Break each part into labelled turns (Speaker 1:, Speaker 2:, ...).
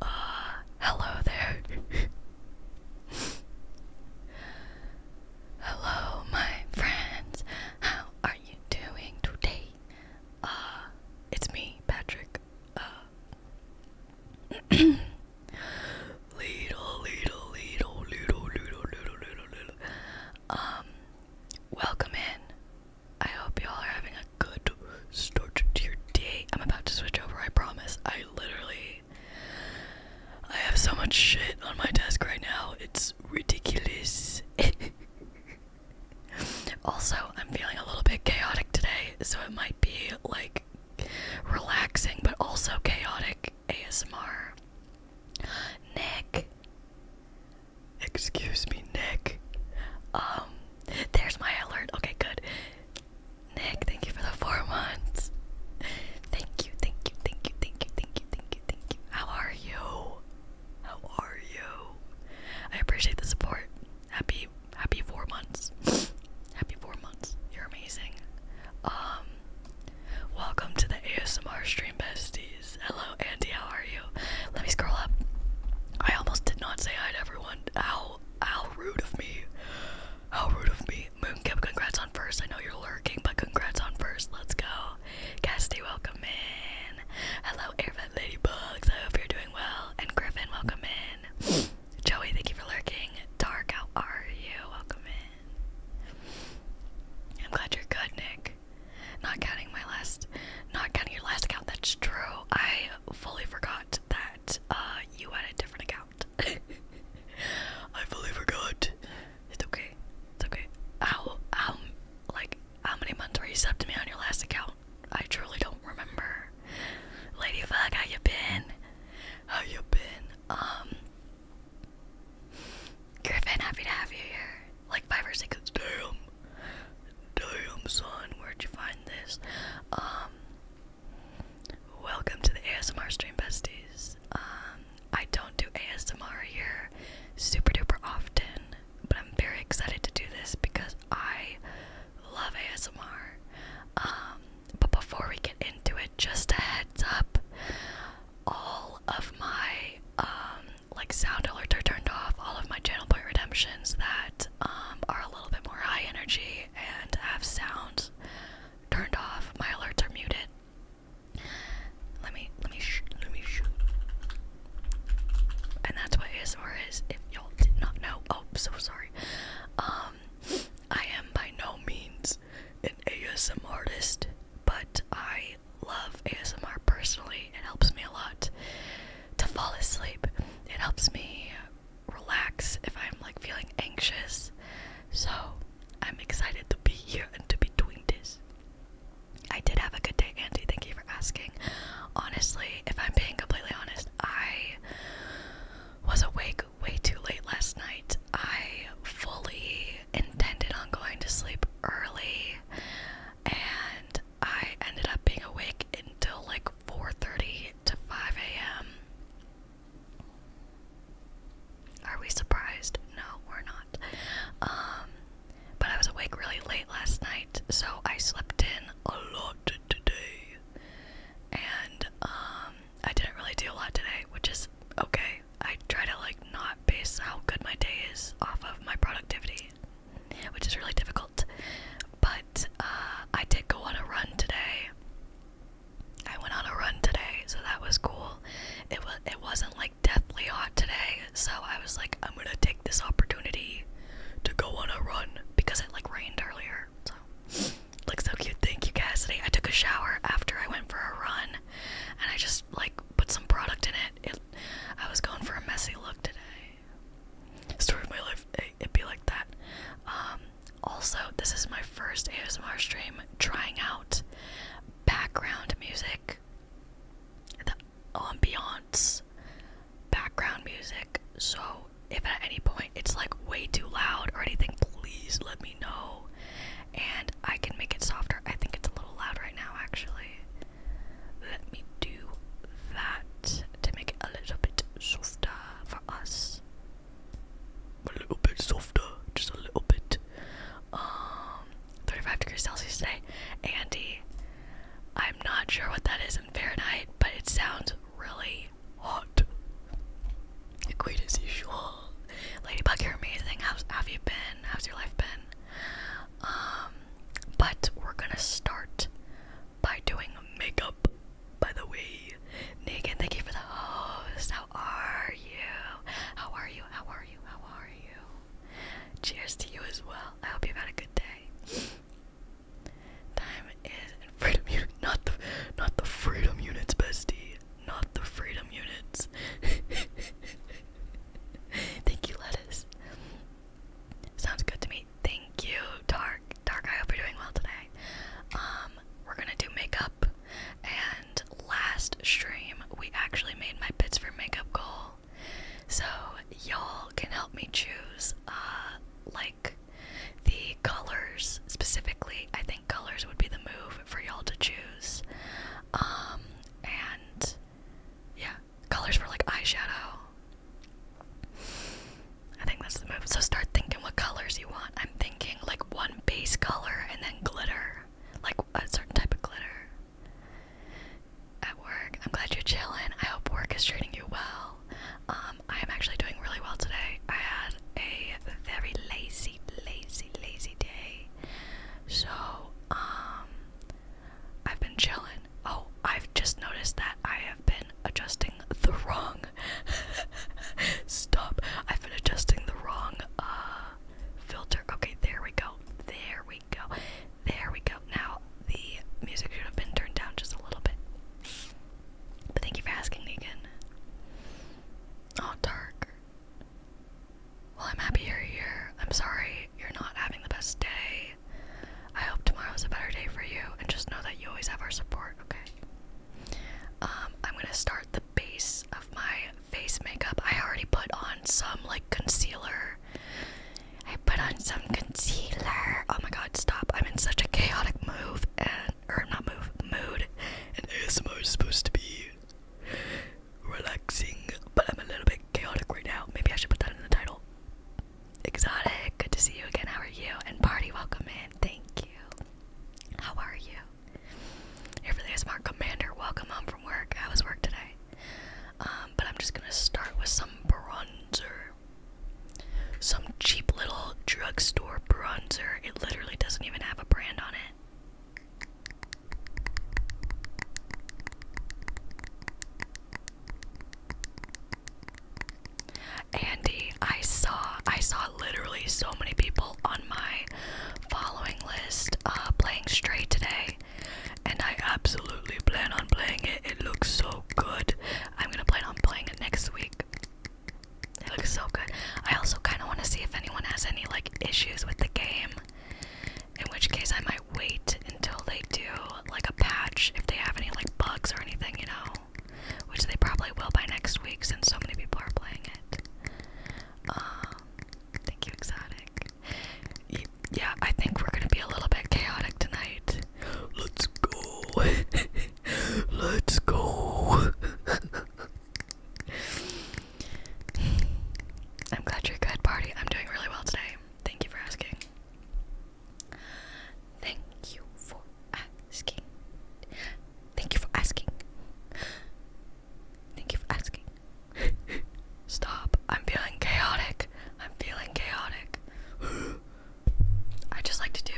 Speaker 1: Ah, hello there. hello, my friends. How are you doing today? Ah, it's me, Patrick. Uh, little, little, little, little, little, little, little. Um, Welcome in. I hope y'all are having a good start to your day. I'm about to switch over, I promise. I literally I have so much shit on my desk right now. It's ridiculous. also, I'm feeling a little bit chaotic today, so it might be like relaxing but also chaotic ASMR. Nick. Excuse me, Nick. Um, there's my alert. Okay, good. Nick, thank you for the four months. Thank you, thank you, thank you, thank you, thank you, thank you, thank you. How are you? How are you? I appreciate the support. Happy, happy four months. happy four months. You're amazing. Um, Welcome to the ASMR stream, besties. Hello, Andy. How are you? Let me scroll up. I almost did not say hi to everyone. How how rude of me. How rude of me. Moonkip, congrats on first. I know you're lurking, but congrats on first. Let's go. Cassidy, welcome in. Hello, Airvet Ladybugs. I hope you're doing well. And Griffin, welcome in. Joey, thank you for lurking. Dark, how are you? Welcome in. I'm glad you're good, Nick. Not counting my last, not counting your last account. That's true. I fully forgot that uh, you had a different account. I fully forgot. It's okay. It's okay. How how like how many months were you sub to me on your last account? I truly don't remember. Ladybug, how you been? How you been? Um, Griffin, happy to have you here. Like five or six. Damn, damn son, where'd you find this? Um, welcome to the ASMR stream, besties. Um, I don't do ASMR here super duper often, but I'm very excited to do this because I love ASMR. Um, but before we get into it, just a heads up all of my um like sound alerts are turned off, all of my channel point redemptions that um, are a little bit more high energy and have sound turned off, my alerts are muted. Let me, let me, sh let me shoot. And that's what ASMR is. If y'all did not know, oh, so sorry. Um, I am by no means an ASMR artist, but I love ASMR personally. It helps me a lot to fall asleep. It helps me relax if I'm like feeling anxious. So I'm excited to be here and to be doing this. I did have a good day, Andy. Thank you for asking. Honestly, if I'm being completely honest, I was awake way too late last night. I fully intended on going to sleep early and I ended up being awake until like 4:30 to 5 a.m. Are we surprised? No, we're not. Um, but I was awake really late last night, so I slept in a lot today. And um, I didn't really do a lot today, which is okay. I try to like not base how good my day is off of my productivity, which is really difficult. But uh, I did go on a run today. I went on a run today, so that was cool. It was it wasn't like deathly hot today, so I was like, I'm gonna take this opportunity to go on a run because it like rained earlier. So looks so cute. Thank you, Cassidy. I took a shower after I went for a run, and I just like put some product in It I was going for a messy look today. Story of my life, it'd be like that. Um, also, this is my first ASMR stream trying out background music, the ambiance, background music. So, if at any point it's like way too loud or anything, please let me know and I can make it softer. I think it's a little loud right now, actually. Let me do that to make it a little bit softer for us. A little bit softer, just a little bit. Um, 35 degrees Celsius today. Andy, I'm not sure what that is in Fahrenheit, but it sounds really hot. Great as usual. Ladybug, you're amazing. How's, have you been? How's your life been? Um, but we're gonna start by doing makeup. By the way, Negan, thank you for the host. How are you? How are you? How are you? How are you? Cheers to you as well. I hope you've had a good day. Time is freedom not the, not the freedom units, bestie, not the freedom units. Thank you, lettuce. Sounds good to me. Thank you, Dark. Dark, I hope you're doing well today. Um, we're gonna do makeup. And last stream, we actually made my bits for makeup goal. So y'all can help me choose, uh, like the colors specifically. I think colors would be the move for y'all to choose. Um, and yeah, colors for like eyeshadow. I think that's the move. So start thinking what colors you want. I'm thinking like one base color and then glitter, like a certain type of glitter. At work, I'm glad you're chilling. I hope work is treating you well. Um, I am actually doing really well today. I had a very lazy, lazy, lazy day. So, um, I've been chilling. Oh, I've just noticed that I have been adjusting the wrong. Stop. I've been adjusting the wrong uh filter. Okay, there we go. There we go. There we go. Now the music should have been turned down just a little bit. But thank you for asking, Negan. Oh, dark. Well, I'm happy you're here. I'm sorry you're not having the best day. I hope tomorrow's a better day for you, and just know that you always have our support, okay? Um, I'm gonna start the base of my face makeup. I already put on some, like, concealer. I put on some concealer. Oh my god, stop. I'm in such a chaotic move and or not move mood. And ASMR is supposed to be relaxing, but I'm a little bit chaotic right now. Maybe I should put that in the title. Exotic, good to see you again. How are you? And party, welcome in. Thank you. How are you? Here for the ASMR Commander, welcome home from work. I was work today. Um, but I'm just gonna start with some bronzer. Some cheap little drugstore bronzer. It literally doesn't even have a brand on it. Andy, I saw I saw literally so many people on my following list uh, playing Stray today, and I absolutely plan on playing it. It looks so good. I'm gonna plan on playing it next week. It looks so good. I also kind of want to see if anyone has any like issues with the game, in which case I might wait until they do like a patch if they have any like bugs or anything, you know, which they probably will by next week since so many people are playing it. Um, thank you, Exotic. yeah, I think we're gonna be a little bit chaotic tonight. Let's go. Let's go. I'm glad you're good, party. I'm doing really well today. Thank you for asking. Thank you for asking. Thank you for asking. Thank you for asking. Stop. I'm feeling chaotic. I'm feeling chaotic. I just like to do.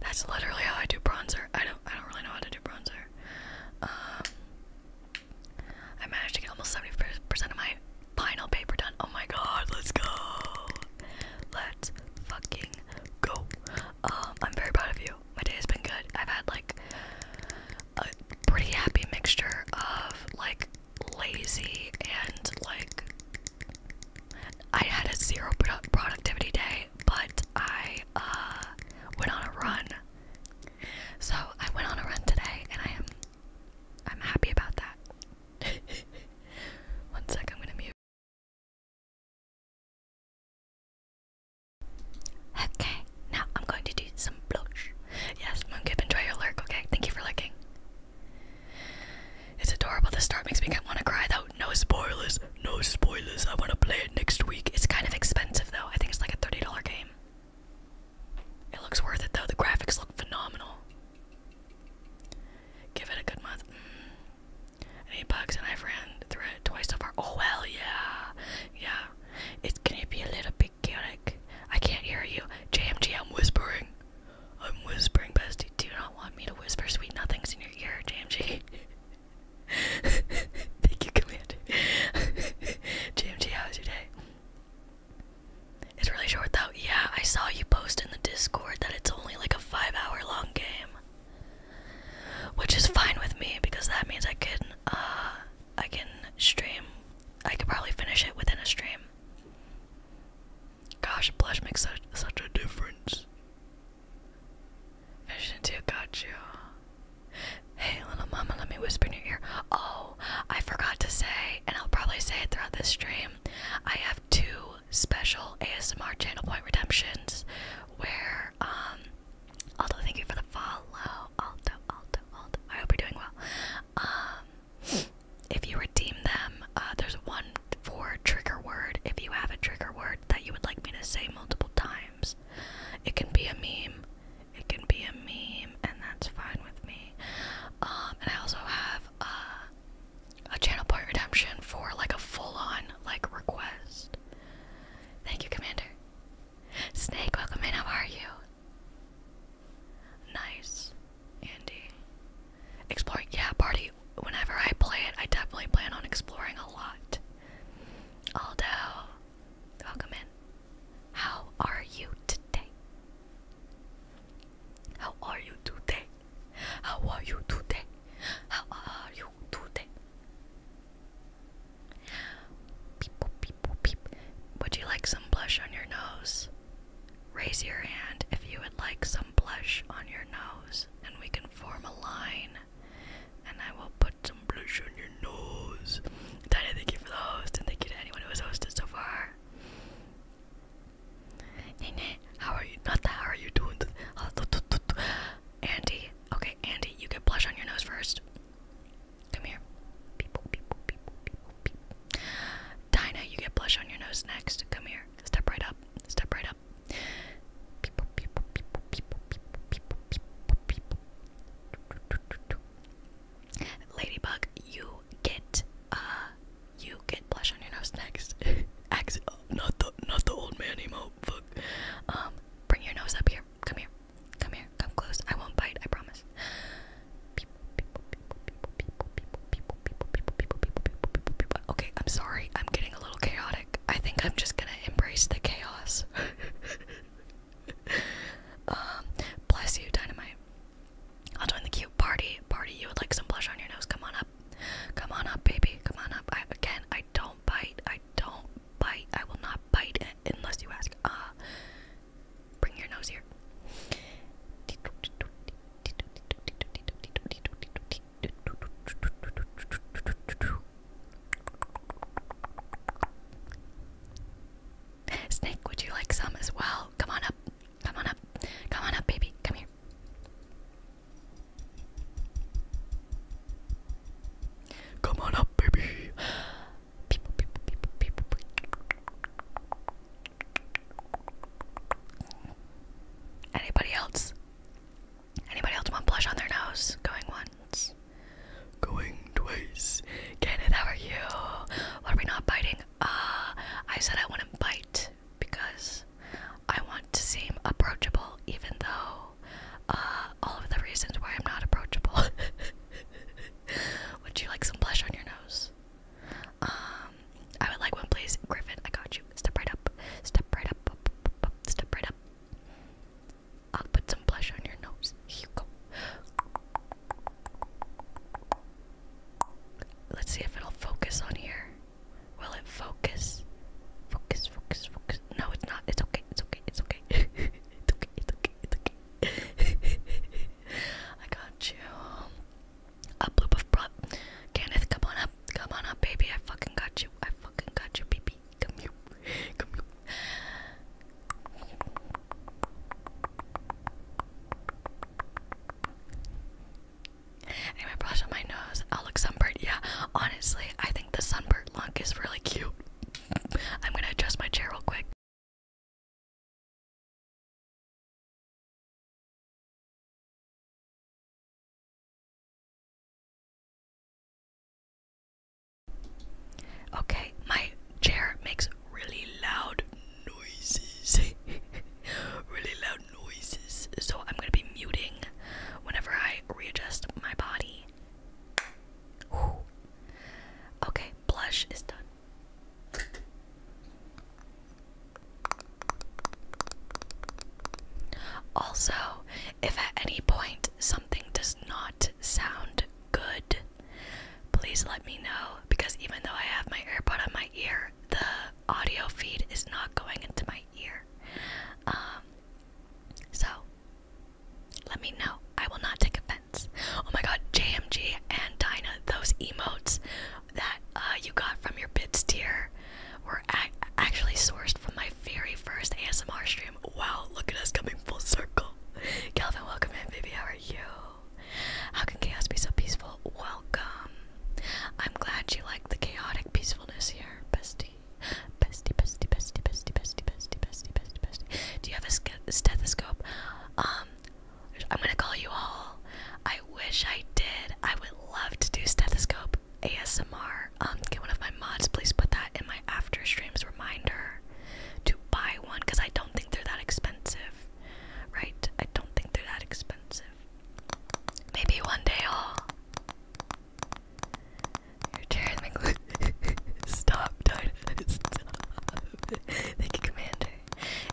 Speaker 1: That's literally how I do bronzer. I don't I don't really know how to do bronzer. Um, I managed to get almost 70% of my final paper done. Oh my god, let's go. Let's fucking go. Um, I'm very proud of you. My day has been good. I've had like a pretty happy mixture of like lazy and like I had a zero productivity day, but I uh, went on a run. So I went on a run today, and I am I'm happy about that. One sec, I'm gonna mute.
Speaker 2: Okay, now I'm
Speaker 1: going to do some blush. Yes, Moongiven, enjoy your lurk. Okay, thank you for lurking. It's adorable. The start makes me want to cry though. No spoilers. No spoilers. I want to play it next week. It's kind of expensive though. I think it's like a $30 game. It looks worth it though. The graphics look phenomenal. Give it a good month. Mm. Any bugs? And I've ran through it twice so far. Oh well, yeah, yeah. It's gonna be a little bit chaotic. I can't hear you. JMG, I'm whispering. I'm whispering, bestie. Do not want me to whisper sweet nothings in your ear, JMG. Thank you, Commander. JMG, how was your day? It's really short though. Yeah, I saw you post in the Discord that it's only like a five hour long game. Which is fine with me because that means I can uh I can stream I could probably finish it within a stream. Gosh, blush makes such such a difference. Vision 2 got you. Hey, little mama, let me whisper in your ear. Oh, I forgot to say, and I'll probably say it throughout this stream. I have two special ASMR channel point redemptions where, um, Aldo, thank you for the follow. Aldo, Aldo, Aldo. I hope you're doing well. Um, if you redeem them, uh, there's one for trigger word if you have a trigger word that you would like me to say multiple times. It can be a meme. It can be a meme, and that's fine with me. Um, and I also have uh, a channel point redemption for like a full-on like request. Thank you, Commander. Snake, welcome in. How are you? Nice, Andy. Exploring, yeah, party whenever I play it, I definitely plan on exploring a lot. Aldo, welcome in. How are you today? How are you today? How are you today? How are you today? Would you like some blush on your nose? Raise your hand if you would like some blush on your nose and we can form a line. And I will put some blush on your nose. Dina, thank you for the host and thank you to anyone who has hosted so far. Nene, how are you? Not the how are you doing? Andy, okay, Andy, you get blush on your nose first. Come here. Beep, you get blush on your nose next. Come here. Step right up. Step right up. People, Ladybug, you get uh you get blush on your nose next. Ax oh, uh, not the not the old man emo fuck. Um bring your nose up here. Come here. Come here. Come close. I won't bite, I promise. Okay, I'm sorry. I'm getting a little chaotic. I think I'm just gonna embrace the chaos. um, bless you, dynamite. I'll join the cute party. Party, you would like some blush on your nose. Come on up. Come on up, baby. Come on up. I, again, I don't bite. I don't bite. I will not bite unless you ask. Ah, bring your nose here. Snake, would you like some as well? Come on up. Come on up. Come on up, baby. Come here. Come on up, baby. Anybody else? Anybody else want blush on their nose? Going once. Going twice. Kenneth, how are you? Why are we not biting? Ah, I said I want to bite because I want to seem approachable, even though uh, all of the reasons why I'm not approachable. would you like some blush on your nose? Um, I would like one, please. Griffin, I got you. Step right up. Step right up. Step right up. I'll put some blush on your nose. Here you go. Let's see if it'll focus on here. Will it focus? Focus, focus, focus. No, it's not. It's okay. It's okay. It's okay. it's okay. It's okay. It's okay. I got you. Up, loop of prop. Kenneth, come on up. Come on up, baby. I fucking got you. I fucking got you, baby baby. Come here. Come here. Anyway, brush on my nose. I'll look sunburned. Yeah, honestly, I think the sunburned look is really cute.
Speaker 2: I'm gonna adjust my chair real quick.
Speaker 1: Okay, my chair makes really loud noises. really loud noises. So I'm going to be muting whenever I readjust my body. Okay, blush is done. Also, if at any point something does not sound good, please let me know because even though I have my earbud on my ear, the audio feed is not going into my ear. Um, so let me know. I will not take offense. Oh my god, JMG and Dinah, those emotes that uh, you got from your bits tier were ac actually sourced from my very first ASMR stream. Wow, look at us coming full circle. Calvin, welcome in, baby. How are you? How can chaos be so peaceful? Welcome. I'm glad you like the chaotic peacefulness here, bestie. Bestie, bestie, bestie, bestie, bestie, bestie, bestie, bestie, bestie. Do you have a stethoscope? Um, I'm gonna call you all. I wish I did. I would love to do stethoscope ASMR. Um, can one of my mods please put that in my after streams reminder to buy one? Because I don't think they're that expensive, right? I don't think they're that expensive. Maybe one day all. will You're Stop, do Thank you, Commander.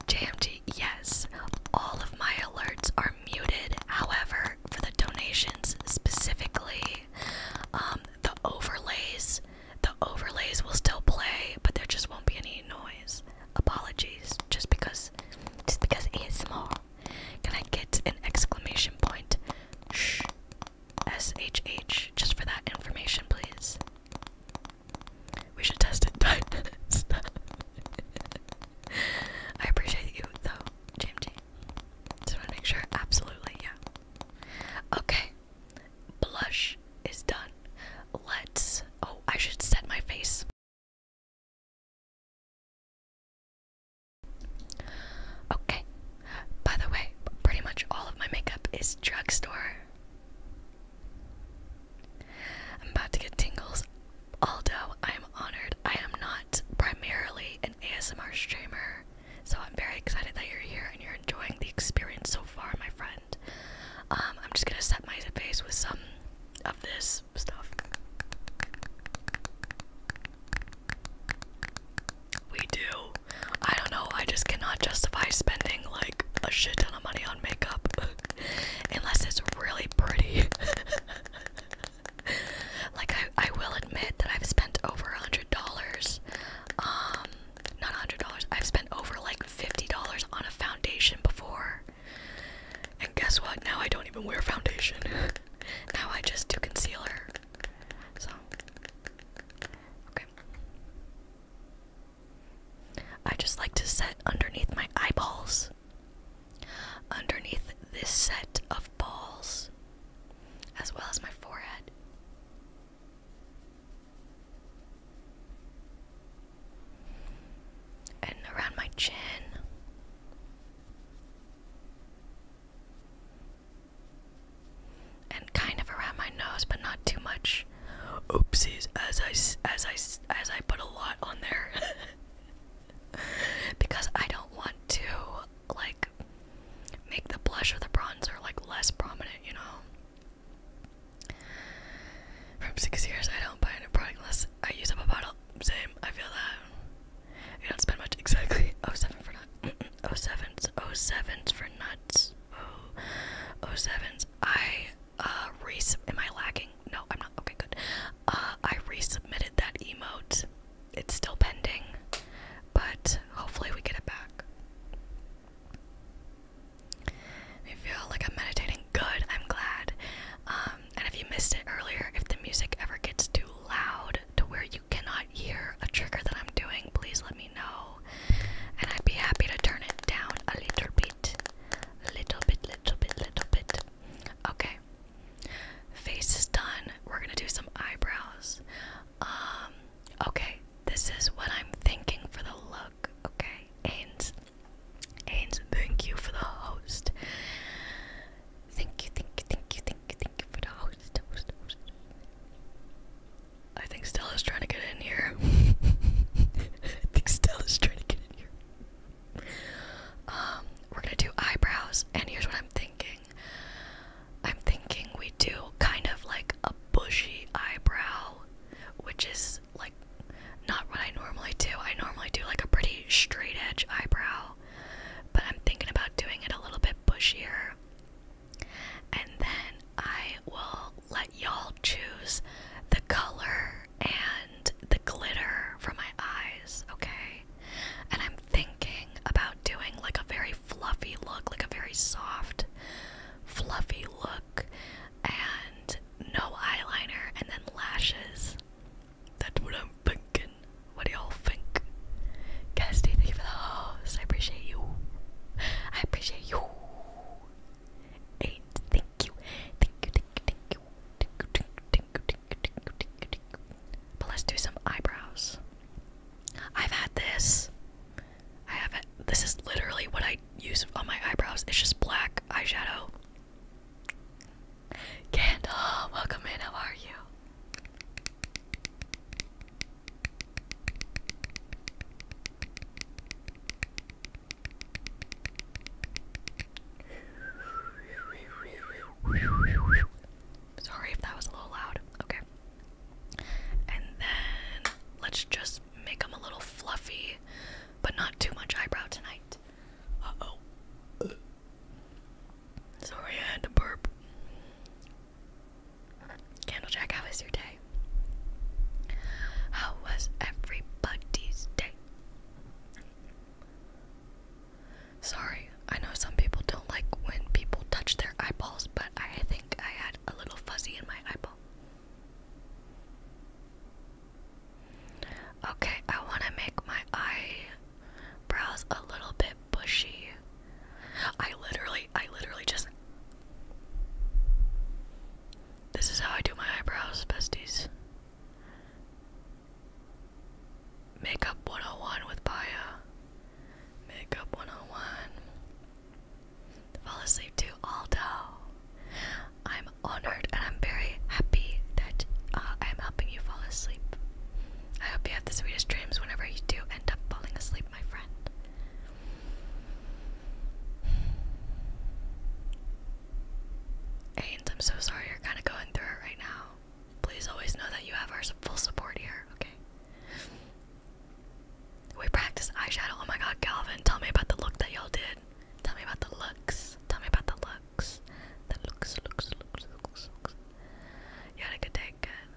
Speaker 1: JMG, yes. All of my alerts are muted. However, for the donations specifically, um, the overlays, the overlays will still play, but there just won't be any noise. Apologies, just because, just because ASMR. Can I get an exclamation point? Shh, SHH, just for that information, please. We should test it. I appreciate you, though, just to make sure. Absolutely, yeah. Okay. Blush is done. Let's. Oh, I should set my face. Okay. By the way, pretty much all of my makeup is drugstore. I'm about to get tingles. Although I am honored, I am not primarily an ASMR streamer. So I'm very excited that you're here and you're enjoying the experience so far, my friend. Um, I'm just gonna set my face with some of this stuff. We do. I don't know, I just cannot justify spending like a shit ton of money on makeup unless it's really pretty. like I, I will admit that I've spent over a hundred dollars. Um, not a hundred dollars. I've spent over like fifty dollars on a foundation before. And guess what? Now I don't even wear foundation. now I just do concealer. So okay. I just like to set underneath my eyeballs. Underneath this set of balls, as well as my forehead. And around my chin. And kind of around my nose, but not too much. Oopsies, as I as I as I put a lot on there because I don't want to like make the blush or the bronzer like less prominent, you know. From six years, I don't buy a new product unless I use up a bottle. Same, I feel that. You don't spend much exactly. Oh seven for nuts. oh sevens. Oh sevens for nuts. Oh oh sevens. I uh resub. Am I lagging? No, I'm not. Okay, good. Uh, I resubmitted that emote it's still pending, but hopefully we get it back. I feel like I'm meditating. Good, I'm glad. Um, and if you missed it earlier, if the music ever gets too loud to where you cannot hear a trigger that I'm doing, please let me know. And I'd be happy to turn it down a little bit. Little bit, little bit, little bit. Okay. Face is done. We're gonna do some eyebrows. Um, okay, this is what I'm thinking for the look, okay? Ains, Ains, thank you for the host. Thank you, thank you, thank you, thank you, thank you for the host. I think Stella's trying to get in here. I think Stella's trying to get in here. Um, we're gonna do eyebrows, and here's what I'm thinking. I'm thinking we do kind of like a bushy eyebrow, which is like not what I normally do. I normally do like a pretty straight edge eyebrow, but I'm thinking about doing it a little bit bushier. And then I will let y'all choose the color and the glitter for my eyes, okay? And I'm thinking about doing like a very fluffy look, like a very soft, fluffy look, and no eyeliner, and then lashes. That's what I'm thinking. What do y'all think? Casty, thank you for the host. I appreciate you. I appreciate you. Eight, Thank you, thank you, thank you. Thank you, thank you, thank you, thank you, thank you, thank you. But let's do some eyebrows. I've had this. I have This is literally what I use on my eyebrows. It's just black eyeshadow. Kendall, welcome in. How are you? Sorry if that was a little loud. Okay. And then let's just make them a little fluffy, but not too much eyebrow tonight. Uh oh. Sorry, I had to burp. Candlejack, how was your day? How was everybody's day? Sorry, I know some people don't like when people touch their eyeballs, but I think I had a little fuzzy in my eyeball. Okay, I want to make my eyebrows a little bit bushy. I literally, I literally just. This is how I do my eyebrows, besties. Makeup 101 with Baya. Makeup 101. Fall asleep to Aldo. I'm honored and I'm very happy that uh, I'm helping you fall asleep. I hope you have the sweetest dreams whenever you do end up falling asleep, my friend. Ains, I'm so sorry you're kind of going through it right now. Please always know that you have our full support here, okay? We practiced eyeshadow. Oh my god, Calvin, tell me about the look that y'all did. Tell me about the looks. Tell me about the looks. The looks, looks, looks, looks, looks. You had a good day, good.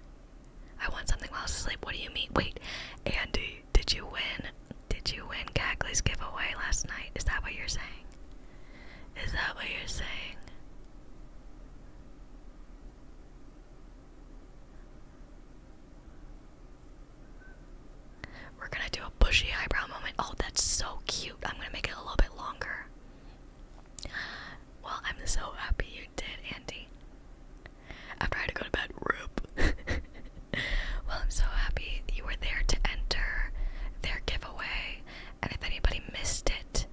Speaker 1: I want something while I sleep. What do you mean? Wait, Andy, did you win? Did you win Cagley's giveaway last night? Is that what you're saying? Is that what you're saying? We're gonna do a bushy eyebrow moment. Oh, that's so cute. I'm gonna make it a little bit longer. Well, I'm so happy you did, Andy. After I had to go to bed, roop. well, I'm so happy you were there to enter their giveaway. And if anybody missed it,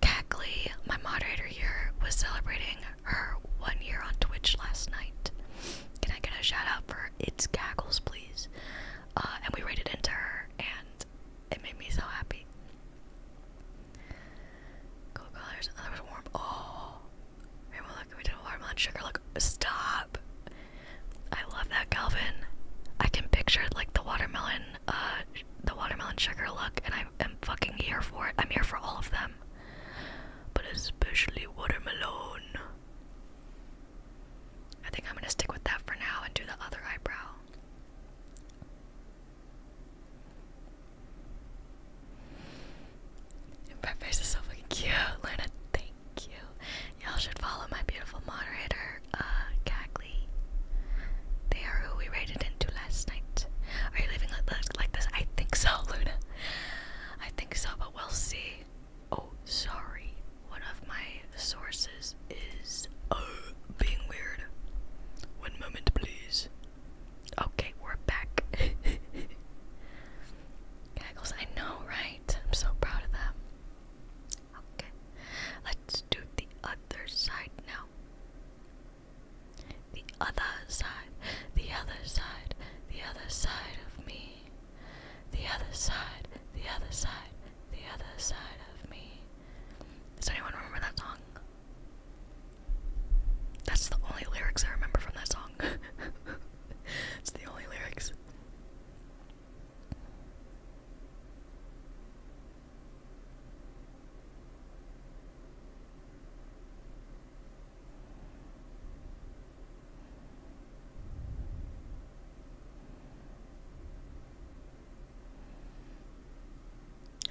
Speaker 1: Cackley, my moderator here, was celebrating her one year on Twitch last night. Can I get a shout out for It's Gaggles, please? Uh, and we rated into her, and it made me so happy. Cool colors. Oh, was warm. Oh, we did a warm watermelon sugar. Look, stop. I love that, Calvin. I can picture like the watermelon uh, the watermelon sugar look, and I am fucking here for it. I'm here for all of them, but especially watermelon. I think I'm gonna stick with that for now and do the other eyebrow. My face is so fucking cute, Luna. Thank you. Y'all should follow my beautiful moderator, uh, Cagley. They are who we raided into last night. Are you leaving like this? I think so, Luna. I think so, but we'll see. Oh, sorry. One of my sources is uh, being weird. One moment, please. Okay, we're back. Gaggles, I know, right? I'm so proud of them. Okay, let's do the other side now. The other side, the other side, the other side of me. The other side, the other side, the other side of me. Does anyone remember that song? That's the only lyrics I remember from that song. it's the only lyrics.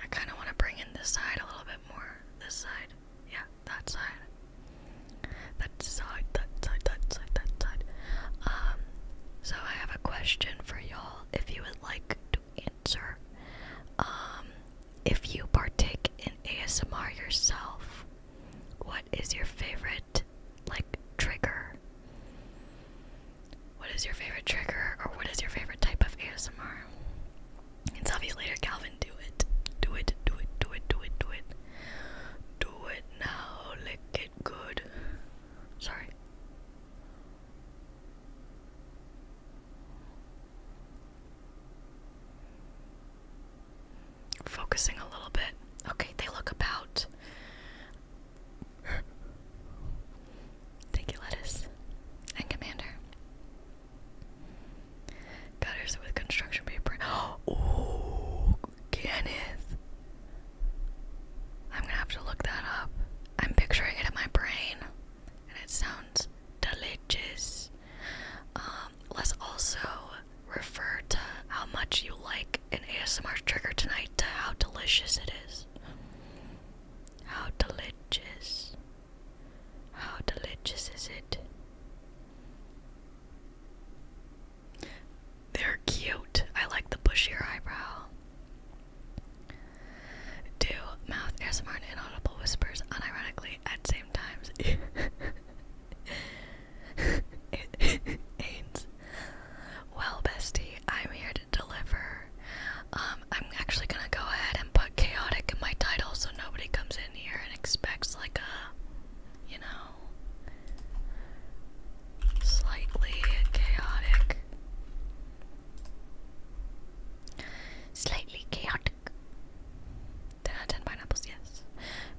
Speaker 1: I kind of want to bring in this side a little bit more. This side. Yeah, that side. That side, that side, that side, that side. Um, so I have a question for y'all if you would like to answer. Um, if you partake in ASMR yourself, what is your favorite like trigger? What is your favorite trigger or what is your favorite type of ASMR? It's obviously later, Calvin. Do it. Do it. Do it. Do it. Do it. Do it. Do it now. Lick it good. Sorry. Focusing a little bit. Okay, they look about. Thank you, Lettuce. And Commander. Gutters with construction paper. Oh, Kenneth. I'm gonna have to look that up. I'm picturing it in my brain, and it sounds delicious. Um, let's also refer to how much you like an ASMR trigger tonight to how delicious it is. How delicious. How delicious is it? They're cute. I like the bushier eyebrow do mouth ASMR smart inaudible whispers unironically at same times. Ains. Well, bestie, I'm here to deliver. Um, I'm actually gonna go ahead and put chaotic in my title so nobody comes in here and expects like a, you know, slightly chaotic. Slightly chaotic. Ten out of ten pineapples, yes.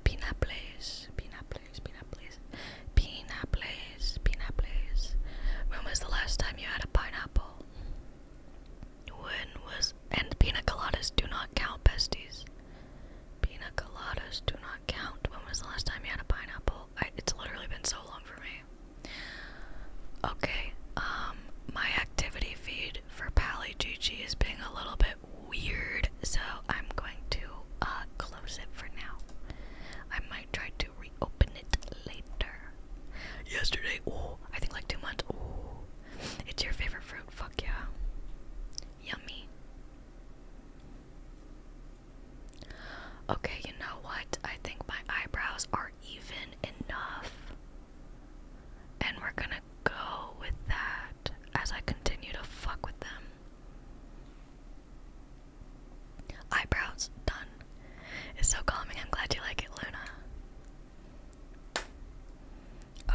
Speaker 1: Pineapples, pineapples, pineapples, pineapples, pineapples. When was the last time you had a pineapple? When was. And pina coladas do not count, besties. Pina coladas do not count. When was the last time you had a pineapple? it's literally been so long for me. Okay, um, my activity feed for Pally Gigi is being a little bit weird, so I'm going to uh, close it for now. I might try to reopen it later. Yesterday, oh, I think like two months. Oh, it's your favorite fruit. Fuck yeah, yummy. Okay, you know what? I think my eyebrows are even enough. And we're gonna go with that as I continue to fuck with them. Eyebrows done. It's so calming. I'm glad you like it, Luna.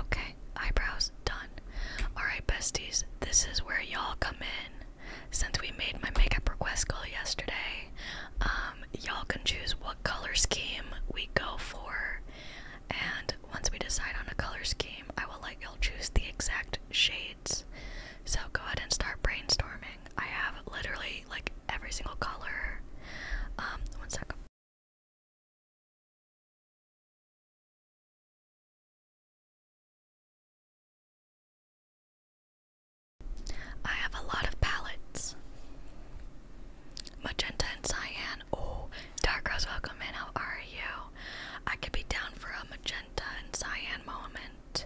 Speaker 1: Okay, eyebrows done. Alright, besties, this is where y'all come in. Since we made my makeup request goal yesterday, um, y'all can choose what color scheme we go for. And once we decide on a color scheme, I will let y'all choose the exact shades. So go ahead and start brainstorming. I have literally like every single color. Um, one second.
Speaker 2: I have a lot of
Speaker 1: palettes. Magenta and cyan. Oh, Dark Rose, welcome in. How are you? I could be down for a magenta and cyan moment.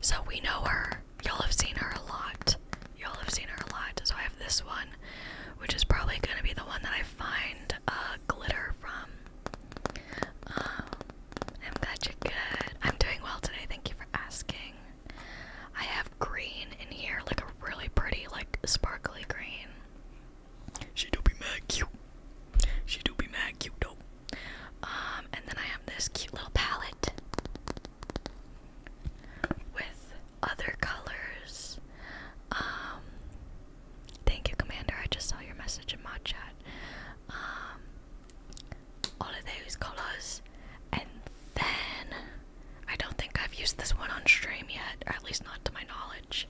Speaker 1: So we know her. Y'all have seen her a lot. Y'all have seen her a lot. So I have this one, which is probably going to be the one that I find uh, glitter from. Um, I'm glad you good. I'm doing well today. Thank you for asking. I have green in here, like a really pretty, like sparkly green. She do be mad cute. She do be mad cute though. Um, and then I have this cute little palette with other colors. Um, Thank you, Commander. I just saw your message in my chat. Um, all of those colors, and then I don't think I've used this one on stream yet, or at least not to my knowledge.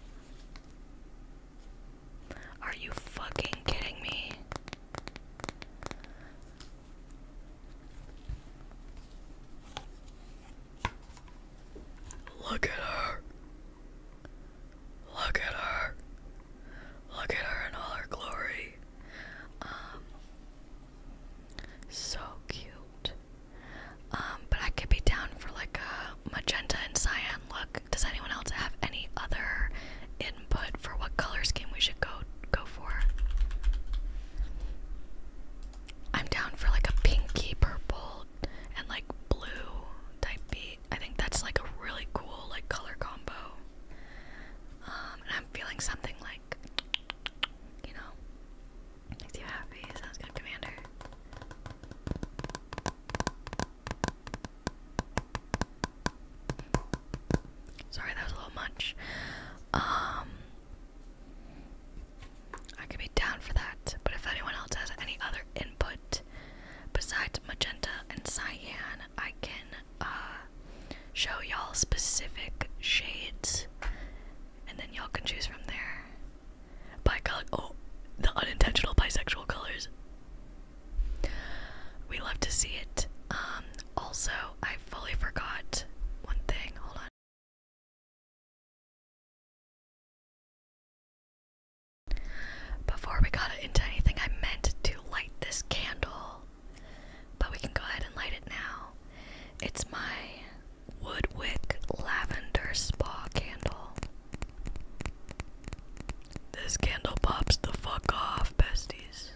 Speaker 1: Are you fucking kidding me? Look at her. Look at her. Look at her in all her glory. Um so cute. Um, but I could be down for like a magenta and cyan look. Does anyone else have any other input for what color scheme we should go go for? I'm down for like a pinky purple and like blue type B. I think that's like a really cool like color combo. Um, and I'm feeling something like, you know, makes you happy. Sounds good, Commander. Sorry, that was a little much. Um, I could be down for that, but if anyone else has any other input Besides magenta and cyan, I can uh, show y'all specific shades, and then y'all can choose from there. By color, oh, the unintentional bisexual colors. We love to see it. Um, also, I fully forgot one thing. Hold on.
Speaker 2: Before we got into
Speaker 1: anything, I meant to light this candle, but we can go ahead and light it now. It's my Woodwick Lavender Spa candle. This candle pops the fuck off, besties.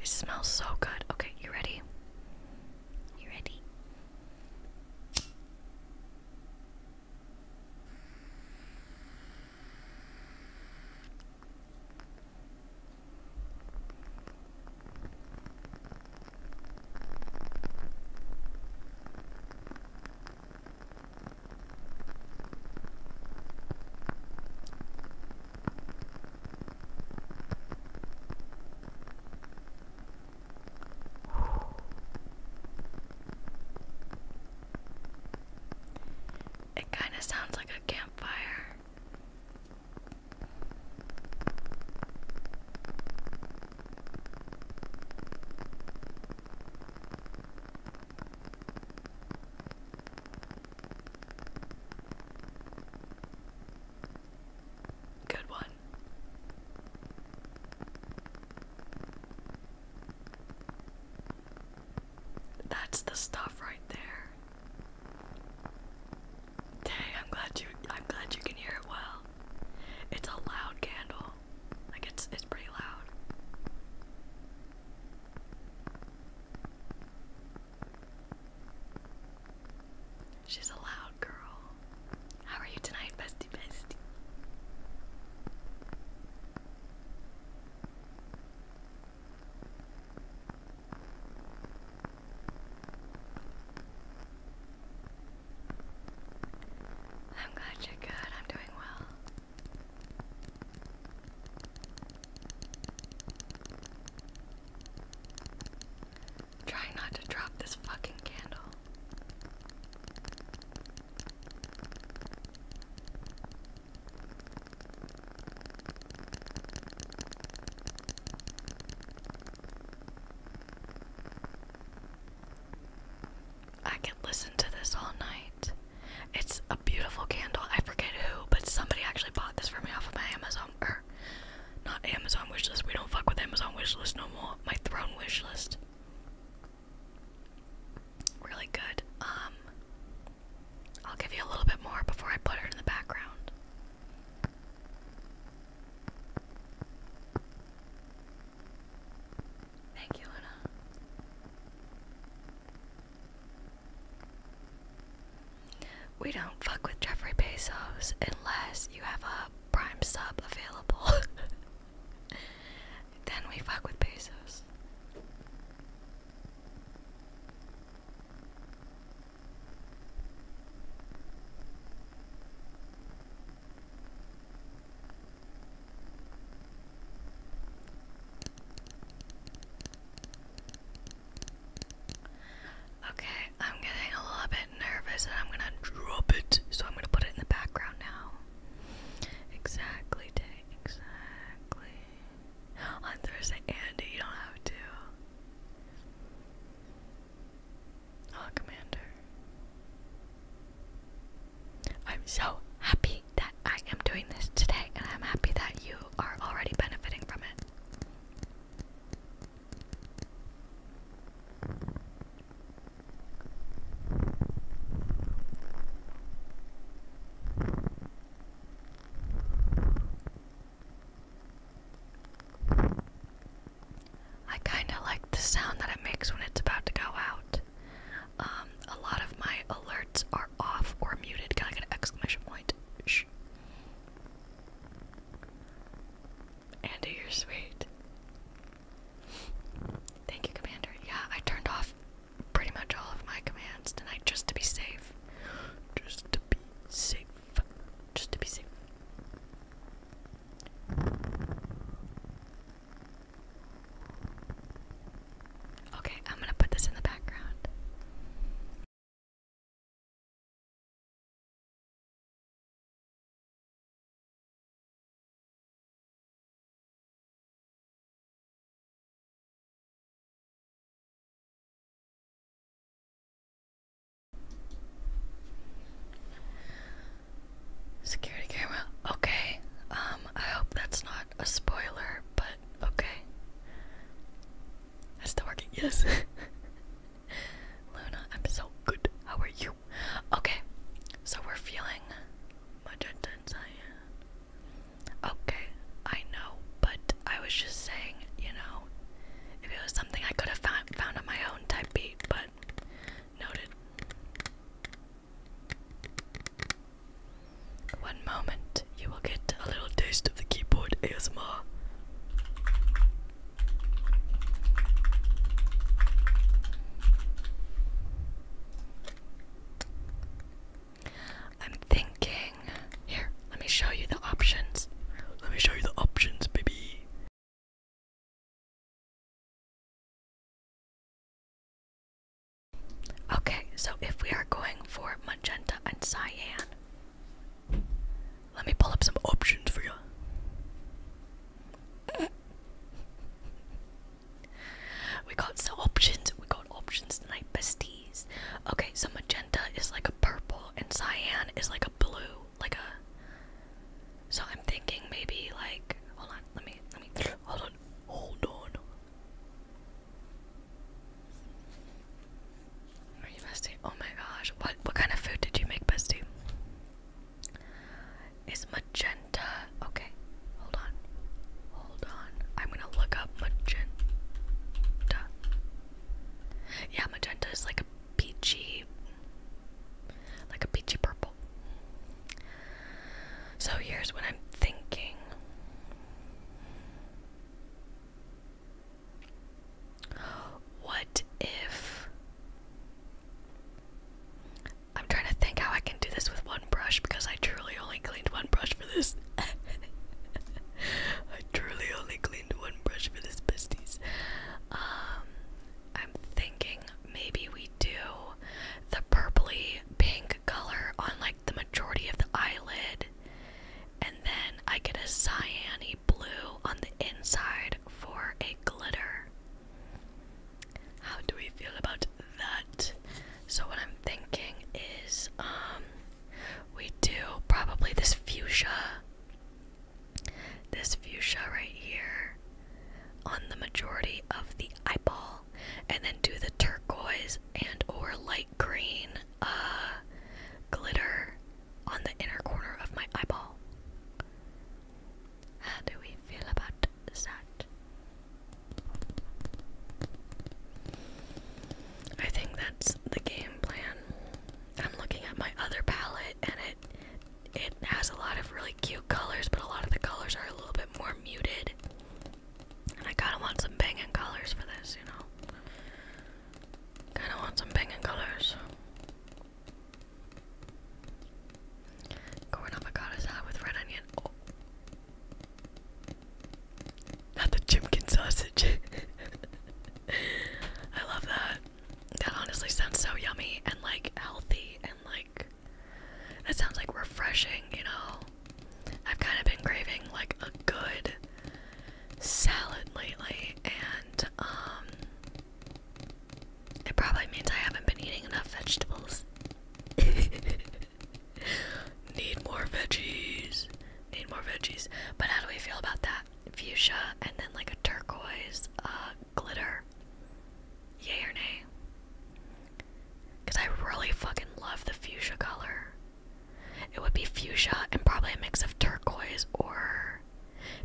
Speaker 1: It smells so good. Okay, you ready? You ready? It kind of sounds like a campfire. Good one. That's the stuff right there. Dang, I'm glad you I'm glad you can hear it well. It's a loud candle. Like it's it's pretty loud. She's a loud girl. How are you tonight, bestie bestie? I'm glad you're good. I'm doing well. Try not to drop this fucking candle. I can listen to this all night. It's a beautiful candle. I forget who, but somebody actually bought this for me off of my Amazon not Amazon wishlist. We don't fuck with Amazon wishlist no more. My throne wishlist. Really good. Um I'll give you a little bit more before I put her in the background. Thank you, Luna. We don't fuck with Jeffrey Bezos unless you have a prime sub available. then we fuck with Bezos. Okay, I'm getting a little bit nervous and I'm gonna drop it, so I'm gonna put it in the background now. Exactly, exactly. On Thursday, Andy, you don't have to. Oh, Commander. I'm so happy that I am doing this today, and I'm happy that you are already benefiting from it. I kind of like the sound that it makes when it's about to go out. Um, a lot of my alerts are off or muted. Can I get an exclamation point? Andy, you're sweet. Thank you, Commander. Yeah, I turned off pretty much all of my commands tonight just to be safe. Just to be safe. Just to be safe.
Speaker 2: Okay, I'm gonna put this in the background.
Speaker 1: Security camera. Okay. Um, I hope that's not a spoiler, but okay. That's still working. Yes. Luna, I'm so good. How are you? Okay, so we're feeling magenta and cyan. Okay, I know, but I was just saying, you know, if it was something I could have found, found on my own type B, but noted. One moment, you will get a little taste of the keyboard ASMR. I'm thinking. Here, let me show you the options. Let me show you the
Speaker 2: options, baby.
Speaker 1: Okay, so if we are going for magenta and cyan, let me pull up some options for you. we got some options. We got options tonight, besties. Okay, so magenta is like a purple, and cyan is like a blue, like a. So I'm thinking maybe like. Hold on. Let me. Let me. Hold on. Hold on. Are you bestie? Oh my gosh. What what kind of food did you make, bestie? Is magenta okay, hold on. Hold on. I'm gonna look up magenta. Yeah, magenta is like a peachy like a peachy purple. So here's what I'm thinking. What if I'm trying to think how I can do this with one brush because I truly only cleaned one brush for this. I truly only cleaned one brush for this besties. Um I'm thinking maybe we do the purpley pink color on like the majority of the eyelid then I get a cyany blue on the inside for a glitter. How do we feel about that? So what I'm thinking is um, we do probably this fuchsia this fuchsia right here on the majority of the eyeball and then do the turquoise and or light green uh glitter on the inner corner of my eyeball. How do we feel about that? I think that's the game plan. I'm looking at my other palette and it it has a lot of really cute colors, but a lot of the colors are a little bit more muted. And I kinda want some banging colors for this, you know. Kinda want some banging colors. Corn ah, with red onion. Oh. Not the chipkin sausage. I love that. That honestly sounds so yummy and like healthy and like that sounds like refreshing, you know. I've kind of been craving like a good salad lately and um it probably means I haven't been eating enough vegetables. Need more veggies. Need more veggies. But how do we feel about that? Fuchsia and then like a turquoise uh, glitter. Yay or nay? Because I really fucking love the fuchsia color. It would be fuchsia and probably a mix of turquoise or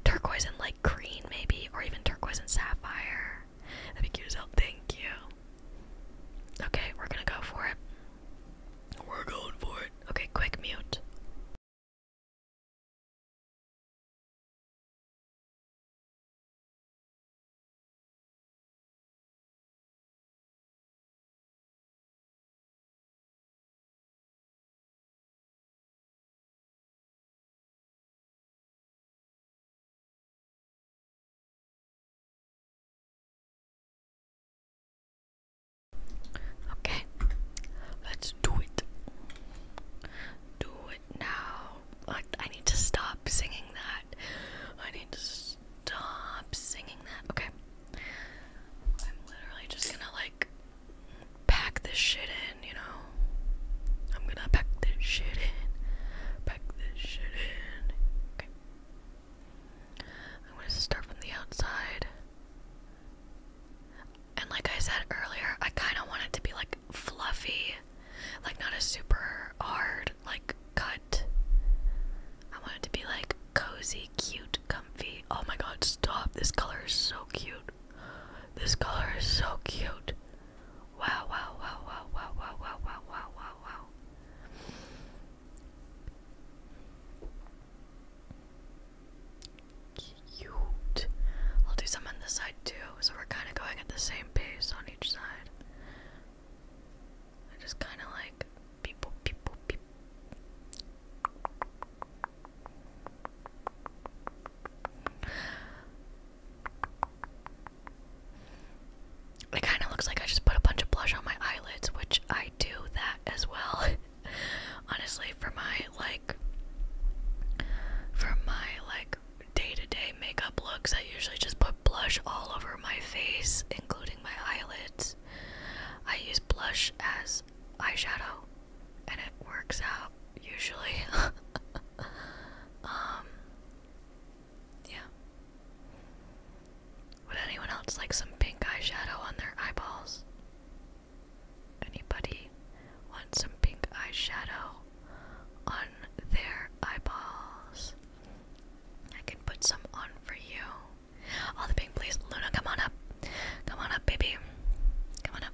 Speaker 1: Turquoise and like green, maybe, or even turquoise and sapphire. That'd be cute as hell. Thank you. Okay, we're gonna go for it. We're going for it. Okay,
Speaker 2: quick mute.
Speaker 1: Okay, let's do it. Do it now. Like, I need to stop singing that. I need to stop singing that. Okay. I'm literally just gonna, like, pack this shit in, you know? I'm gonna pack this shit in. Pack this shit in. Okay. I'm gonna start from the outside. And like I said earlier, I kind of want it to be like fluffy, like not a super hard like cut. I want it to be like cozy, cute, comfy. Oh my god, stop. This color is so cute. This color is so cute. Wow, wow, wow, wow, wow, wow, wow, wow, wow, wow, wow. Cute. I'll do some on this side too, so we're kind of going at the same pace on each side. I just kind of like it kind of looks like I just put a bunch of blush on my eyelids, which I do that as well. Honestly, for my like for my like day-to-day -day makeup looks, I usually just put blush all over my face, including my eyelids. I use blush as eyeshadow and it works out usually. um yeah. Would anyone else like some pink eyeshadow on their eyeballs? Anybody want some pink eyeshadow on their eyeballs? I can put some on for you. All the pink, please. Luna, come on up. Come on up, baby. Come on up.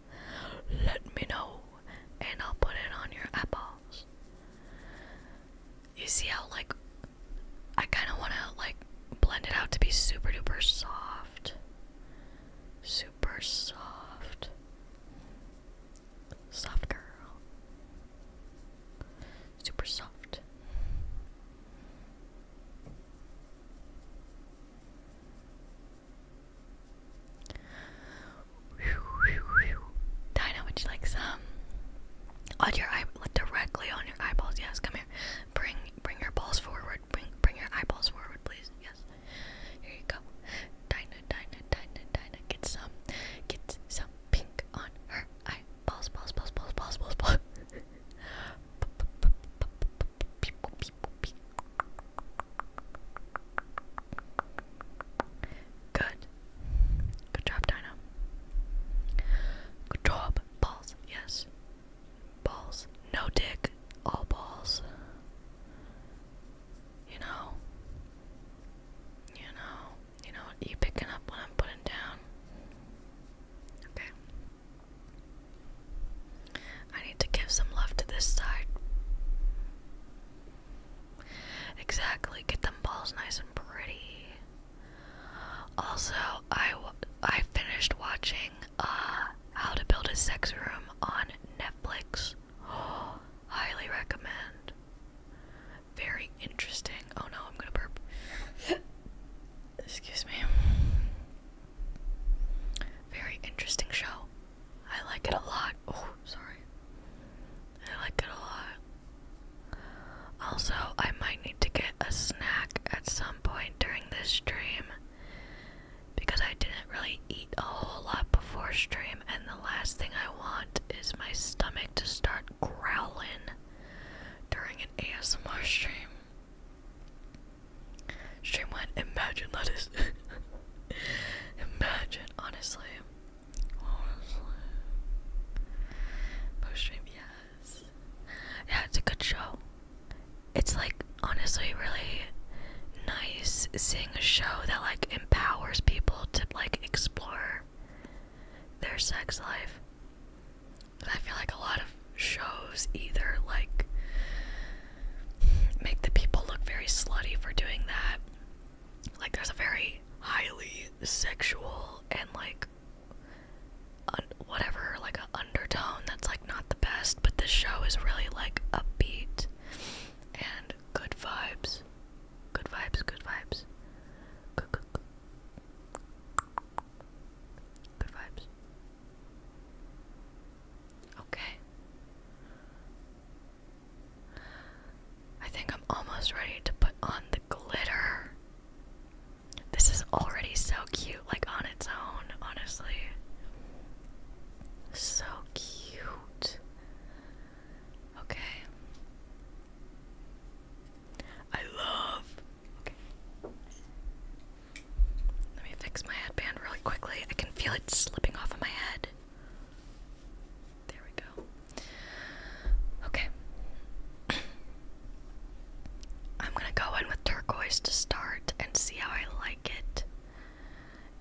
Speaker 1: let me know and I'll put it on your eyeballs. You see how like I kind of want to like blend it out to be super duper soft. Super soft. Soft girl. Super soft. Dina, would you like some? On your eye, directly on your eyeballs. Yes, come here. Bring, bring your balls forward. Bring, bring your eyeballs forward, please. Yes. Here you go. Dina. Dina. Dina. Dina. Get some, get some pink on her eyeballs. Balls, balls, balls, balls, balls, balls. Good. Good job, Dino. Good job. Balls, yes. Balls. No dick. All balls. You know. You know. You know, you picking up what I'm putting down. Okay. I need to give some love to this side. Exactly. Get them balls nice and pretty. Also, I, I finished watching uh, How to Build a Sex Room on Netflix. highly recommend. Very interesting. Oh no, I'm gonna burp. Excuse me. Very interesting show. I like it a lot. Oh, sorry. I like it a lot. Also, I might need to get a snack at some point during this stream because I didn't really eat a whole lot before stream, and the last thing I want is my stomach to start growling during an ASMR stream. Stream went, imagine lettuce. imagine honestly, post stream, yes. Yeah, it's a good show. It's like honestly really nice seeing a show that like empowers people to like explore their sex life. I feel like a lot of shows either like make the people look very slutty for doing that like there's a very highly sexual and like whatever like an undertone that's like not the best but this show is really like upbeat and good vibes good vibes good vibes good, good, good. good vibes Okay. I think I'm almost ready to put on the glitter. This is already so cute, like on its own, honestly. So cute. Okay. I love. Okay. Let me fix my headband really quickly. I can feel it slipping off of my head. There we go. Okay. I'm gonna go in with turquoise to start and see how I like it.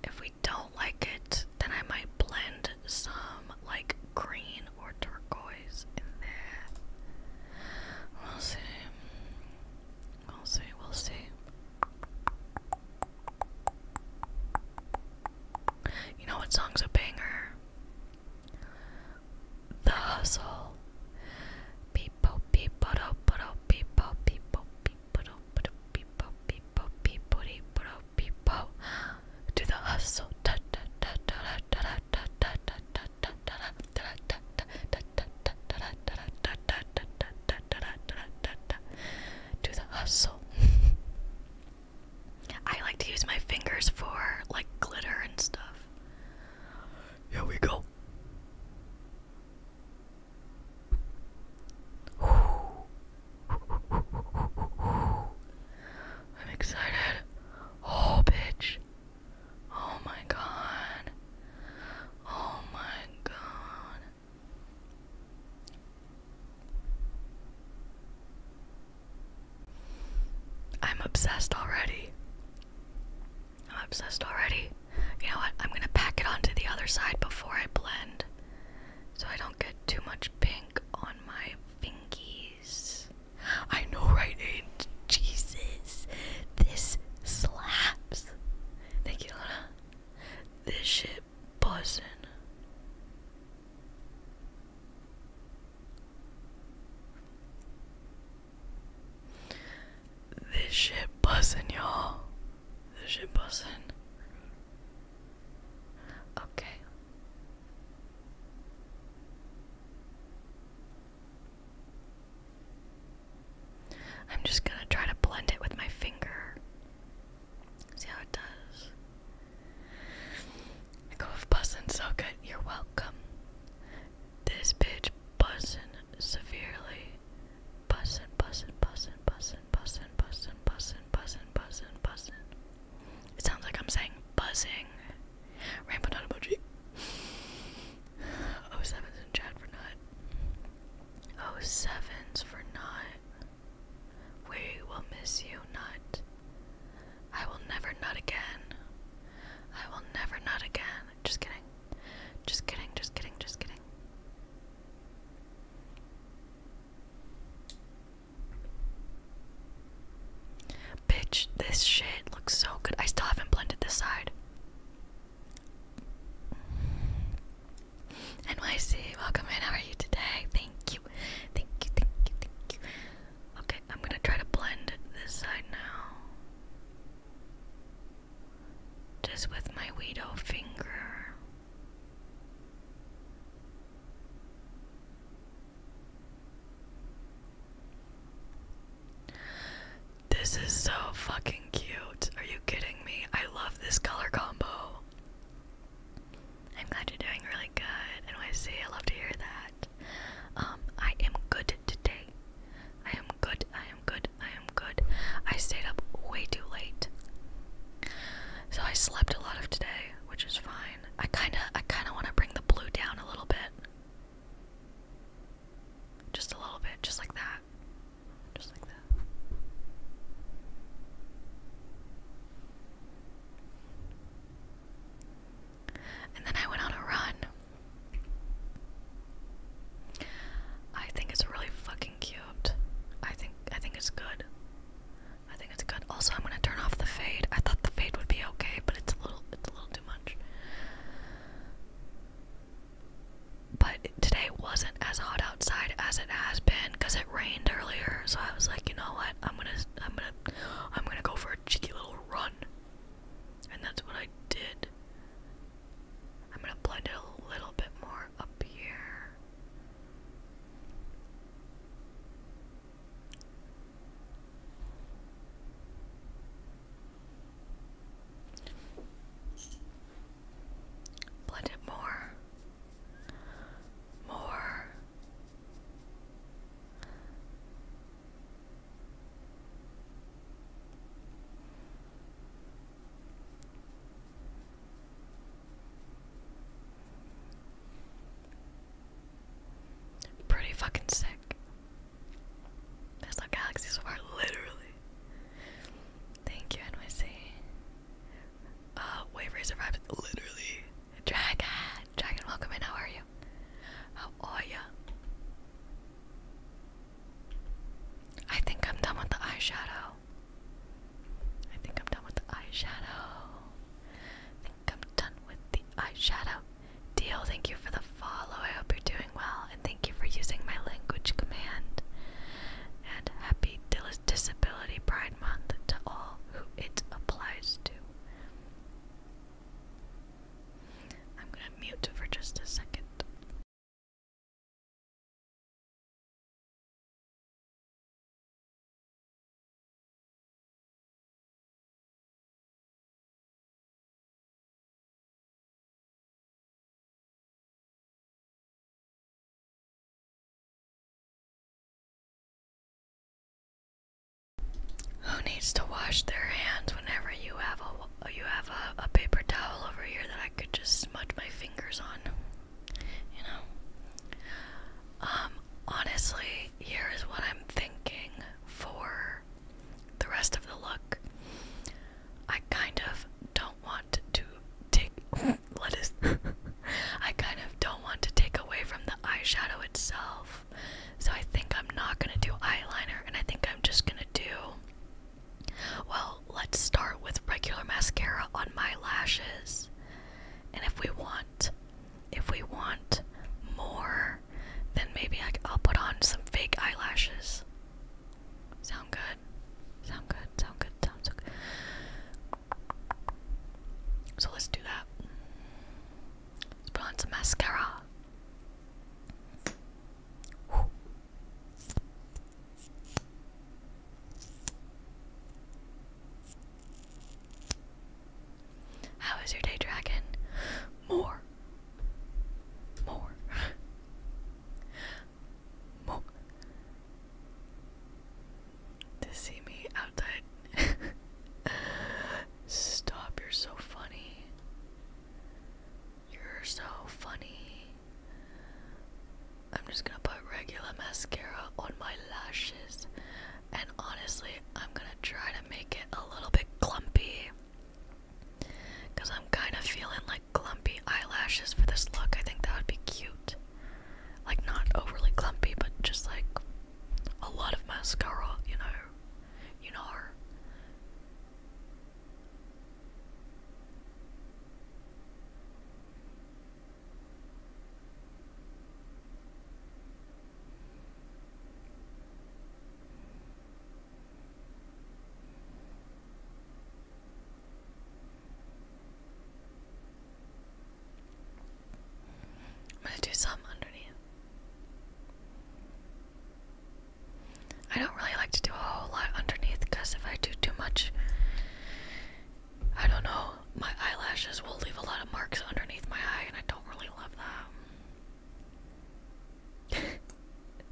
Speaker 1: If we don't like it, then I might blend some like green or turquoise in there. We'll see. We'll see. We'll see. You know what song's a banger? The Hustle. People, people, people, people, people, people, people, do the hustle. Do the hustle. I like to use my fingers for like glitter and stuff. Here we go. I'm excited. Oh, bitch. Oh my god. Oh my god. I'm obsessed already. I'm obsessed already. You know what? I'm gonna pack it onto the other side before I blend so I don't get too much pink on my fingies. I know, right? Aiden? Jesus, this slaps. Thank you, Luna. This shit it buzzing. This shit buzzing, y'all. This shit buzzing. Okay. I'm just gonna try to blend it with my finger. See how it does. Cove bussin' so good, you're welcome. This bitch bussin' severely. Bussin', bussin', bussin', bussin', bussin', bussin', bussin', bussin', bussin', bussin'. It sounds like I'm saying buzzing. Rainbow nut emoji. Oh sevens in chat for nut. Oh sevens for nut. We will miss you, Nut. I will never nut again. I will never nut again. Just kidding. Just kidding, just kidding, just kidding. Bitch, this shit looks so good. I still haven't blended this side. NYC, welcome in. How are you today? Thank you. Thank you, thank you, thank you. Okay, I'm gonna try to blend this side now. Just with my Weedo finger. This is so fucking cute. Are you kidding me? I love this color combo. I'm glad you're doing really good, NYC. I love to hear that. Um, I am good today. I am good. I am good. I am good. I stayed up way too late, so I slept a lot of today, which is fine. I kind of, I kind of want to bring the blue down a little bit, just a little bit, just like that, just like that. And then I went on a run. I think it's really fucking cute. I think I think it's good. I think it's good. Also, I'm gonna turn off the fade. I thought the fade would be okay, but it's a little it's a little too much. But today wasn't as hot outside as it has been because rained earlier, so I was like, you know what? I'm gonna, I'm gonna, I'm gonna go for a cheeky little run, and that's what I did. I'm gonna blend it a little bit more up here. Blend it more, more, Pretty fucking sick. That's not galaxy so far, literally. Thank you, NYC. Uh, Wavery survived literally. Dragon, Dragon, welcome in. How are you? How are ya? I think I'm done with the eyeshadow. I think I'm done with the eyeshadow. I think I'm done with the eyeshadow. Deal, thank you for the follow. I hope you're doing well, and thank you for using my language command. And happy disability, Brian to all who it applies to. I'm going to mute for just a second. Who needs to wash their hands whenever you have a you have a, paper towel over here that I could just smudge my fingers on? You know. Um. Honestly, here is what I'm thinking for the rest of the look. I kind of don't want to take lettuce. I kind of don't want to take away from the eyeshadow itself. So I think I'm not going to do eyeliner and I think I'm just going to do well, let's start with regular mascara on my lashes. And if we want if we want more, then maybe I'll put on some fake eyelashes. Sound good? Sound good? Sound good? Sounds good. So let's do that that. Let's some mascara. How was your day, dragon? More. More. More to see me outside. Stop, you're so funny. You're so funny. I'm just gonna put regular mascara on my lashes, and honestly, I'm gonna try to make it a little bit clumpy because I'm kind of feeling like clumpy eyelashes for this look. I think that would be cute like not overly clumpy, but just like a lot of mascara, you know, you know. I'm gonna do some underneath. I don't really like to do a whole lot underneath because if I do too much, I don't know, my eyelashes will leave a lot of marks underneath my eye, and I don't really love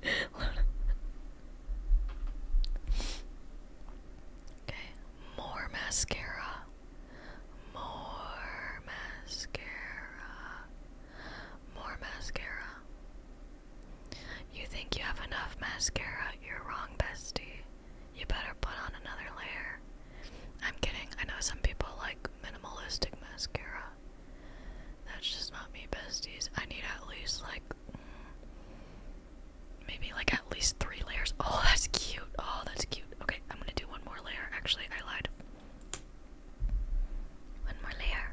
Speaker 1: that. okay, more mascara. More mascara. More mascara. You think you have enough mascara? You're wrong, bestie. You better put on another layer. I'm kidding. I know some people like minimalistic mascara. That's just not me, besties. I need at least like maybe like at least three layers. Oh, that's cute. Oh, that's cute. Okay, I'm gonna do one more layer. Actually, I lied. One more layer.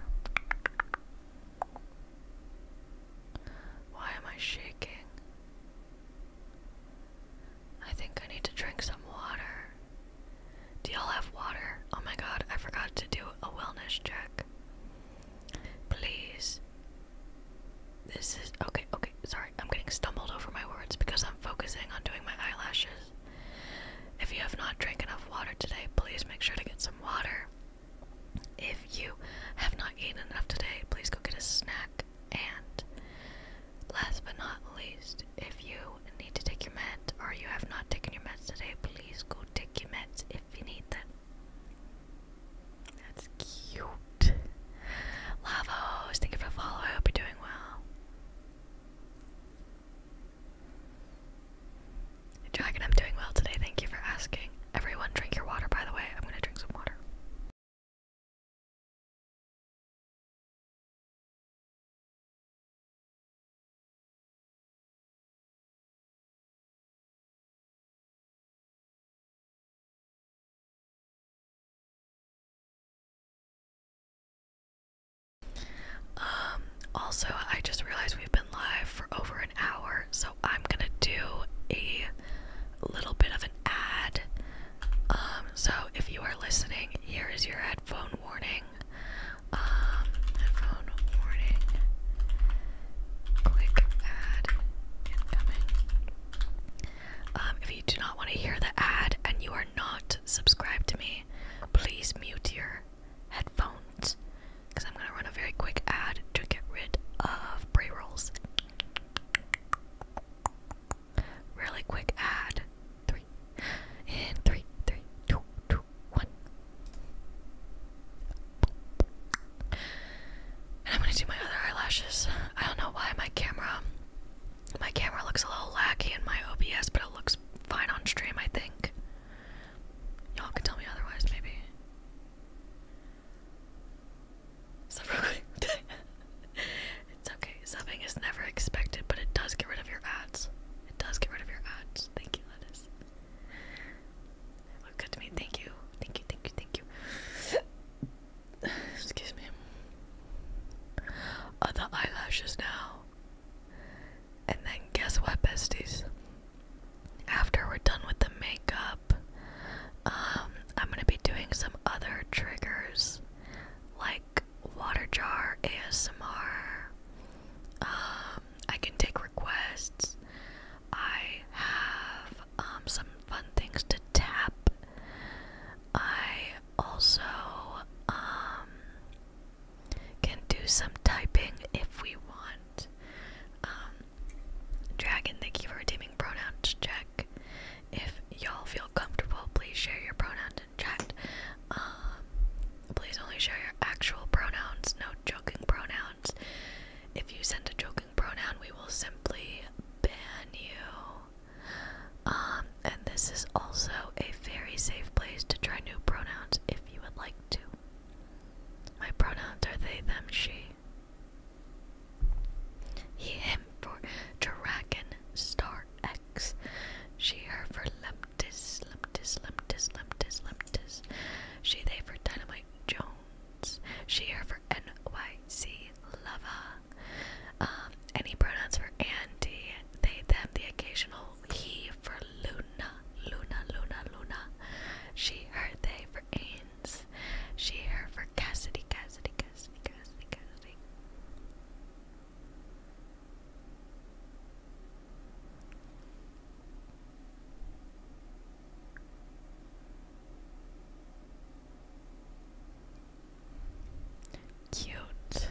Speaker 1: Why am I shaking? I think I need to drink some water. Do y'all have water? Oh my god, I forgot to do a wellness check. Please. This is okay, okay, sorry. I'm getting stumbled over my words because I'm focusing on doing my eyelashes. If you have not drank enough water today, please make sure to get some water. If you have not eaten enough today, please go get a snack. And last but not least, if you need to take your meds or you have not taken your meds today, please go take your meds if you need them. That's cute. Lavos, thank you for the I hope you're doing well. Dragon, I'm doing well today. Thank you for asking.
Speaker 2: Everyone, drink your water,
Speaker 1: by the way. I'm going to drink some water. Um, also, I just realized we've been live for over an hour, so I'm gonna do a little bit of an ad. Um, so if you are listening, here is your headphone warning. Um, ad um, if you do not want to hear the ad and you are are not subscribed to me, please mute your headphones because I'm going to run a very quick ad to get rid of pre rolls. Really quick ad. Three. In three, three, two, two, one. And I'm gonna do my other eyelashes. I don't know why my camera my camera looks a little laggy in my OBS, but it looks fine on stream, I think. Y'all can tell me otherwise, maybe. it's okay. Subbing is never expected, but it does get rid of your ads. It does get rid of your ads. Thank you, Lettuce. It looked good to me. Thank you. Thank you, thank you, thank you excuse me, Other eyelashes now. And then guess what, besties? After we're done with the makeup, um, I'm gonna be doing some other triggers like water jar ASMR. Um, I can take requests. I have um, some fun things to tap. I also um, can do some typing if we want. Um, Dragon, thank you for redeeming pronouns check. If y'all feel comfortable, please share your pronouns in chat. Um, please only share your actual pronouns, no joking pronouns. If you send a joking pronoun, we will simply ban you. Um, and this is also a very safe place to try new pronouns if you would like to. My pronouns are they, them, she. He, him for dragon, star X. She, her for leptis, leptis, leptis, leptis, leptis. She, they for dynamite, Jones. She, her for NYC, lava. Um, any pronouns for Andy, they, them, the occasional he for Luna, Luna, Luna, Luna. She, her, they for Ains. She, her for Cassidy, Cassidy, Cassidy, Cassidy, Cassidy. Cute.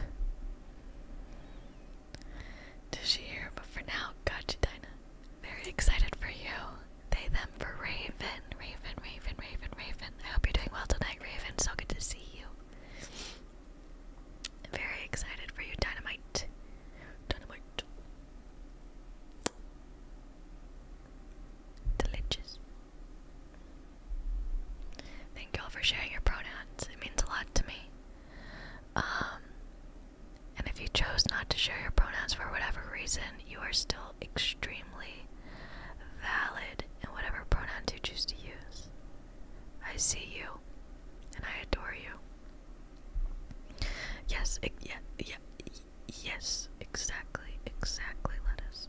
Speaker 1: Did she hear? But for now, gotcha, Dinah. Very excited for you. They them for Raven. Raven, Raven, Raven, Raven. I hope you're doing well tonight, Raven. So good to see you. Very excited for you, Dynamite. Dynamite. Delicious. Thank y'all for sharing your pronouns. It means a lot to me. Um, and if you chose not to share your pronouns for whatever reason, you are still extremely valid in whatever pronouns you choose to use. I see you, and I adore you. Yes, yeah, yeah, yes, exactly, exactly, lettuce.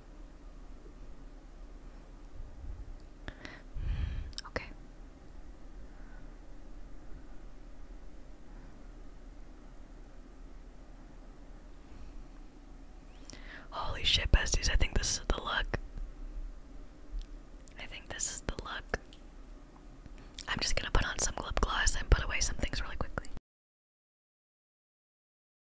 Speaker 1: okay. Holy shit, besties, I think this is the look. I think this is the look. I'm just gonna put on some lip gloss and put away some things really quickly.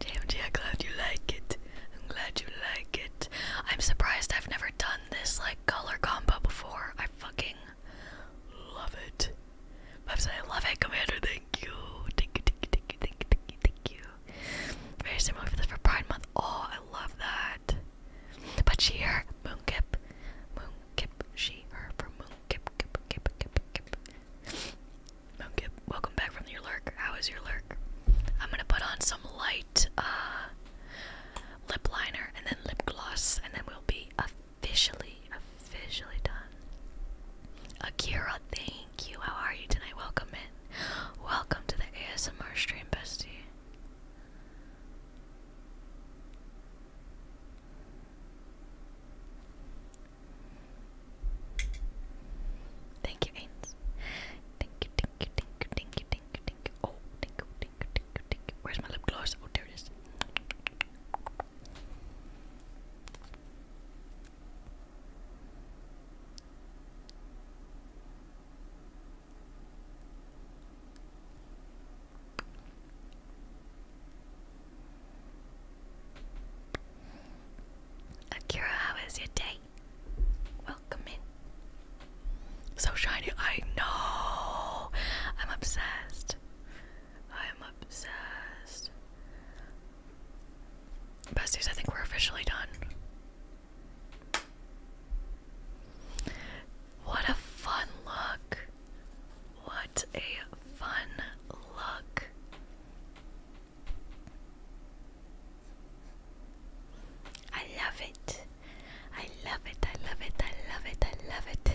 Speaker 1: JMG, I'm glad you like it. I'm glad you like it. I'm surprised I've never done this like color combo before. I fucking love it. I love it, Commander. Thank you. Thank you, thank you, thank you, thank you, Very similar for this for Pride Month. Oh, I love that. But she, her, moon kip. she, her, for Moonkip, kip, kip, kip, kip. Okay, welcome back from your lurk. How is your lurk? I'm gonna put on some light uh, lip liner and then lip gloss, and then we'll be officially, officially done. Akira, thank you. How are you tonight? Welcome in. Welcome to the ASMR stream, bestie. Thank you, Ains. thank you, thank you, thank you, thank you, thank you. Oh, thank you, thank you, thank you, thank you. Where's my lip gloss? Oh, there it is. Akira, how is your day? Welcome in. So shiny, I know. I'm obsessed. I'm obsessed. Besties, I think we're officially done. What a fun look. What a fun look. I love it. I love it. I love it. I love it. I love it.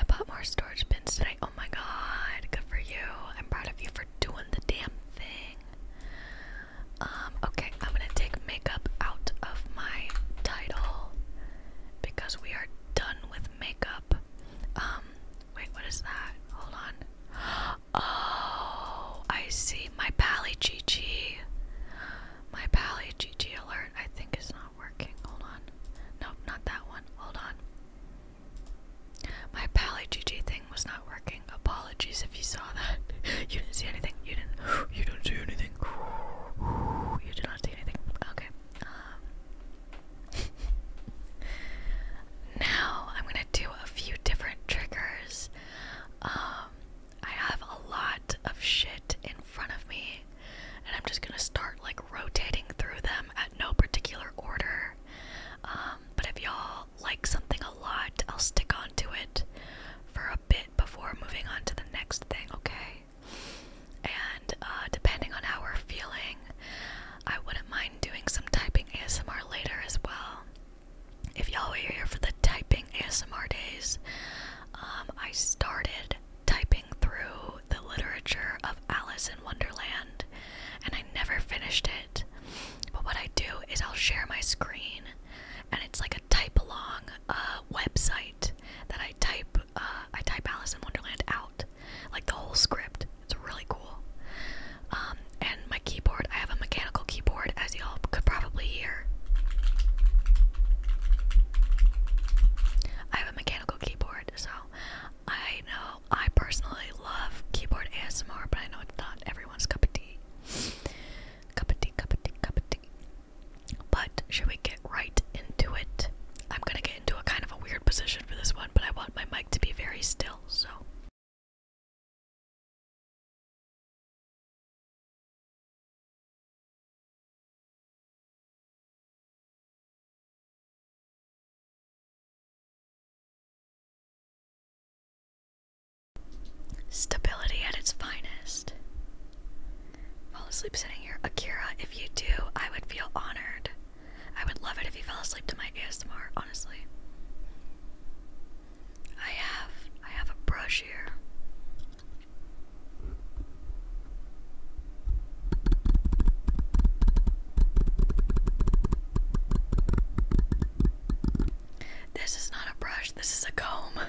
Speaker 1: I bought more storage bins today. Oh my god. Good for you. I'm proud of you for doing the damn thing. Um, okay, I'm gonna take makeup out of my title because we are done with makeup. Um, Wait, what is that? Hold on. Oh, I see. My Pally GG. My Pally GG alert, I think, it's not working. Hold on. Nope, not that one. Hold on. My Pally GG thing was not working. Apologies if you saw that. you didn't see anything. You didn't. You didn't see anything. You did not see anything. Okay. Um, now I'm gonna do a few different triggers. Um, I have a lot of shit in front of me, and I'm just gonna start like rotating through them at no particular order. Um, but if y'all like something a lot, I'll stick on to it for a bit before moving on to the next thing, okay? And uh, depending on how we're feeling, I wouldn't mind doing some typing ASMR later as well. If y'all were here for the typing ASMR days, um, I started typing through the literature of Alice in Wonderland and I never finished it. But what I do is I'll share my screen and it's like a type along uh, website that I type uh, I type Alice in Wonderland out like the whole script. It's really cool. Um, and my keyboard, I have a mechanical keyboard, as y'all could probably hear. I have a mechanical keyboard, so I know I personally love keyboard ASMR, but I know it's not everyone's cup of tea. Cup of tea, cup of tea, cup of tea. But should we get right into it? I'm gonna get into a kind of a weird position for this one, but I want my to be very still, so. Stability at its finest. Fall asleep sitting here. Akira, if you do, I would feel honored. I would love it if you fell asleep to my ASMR, honestly. I have I have a brush here. This is not a brush, this is a comb.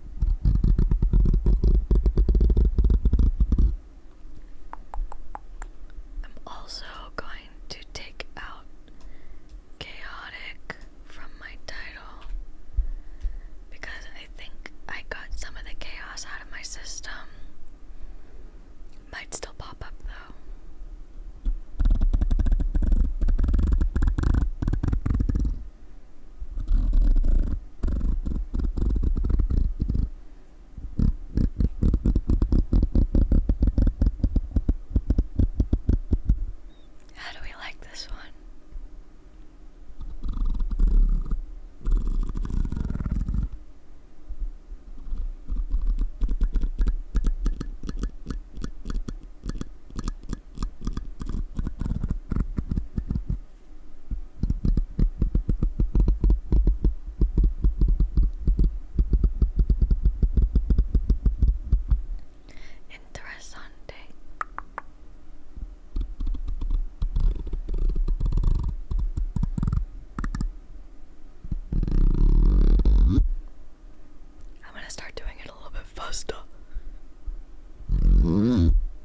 Speaker 1: I'm also going to take out chaotic from my title because I think I got some of the chaos out of my system. Might still pop up though. How do we like this one? Interessante. I'm gonna start doing it a little bit faster.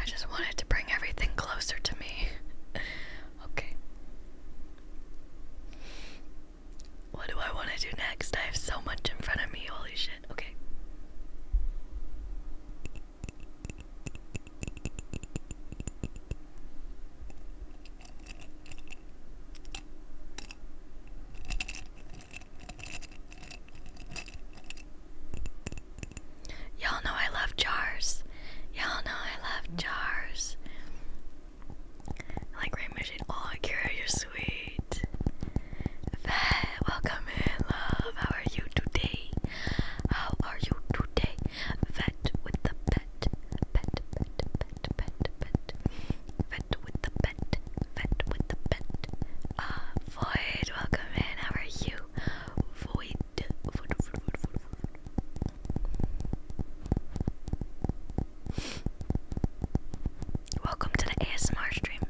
Speaker 1: I just wanted to bring everything closer to me. Okay. What do I want to do next? I have so much in front of me. Holy shit. Okay. Y'all know I love jars. Y'all know I love jars. like rain machine. Oh, Akira, you're sweet. Fat, welcome in, love. How are you today? How are you today? Vet with the pet. Pet, pet, pet, pet, pet. Vet with the pet. Vet with the pet. Ah, Void, welcome in. How are you? Void. Void, void, void, void, void, Welcome to the ASMR stream.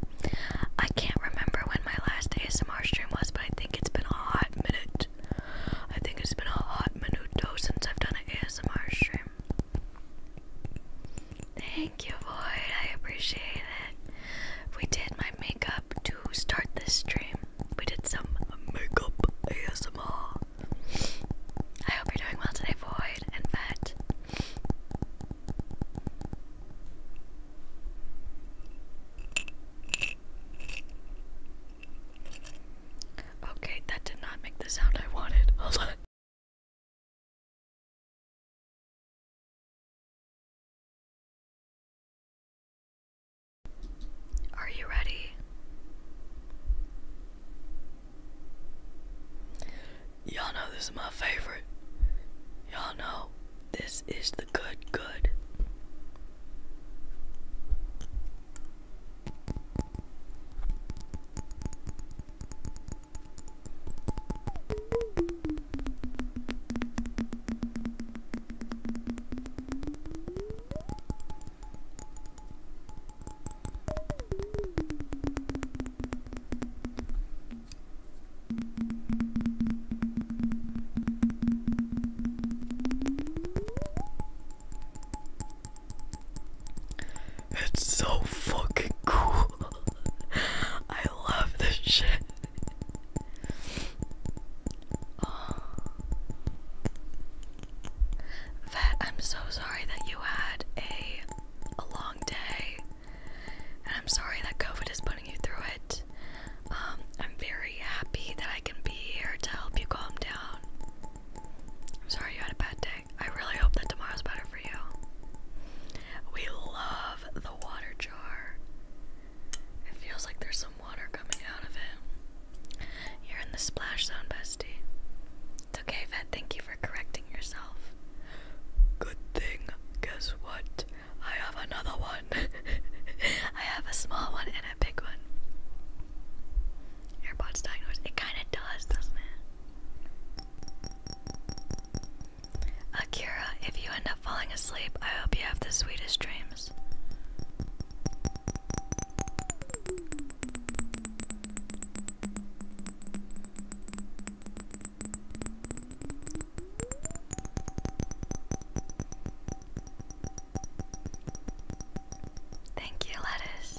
Speaker 1: I can't remember when my last ASMR stream was, but I think it's been a hot minute. I think it's been a hot minute since I've done an ASMR stream. Thank you, Void. I appreciate it. We did my makeup to start this stream we did some makeup ASMR. I hope you're doing well today, Void and Vet. Okay, that did not make the sound I wanted. Hold on. Are you ready? Y'all know this is my favorite. Y'all know this is the good, good. It's so fucking cool. I love this shit. Vet, oh. I'm so sorry that you had a long day, and I'm sorry that COVID is putting you through it. Um, I'm very happy that I can be here to help you calm down. I'm sorry you had a bad day. I really hope that tomorrow's better for you. We love the water jar. It feels like there's some you're in the splash zone, bestie. It's okay, Vet. Thank you for correcting yourself. Good thing. Guess what? I have another one. I have a small one and a big one. AirPods diagnosed. It kind of does, doesn't it? Akira, if you end up falling asleep, I hope you have the sweetest dreams. Thank you, lettuce.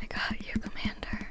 Speaker 1: I got you, Commander.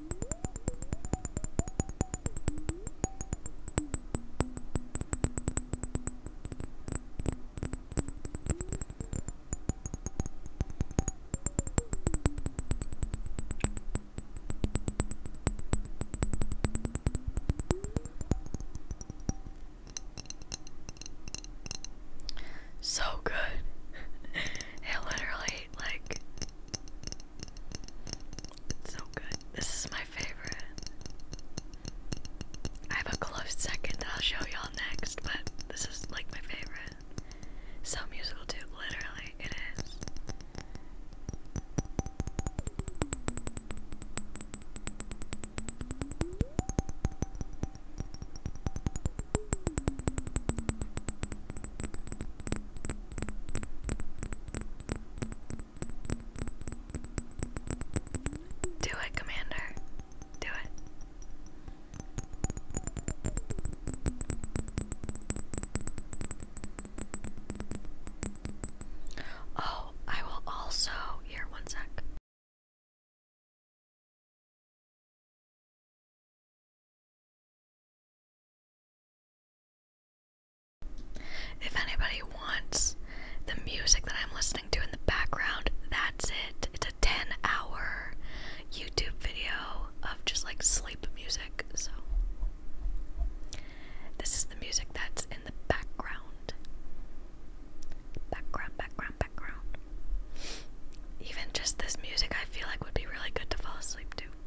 Speaker 1: So good. it literally like so good. This is my favorite. I have a close second I'll show y'all next, but this is like my favorite. So musical too, literally, it is. Do it, Commander. Do it. Oh, I will also.
Speaker 2: Here, one sec.
Speaker 1: If anybody wants the music that I'm listening to in the background, that's it. It's a 10 hour YouTube video of just like sleep music. So, this is the music that's in the background. Background, background, background. Even just this music, I feel like would be really good to fall asleep to.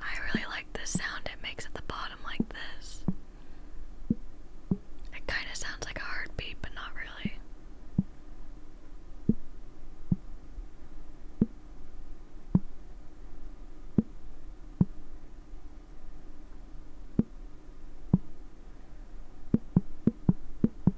Speaker 1: I really like the sound it makes at the bottom like this. It kind of sounds like a heartbeat, but not really.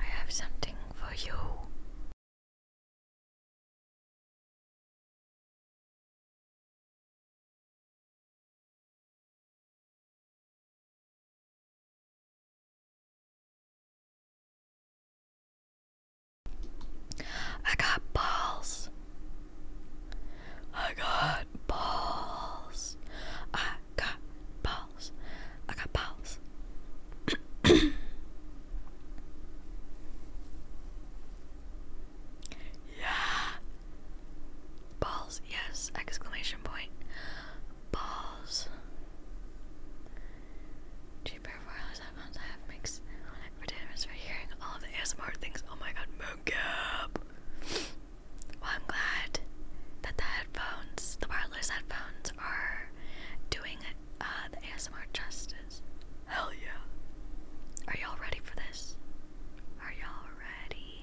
Speaker 2: I have something for you. I got balls.
Speaker 1: I got balls. I got balls. I got balls. yeah. Balls, yes, exclamation point. Balls. Cheaper for hours I have mixed for hearing all of the ASMR things. Oh my god, moon well, I'm glad that the headphones, the wireless headphones, are doing uh, the ASMR justice. Hell yeah! Are y'all ready for this? Are y'all ready?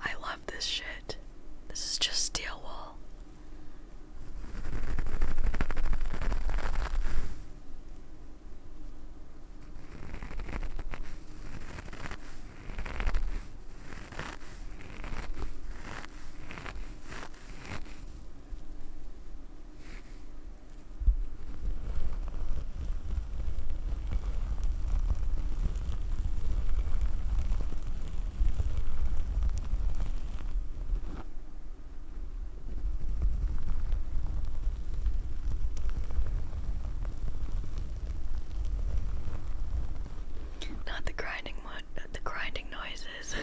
Speaker 1: I love this shit. This is just steel wool. Not the grinding one, the grinding noises.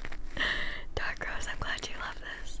Speaker 1: Dark Rose, I'm glad you love this.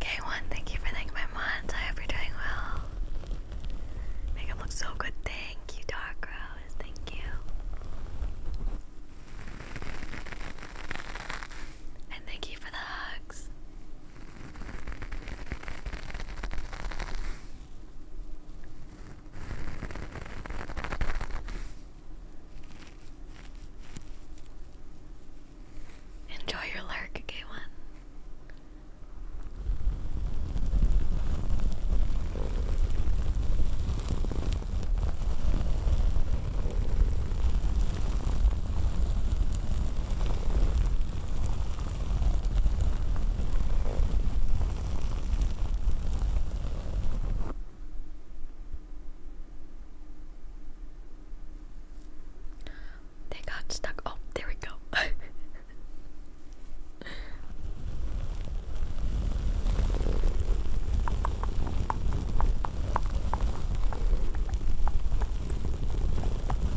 Speaker 1: K1, thank you for thanking my month. I hope you're doing well. Make it look so good. Thank you, Dark Rose. Thank you. And thank you for the hugs. Enjoy your lark, gay one they got stuck. Oh, there we go.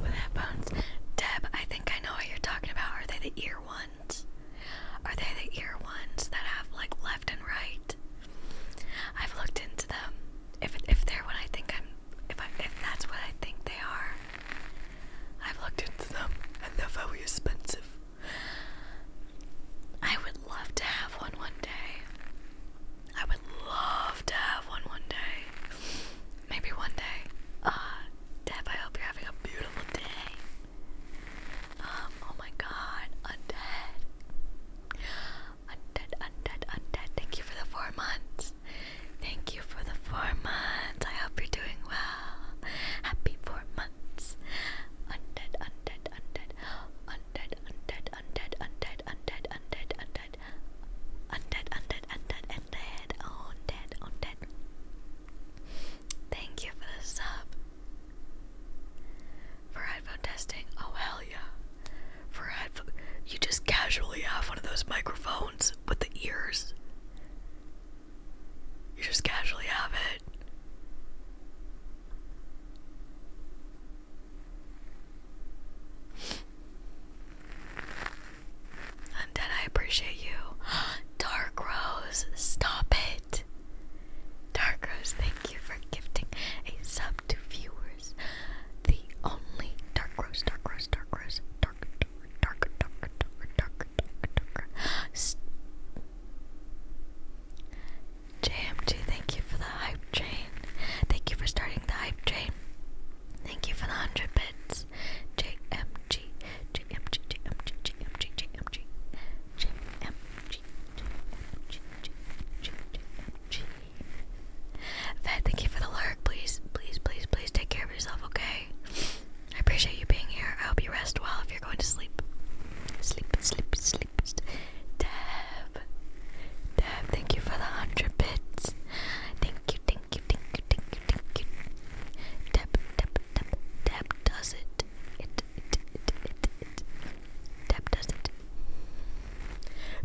Speaker 1: With headphones. Deb, I think I know what you're talking about. Are they the ear ones? Are they the ear ones that have like left and right? I've looked into them. If if they're what I think I'm, if I, if that's what I think they are, I've looked into them, and they're very expensive. I would love to have one one day. I would love to have one one day. Maybe one day. Ah, Deb, I hope you're having a beautiful day. Um, oh my god, undead. Undead, undead, undead. Thank you for the four months. Thank you for the four months. I hope you're doing well. Happy four months. Undead, undead, undead. Undead, undead, undead, undead, undead, undead, undead. Undead, undead, undead, undead. Oh, undead, undead. Thank you for the sub. For headphone testing, oh hell yeah. For headphone, you just casually have one of those microphones with the ears. You just casually have it. Undead, I appreciate you. Dark Rose, stop it. Dark thank you for gifting a sub to viewers. The only Dark Rose, Dark Rose, Dark Rose, Dark, Dark, Dark, Dark, Dark, Dark, Dark, JMG, thank you for the hype train. Thank you for starting the hype train. Thank you for the 100 bits. JMG, JMG, JMG, JMG, JMG, JMG, Vet, thank you for the lurk. Please, please, please, please take care of yourself, okay? I appreciate you being here. I hope you rest well if you're going to sleep. Sleep, sleep, sleep. Deb. Deb, thank you for the 100 bits. Thank you, thank you, thank you, thank you, thank you. Deb, Deb, Deb, Deb does it. Deb does it.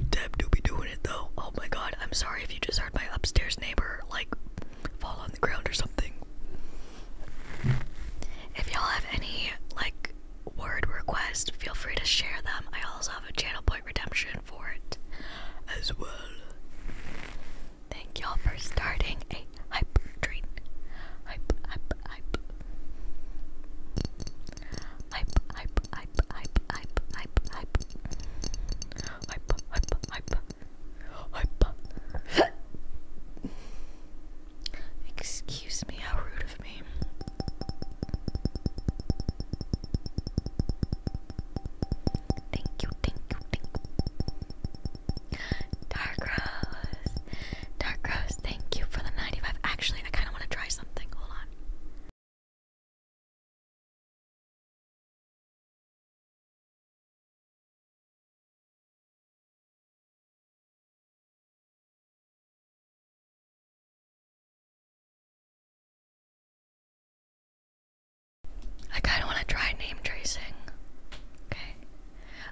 Speaker 1: Deb do be doing it though. Oh my god, I'm sorry if you just heard my upstairs neighbor like fall on the ground or something. If y'all have any like word requests, feel free to share them. I also have a channel point redemption for it as well. Thank y'all for starting a hype train. Hype, hype, hype hype, hype, hype, hype, hype, hype, hype, hype, hype, hype, hype. Excuse me, how rude of me. Thank you, thank you, thank you. Dark Rose, Dark Rose, thank you for the 95. Actually, I kind of want to try
Speaker 2: I kind of want to try name tracing.
Speaker 1: Okay.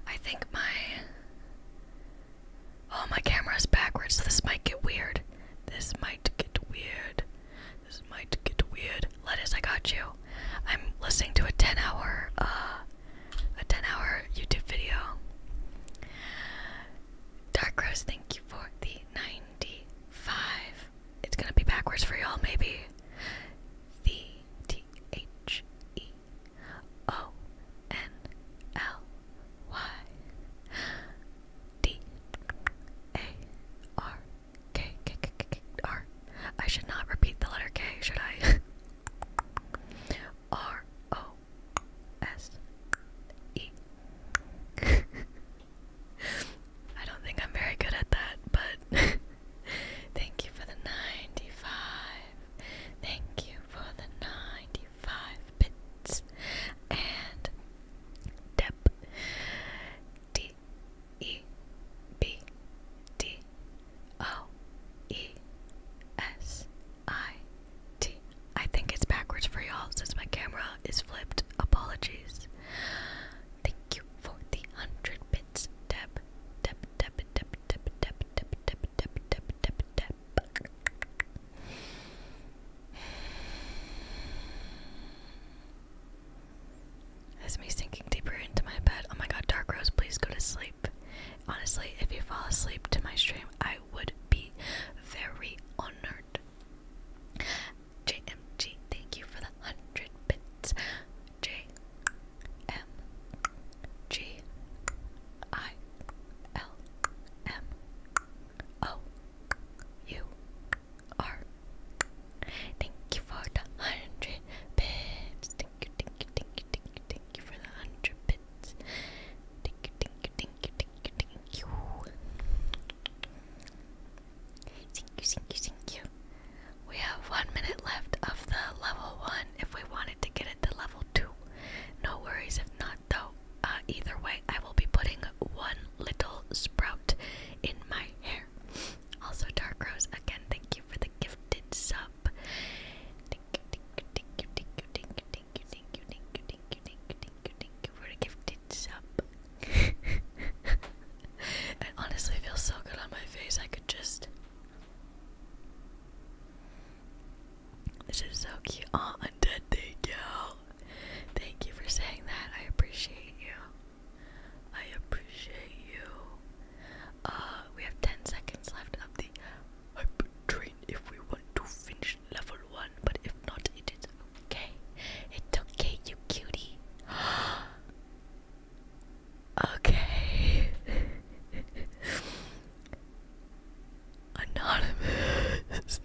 Speaker 1: I think my Oh, my camera is backwards, so this might get weird. This might get weird. This might get weird. Lettuce, I got you. I'm listening to a 10 hour, uh, a 10 hour YouTube video. Darkrose, thank you for the 95. It's gonna be backwards for y'all, maybe. The T H E O N L Y D A R K K K K R. I should not repeat the letter K, should I? R O S E. I don't think I'm very good at that, but thank you for the 95. Thank you for the 95 bits. And Deb, D E B D O E S I T. I think it's backwards for y'all since my camera is flipped. Apologies. Thank you for the hundred bits, Deb. Deb, Deb, Deb, Deb, Deb, Deb, Deb, that's me sinking deeper into my bed. Oh my god, Dark Rose, please go to sleep. Honestly, if you fall asleep to my stream, I would be very honored. JMG, thank you for the hundred bits. J M G I L M O U R. Thank you for the hundred bits. Thank you, thank you, thank you, thank you, thank you for the hundred bits. Thank you, thank you, thank you, thank you, thank you. Thank you, thank you, thank you. We have one minute left of the level one if we wanted to get it to level two. No worries if not though either way I will be putting one little sprout in my hair. Also Dark Rose again thank you for the gifted sub. Thank you, thank you, thank you, thank you, thank you, thank you, thank you, thank you, thank you, thank you, thank you for the gifted sub. It honestly feels so good on my face. I could just this is so cute. Oh, dead thank you. Thank you for saying that. I appreciate you. I appreciate you. Uh, we have 10 seconds left of the hype train if we want to finish level 1, but if not, it is okay. It's okay, you cutie. okay. Anonymous.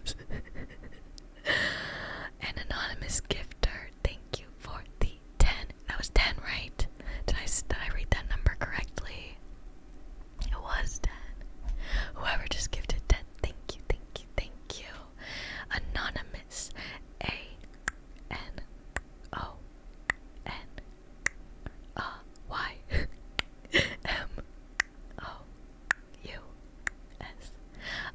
Speaker 1: An anonymous gifter. Thank you for the 10. That was 10, right? Did I, did I read that number correctly? It was 10. Whoever just gifted 10, thank you, thank you, thank you. Anonymous. A N O N A Y M O U S.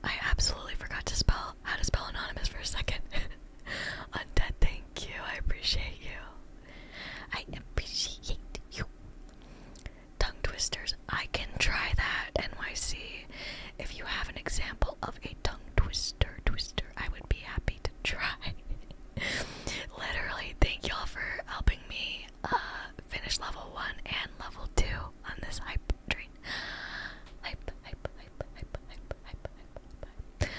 Speaker 1: I absolutely forgot to spell how to spell anonymous for a second. Undead, thank you. I appreciate you. I appreciate you. Tongue twisters. I can try that, NYC. If you have an example of a tongue twister, twister, I would be happy to try. Literally, thank y'all for helping me uh, finished level one and level two on this hype train. hype, hype, hype, hype, hype, hype, hype.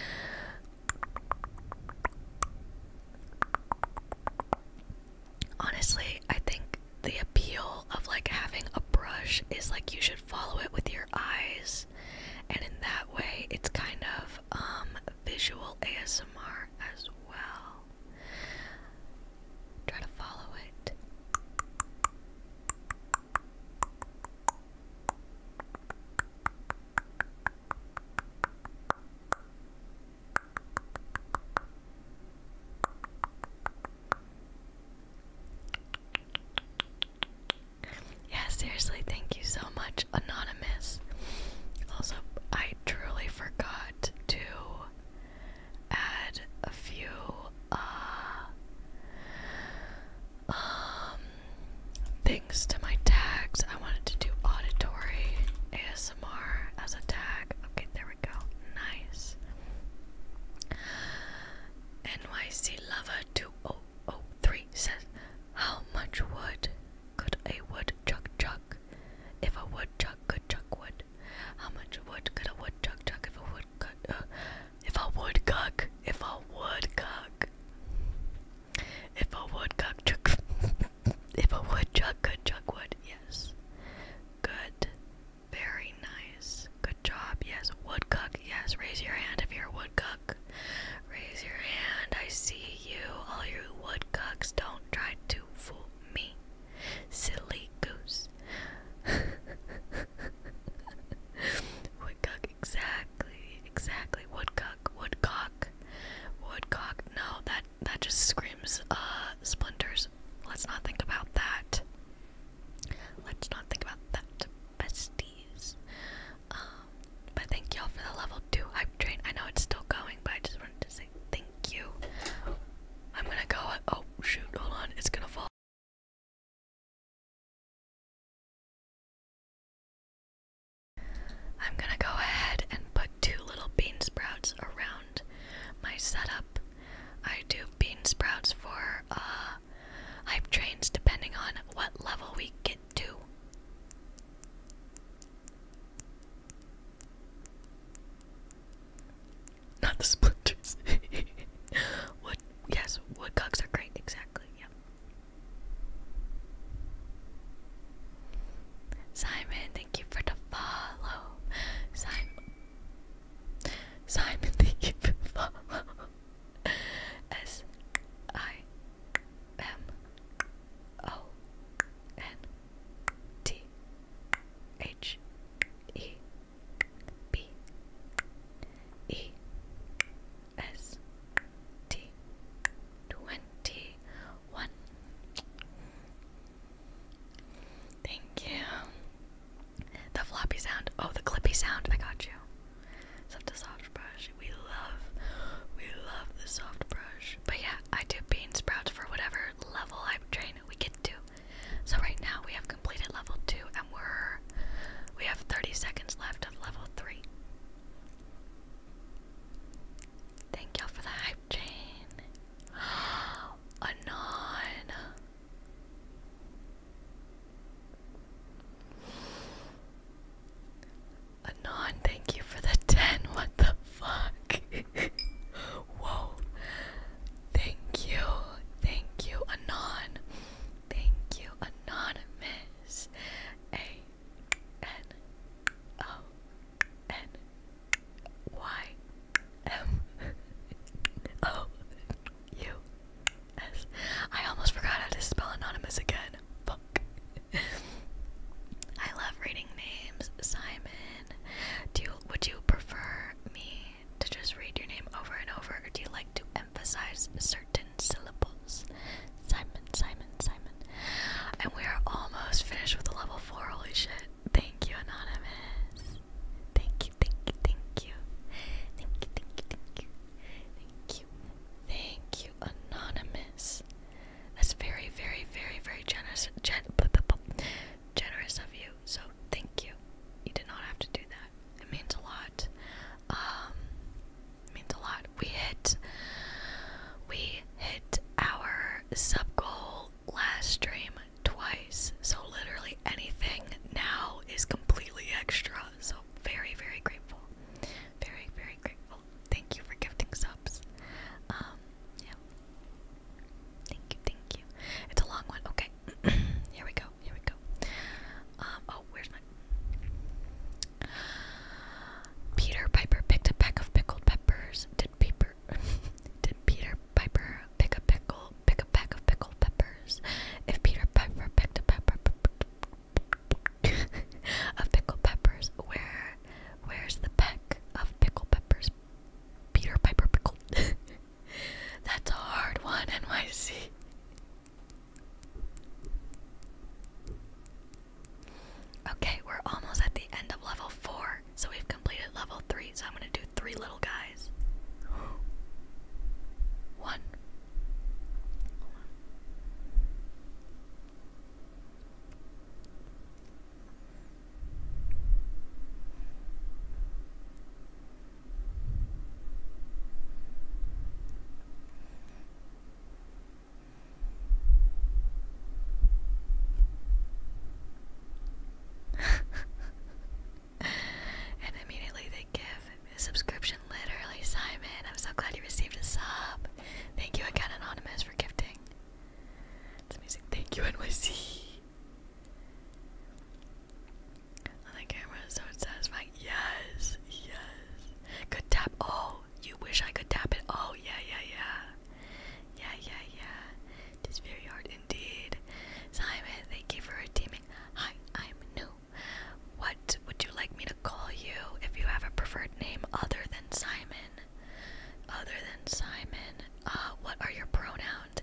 Speaker 1: Honestly, I think the appeal of like having a brush is like you should follow it with your eyes, and in that way, it's kind of um visual ASMR as well. Try to follow it. Yeah, seriously, thank you so much, Anonymous. Also, I truly forgot to add a few uh um things to my tags. I wanted to do auditory ASMR as a tag. Okay, there we go. Nice. NYC Lover 2003 says, How much wood could a woodchuck chuck if a woodchuck could chuck wood? wood? How much wood could a woodchuck chuck if a woodcock? Uh, if a woodcock, if a woodcock, if a woodcock chuck, if a woodchuck could chuck wood, yes. Good, very nice. Good job, yes. Woodcock, yes. Raise your hand if you're a woodcock. Raise your hand. I see you. All you woodcocks, don't try to fool me. Silly goose. woodcock, exactly, exactly. Woodcock, woodcock, woodcock. No, that that just screams uh, splinters. Let's not think about that. Let's not think about that, besties. Um, but thank y'all for the level two hype train. I know it's still going, but I just wanted to say Thank you. I'm gonna go.
Speaker 2: Oh shoot! Hold on, it's gonna fall.
Speaker 1: I'm gonna go ahead and put two little bean sprouts around my setup. I do bean sprouts for uh, hype trains depending on what level we get to. Not the splinters. wood, yes, wood are great, exactly, yep. Simon, thank you for the follow. Simon, Simon, thank you for follow. S I M O N T H E B E S T twenty one. Thank you. The floppy sound. Oh, the clippy sound. I got you. Except the soft brush. We love, we love the soft brush. But yeah, I do bean sprouts for whatever level I train. We get to. So right now we have completed level two and we're we have 30 seconds left of level three. Thank y'all for the hype chain. Anon. Anon, thank you for the 10. What the fuck? Whoa. Thank you. Thank you, Anon. Thank you, Anonymous. A N O N Y M O U S. I almost forgot how to spell anonymous again. Fuck. I love reading names. Simon, do would you prefer me to just read your name over and over, or do you like to emphasize certain syllables? Simon, Simon, Simon. And we are almost finished with the level four. Holy shit! Thank you, anonymous. Thank you, thank you, thank you, thank you, thank you, thank you, thank you, anonymous. That's very, very, very, very generous, generous of you so thank you. You did not have to do that. It means a lot. Um, means a lot. We hit we hit our sub goal last stream twice. So literally anything now is completely extra. So very, very grateful. Very, very grateful. Thank you for gifting subs. Um, yeah. Thank you, thank you. It's a long one. Okay, here we go. Here we go. Um, oh, where's my Peter Piper picked a peck of pickled peppers. Did Peter Did Peter Piper pick a pickle? Pick a peck of pickled peppers. If Peter Piper picked a pepper of pickled peppers, where where's the peck of pickled peppers? Peter Piper pickled. That's a hard one, NYC. Okay, we're almost at the end of level 4, so we've completed level 3, so I'm gonna do three little guys. One. and immediately they give a subscription literally, Simon. I'm so glad you received a sub. Thank you again, Anonymous, for gifting. Thank you, NYC on the camera is so satisfying. Yes, yes. Could tap. Oh, you wish I could tap it. Oh, yeah, yeah, yeah. Yeah, yeah, yeah. It is very hard indeed. Simon, thank you for redeeming. Hi, I'm new. What would you like me to call you if you have a preferred name other than Simon? Other than Simon, uh, what are your pronouns?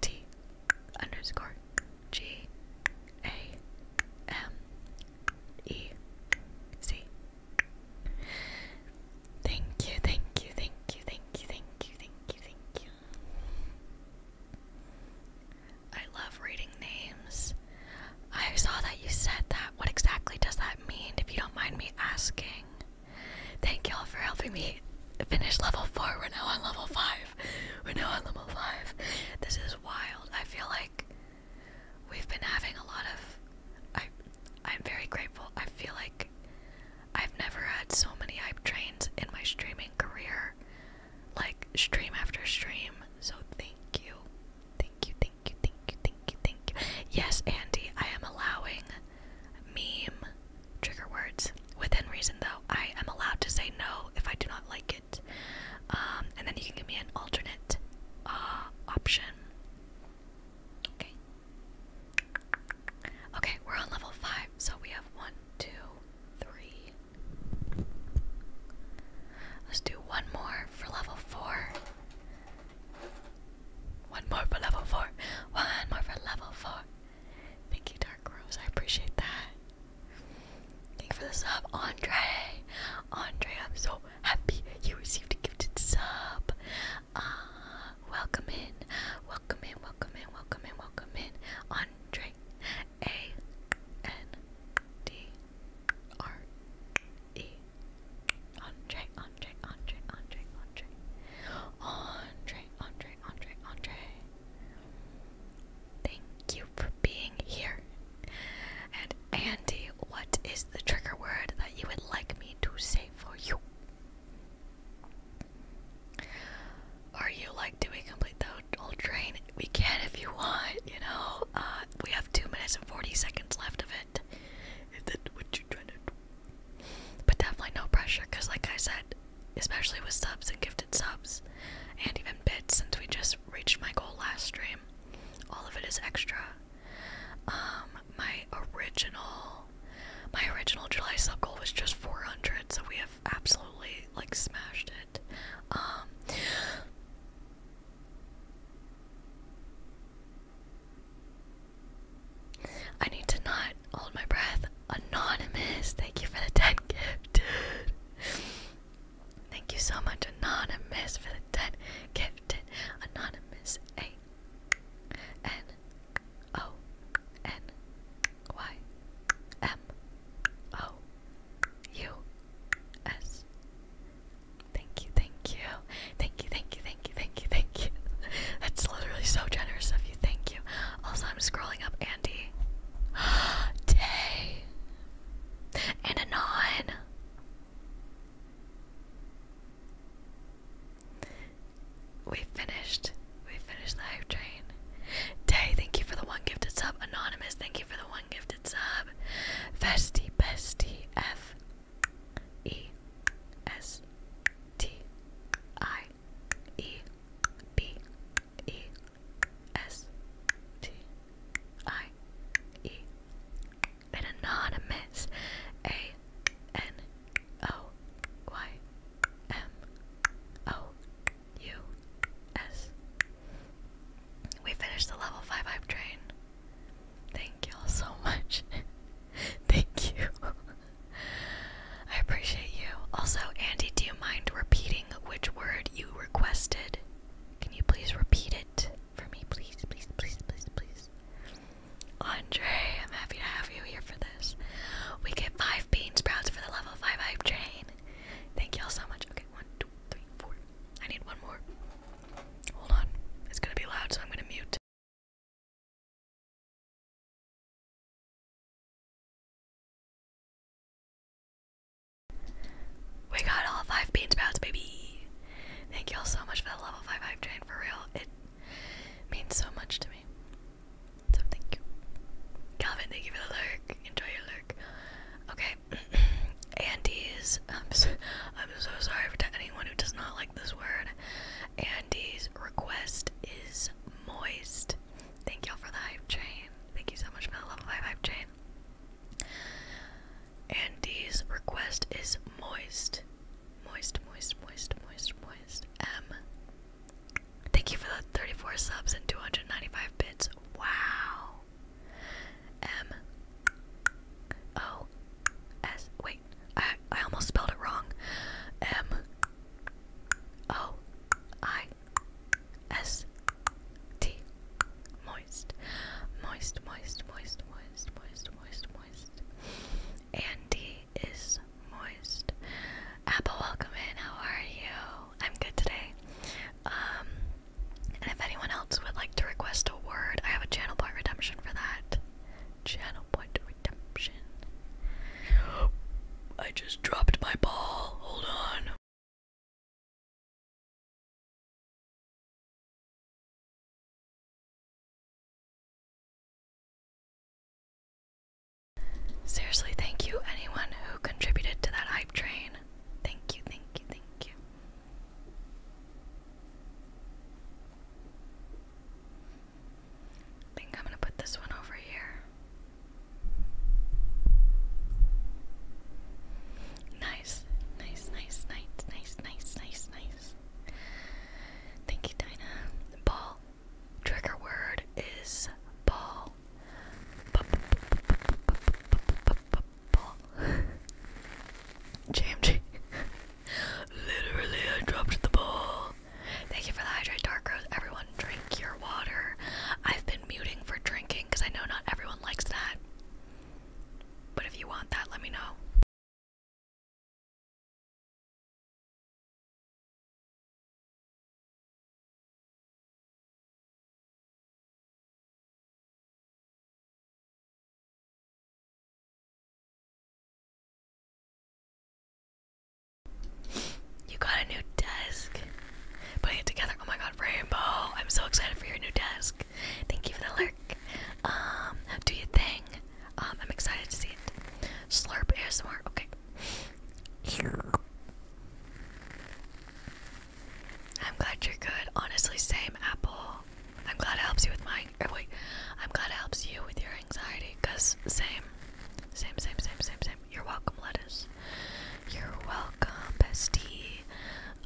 Speaker 1: T underscore G A M E C. Thank you, thank you, thank you, thank you, thank you, thank you, thank you. I love reading names. I saw that you said that. What exactly does that mean, if you don't mind me asking? Thank y'all for helping me finish level 4. We're now on level 5 five. We're now on level five. This is wild. I feel like we've been having a lot of. I, I'm very grateful. I feel like I've never had so many hype trains in my streaming career, like stream after stream. So thank you, thank you, thank you, thank you, thank you, thank you. Yes, Andy, I am allowing meme Trigger words. Within reason, though, I am allowed to say no if I do not like it. Um, and then you can give me an alternate uh, option. Okay. Okay, we're on level 5, so we have one, Let's do one more for level 4. One more for level 4. One more for level 4. Thank you, Dark Rose. I appreciate that. Thank you for the sub, Andre. Andre, I'm so happy you received a gifted sub. Uh, welcome in, welcome in, welcome in, welcome in, welcome in, Andre. A N D R E. Andre, Andre, Andre, Andre, Andre, Andre, Andre, Andre, Andre. Thank you for being here. And Andy, what is the trigger word that you would like me to say for you? Are you like, do we complete the whole train? We can if you want, you know. Uh, we have two minutes and forty seconds left of it. Is that what you're trying to do? But definitely no pressure, cause like I said, especially with subs and gifted subs, and even bits since we just reached my goal last stream. All of it is extra. Um, my original, my original July sub goal was just 400, so we have absolutely like smashed it. Um. I need to not hold my breath. Anonymous, thank you for the 10 gift, dude. Thank you so much, Anonymous, for the 10 gift. Anonymous, A N O N Y M O U S. thank you, thank you, thank you, thank you, thank you, thank you. That's literally so generous of you. Thank you. Also, I'm scrolling up Andy. Day. And Anon. We finished. We finished the hype train. Day, thank you for the one gifted sub. Anonymous, thank you for the one gifted sub. Festy, bestie, S T I E. An anonymous A N O Y M O U S. We finished the level 5 hype train. Thank y'all so much. Thank you. I appreciate you. Also, Andy, do you mind repeating which word you requested? Can you please repeat it for me, please, please, please, please, please? Andre, I'm happy to have you here for this. We get five bean sprouts for the level five hype train. Thank y'all so much. Okay, one, two, three, four. I need one more. Hold on. It's gonna be loud,
Speaker 2: so I'm gonna mute. We got all five bean
Speaker 1: baby. Thank y'all so much for the level five hype train. For real, it means so much to me. So thank you, Calvin. Thank you for the lurk. Enjoy your lurk. Okay, Andes. I'm so, sorry for anyone who does not like this word. Andy's request is moist. Thank y'all for the hype train. Thank you so much for the level 5 hype train. Andy's request is moist. Moist, moist, moist, moist, moist. M. Thank you for the 34 subs and 295 bits. Wow. M. O. S. Wait, I, I almost spelled it wrong. M. O. I. S T moist moist moist moist moist moist moist moist Andy is moist Apple welcome in how are you I'm good today um and if anyone else would like to request a word I have a channel point redemption for that channel point redemption I just dropped my ball hold on Seriously, thank you anyone who contributed to that hype train. Thank you, thank you, thank you. I think I'm gonna put this one over here. Nice, nice, nice, nice, nice, nice, nice, nice. Thank you, Dinah. Ball. Trigger word is ball. Ball. JMG. Literally, I dropped the ball. Thank you for the hydrate, Dark Rose. Everyone, drink your water. I've been muting for drinking because I know not everyone likes that.
Speaker 2: But if you want that, let me know.
Speaker 1: You got a new desk. Putting it together. Oh my god, Rainbow! I'm so excited for your new desk. Thank you for the lurk. Um, do your thing. Um, I'm excited to see it. Slurp is ASMR. Okay. I'm glad you're good. Honestly, same Apple. I'm glad it helps you with my. wait, I'm glad it helps you with your anxiety. Cause same, same, same, same, same, same. You're welcome, lettuce. You're welcome, bestie.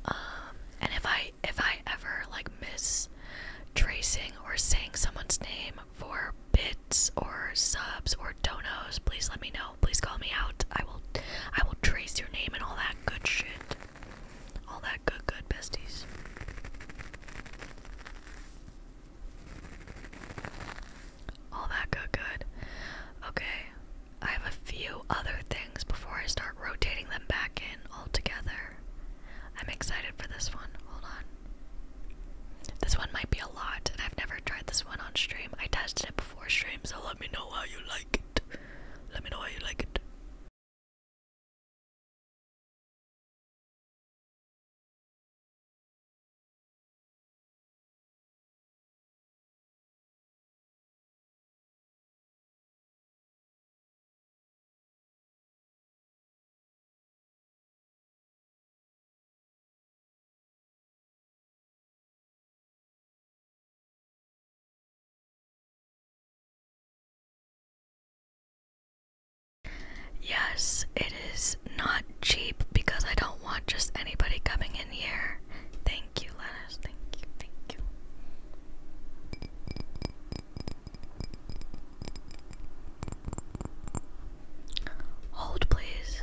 Speaker 1: Um, and if I if I ever like miss tracing or saying someone's name for bits or subs or donos, please let me know. Please call me out. I will I will trace your name and all that good shit. All that good good besties. All that good, good. Okay, I have a few other things before I start rotating them back in altogether. I'm excited for this one. Hold on. This one might be a lot, and I've never tried this one on stream. I tested it before stream, so let me know how you like it. Let me
Speaker 2: know how you like it.
Speaker 1: Yes, it is not cheap because I don't want just anybody coming in here. Thank you, Lettuce. Thank you, thank you.
Speaker 2: Hold, please.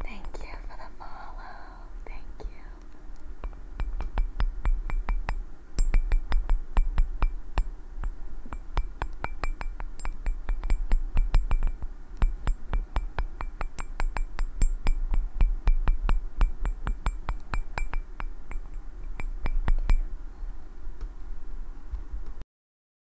Speaker 2: Thank you for the follow. Thank you.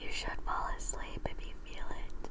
Speaker 2: You
Speaker 1: should fall asleep if you feel it.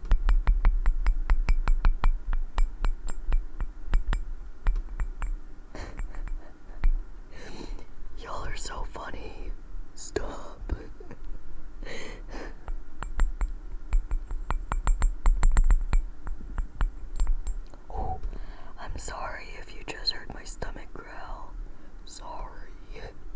Speaker 1: Y'all are so funny. Stop. oh, I'm sorry if you just heard my stomach growl. Sorry.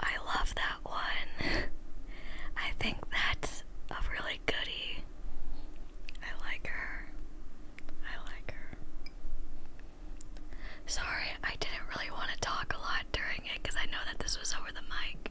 Speaker 1: I love that one. I think that's a really goody. I like her. I like her. Sorry, I didn't really want to talk a lot during it because I know that this was over the mic.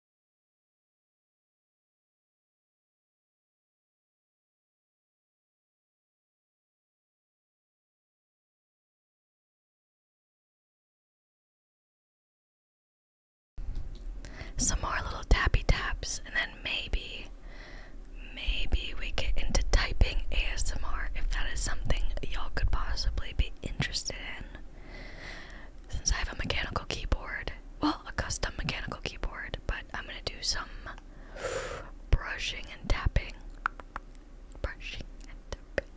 Speaker 1: Some more little tappy taps, and then maybe, maybe we get into typing ASMR if that is something y'all could possibly be interested in. Since I have a mechanical keyboard, well, a custom mechanical keyboard, but I'm gonna do some brushing and tapping. Brushing and tapping.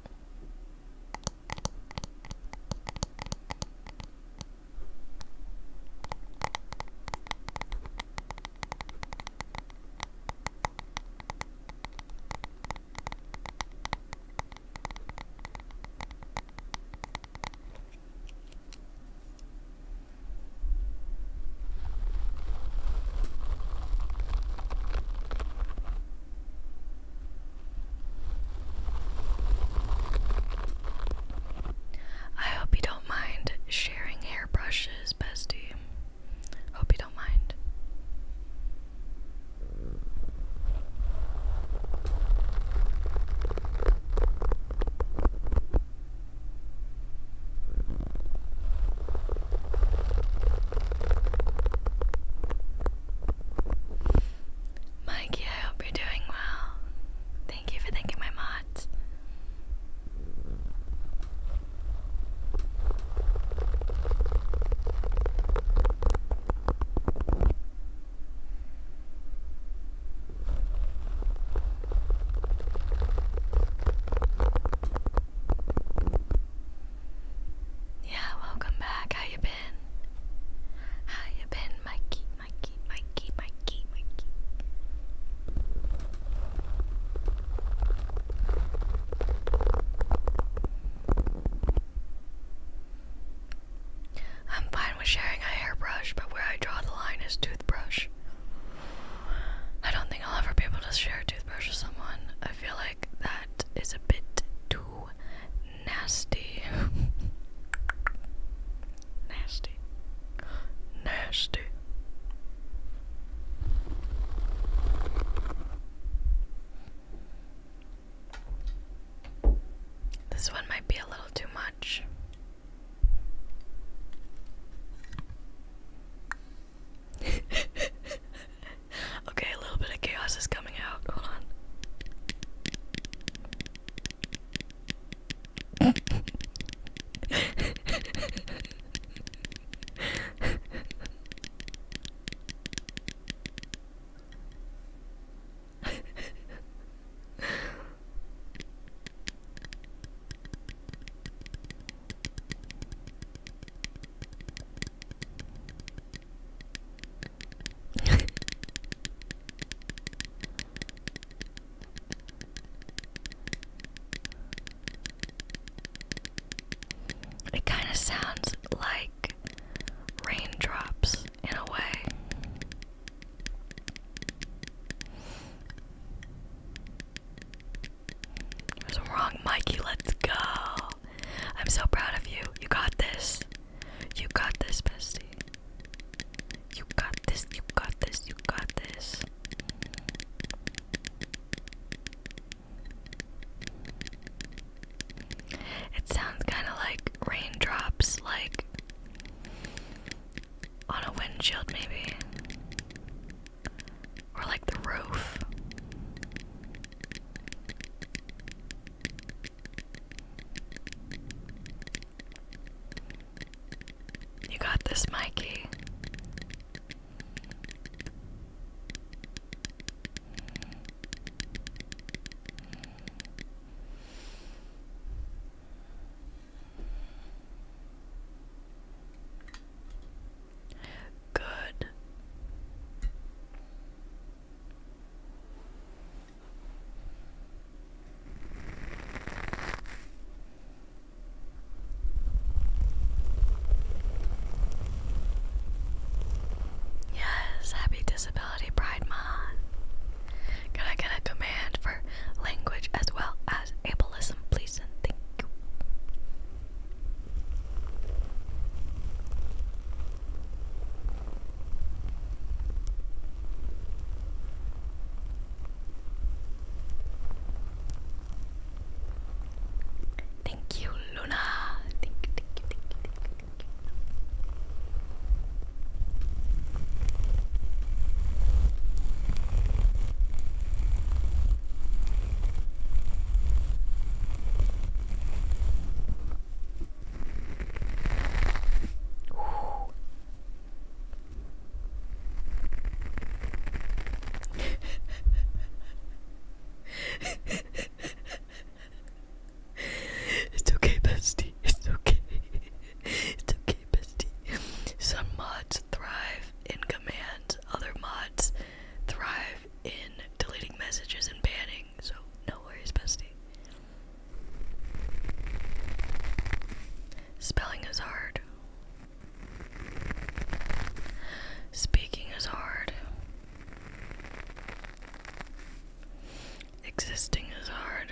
Speaker 1: I hope you don't mind sharing hairbrushes, bestie. Hope you don't mind. Mikey, I hope you're doing well. Thank you for thanking my mods. Yeah, welcome back. How you been? How you been, Mikey, Mikey, Mikey, Mikey, Mikey? I'm fine with sharing a hairbrush, but where I draw the line is toothbrush. I don't think I'll ever be able to share a toothbrush with someone. I feel like that is a bit too nasty. nasty. Nasty. This one might be a little too much much. okay, a little bit of chaos is coming out. Hold on. it kind of sounds like raindrops in a way. There's a wrong, Mikey. Let's go. I'm so proud of you. You got this. You got this, bestie. You got this. You got this. You got this. It sounds kind of like raindrops, like on a windshield, maybe. Or like the roof. You got this, Mikey. Good. Yes, happy Disability Pride Month. Can I get a command for language as well as please and thank you. Thank you, Luna. thank you, thank you, thank you, thank you it's okay, bestie. It's okay. It's okay. Some mods thrive in commands, other mods thrive in deleting messages and banning. So no worries, bestie. Spelling is hard. Speaking is hard. Existing is hard.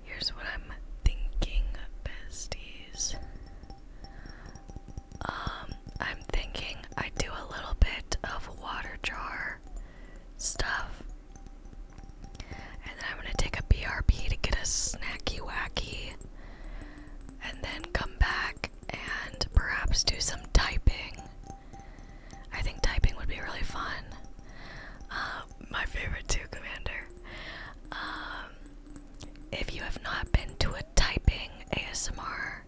Speaker 1: Here's what I'm thinking, besties. Um, I'm thinking I do a little bit of water jar stuff. And then I'm gonna take a BRB to get a snacky wacky. And then come back and perhaps do some typing. I think typing would be really fun. Uh, my favorite too, Commander. Um, if you have not been to a typing ASMR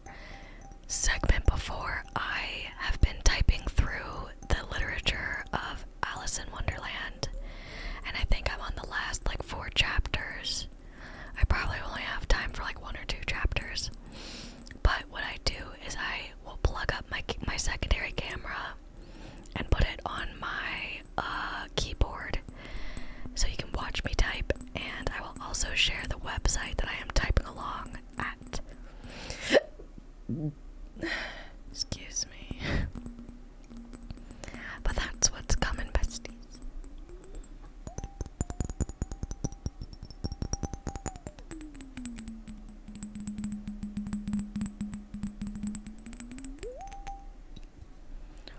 Speaker 1: segment before, I have been typing through the literature of Alice in Wonderland, and I think I'm on the last like four chapters. I probably only have time for like one or two chapters. But what I do is I will plug up my my secondary camera and put it on my uh, keyboard so you can watch me type. And I will also share the website that I am typing along at. Excuse me. But that's what's coming, besties.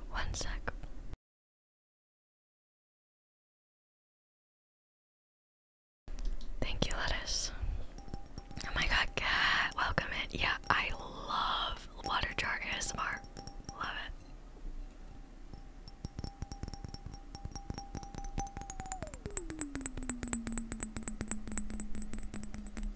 Speaker 2: One sec. Thank you, lettuce.
Speaker 1: Oh my god, cat, welcome in. Yeah, I love water jar ASMR. Love it.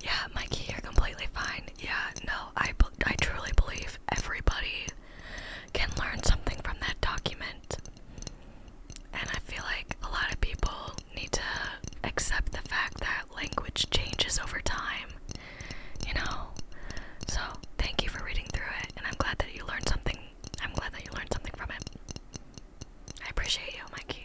Speaker 1: Yeah, Mikey, you're completely fine. Yeah, no, I, I truly believe everybody can learn something from that document. And I feel like a lot of people need to accept the fact that language changes over time, you know. So thank you for reading through it, and I'm glad that you learned something. I'm glad that you learned something from it. I appreciate you, Mikey.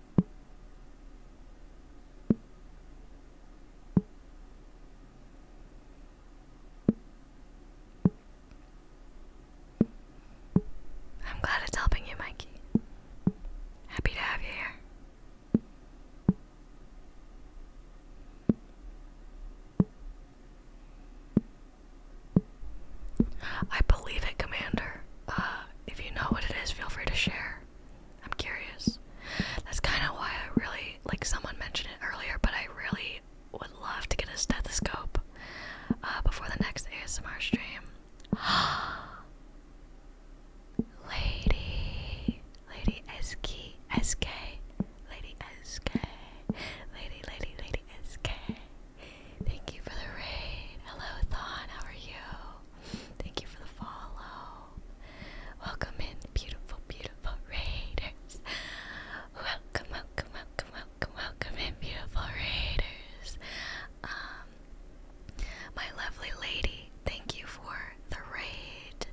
Speaker 1: I'm glad it's helping you, Mikey. Happy to have you here. I believe it, Commander. Uh, if you know what it is, feel free to share. I'm curious. That's kind of why I really like. Someone mentioned it earlier, but I really would love to get a stethoscope uh, before the next ASMR stream. lady, lady SK, lady SK, lady, lady, lady SK. Thank you for the raid. Hello, Thon. How are you? Thank you for the follow. Welcome in, beautiful, beautiful raiders. Welcome, welcome, welcome, welcome, in, beautiful raiders. Um, my lovely lady, thank you for the raid.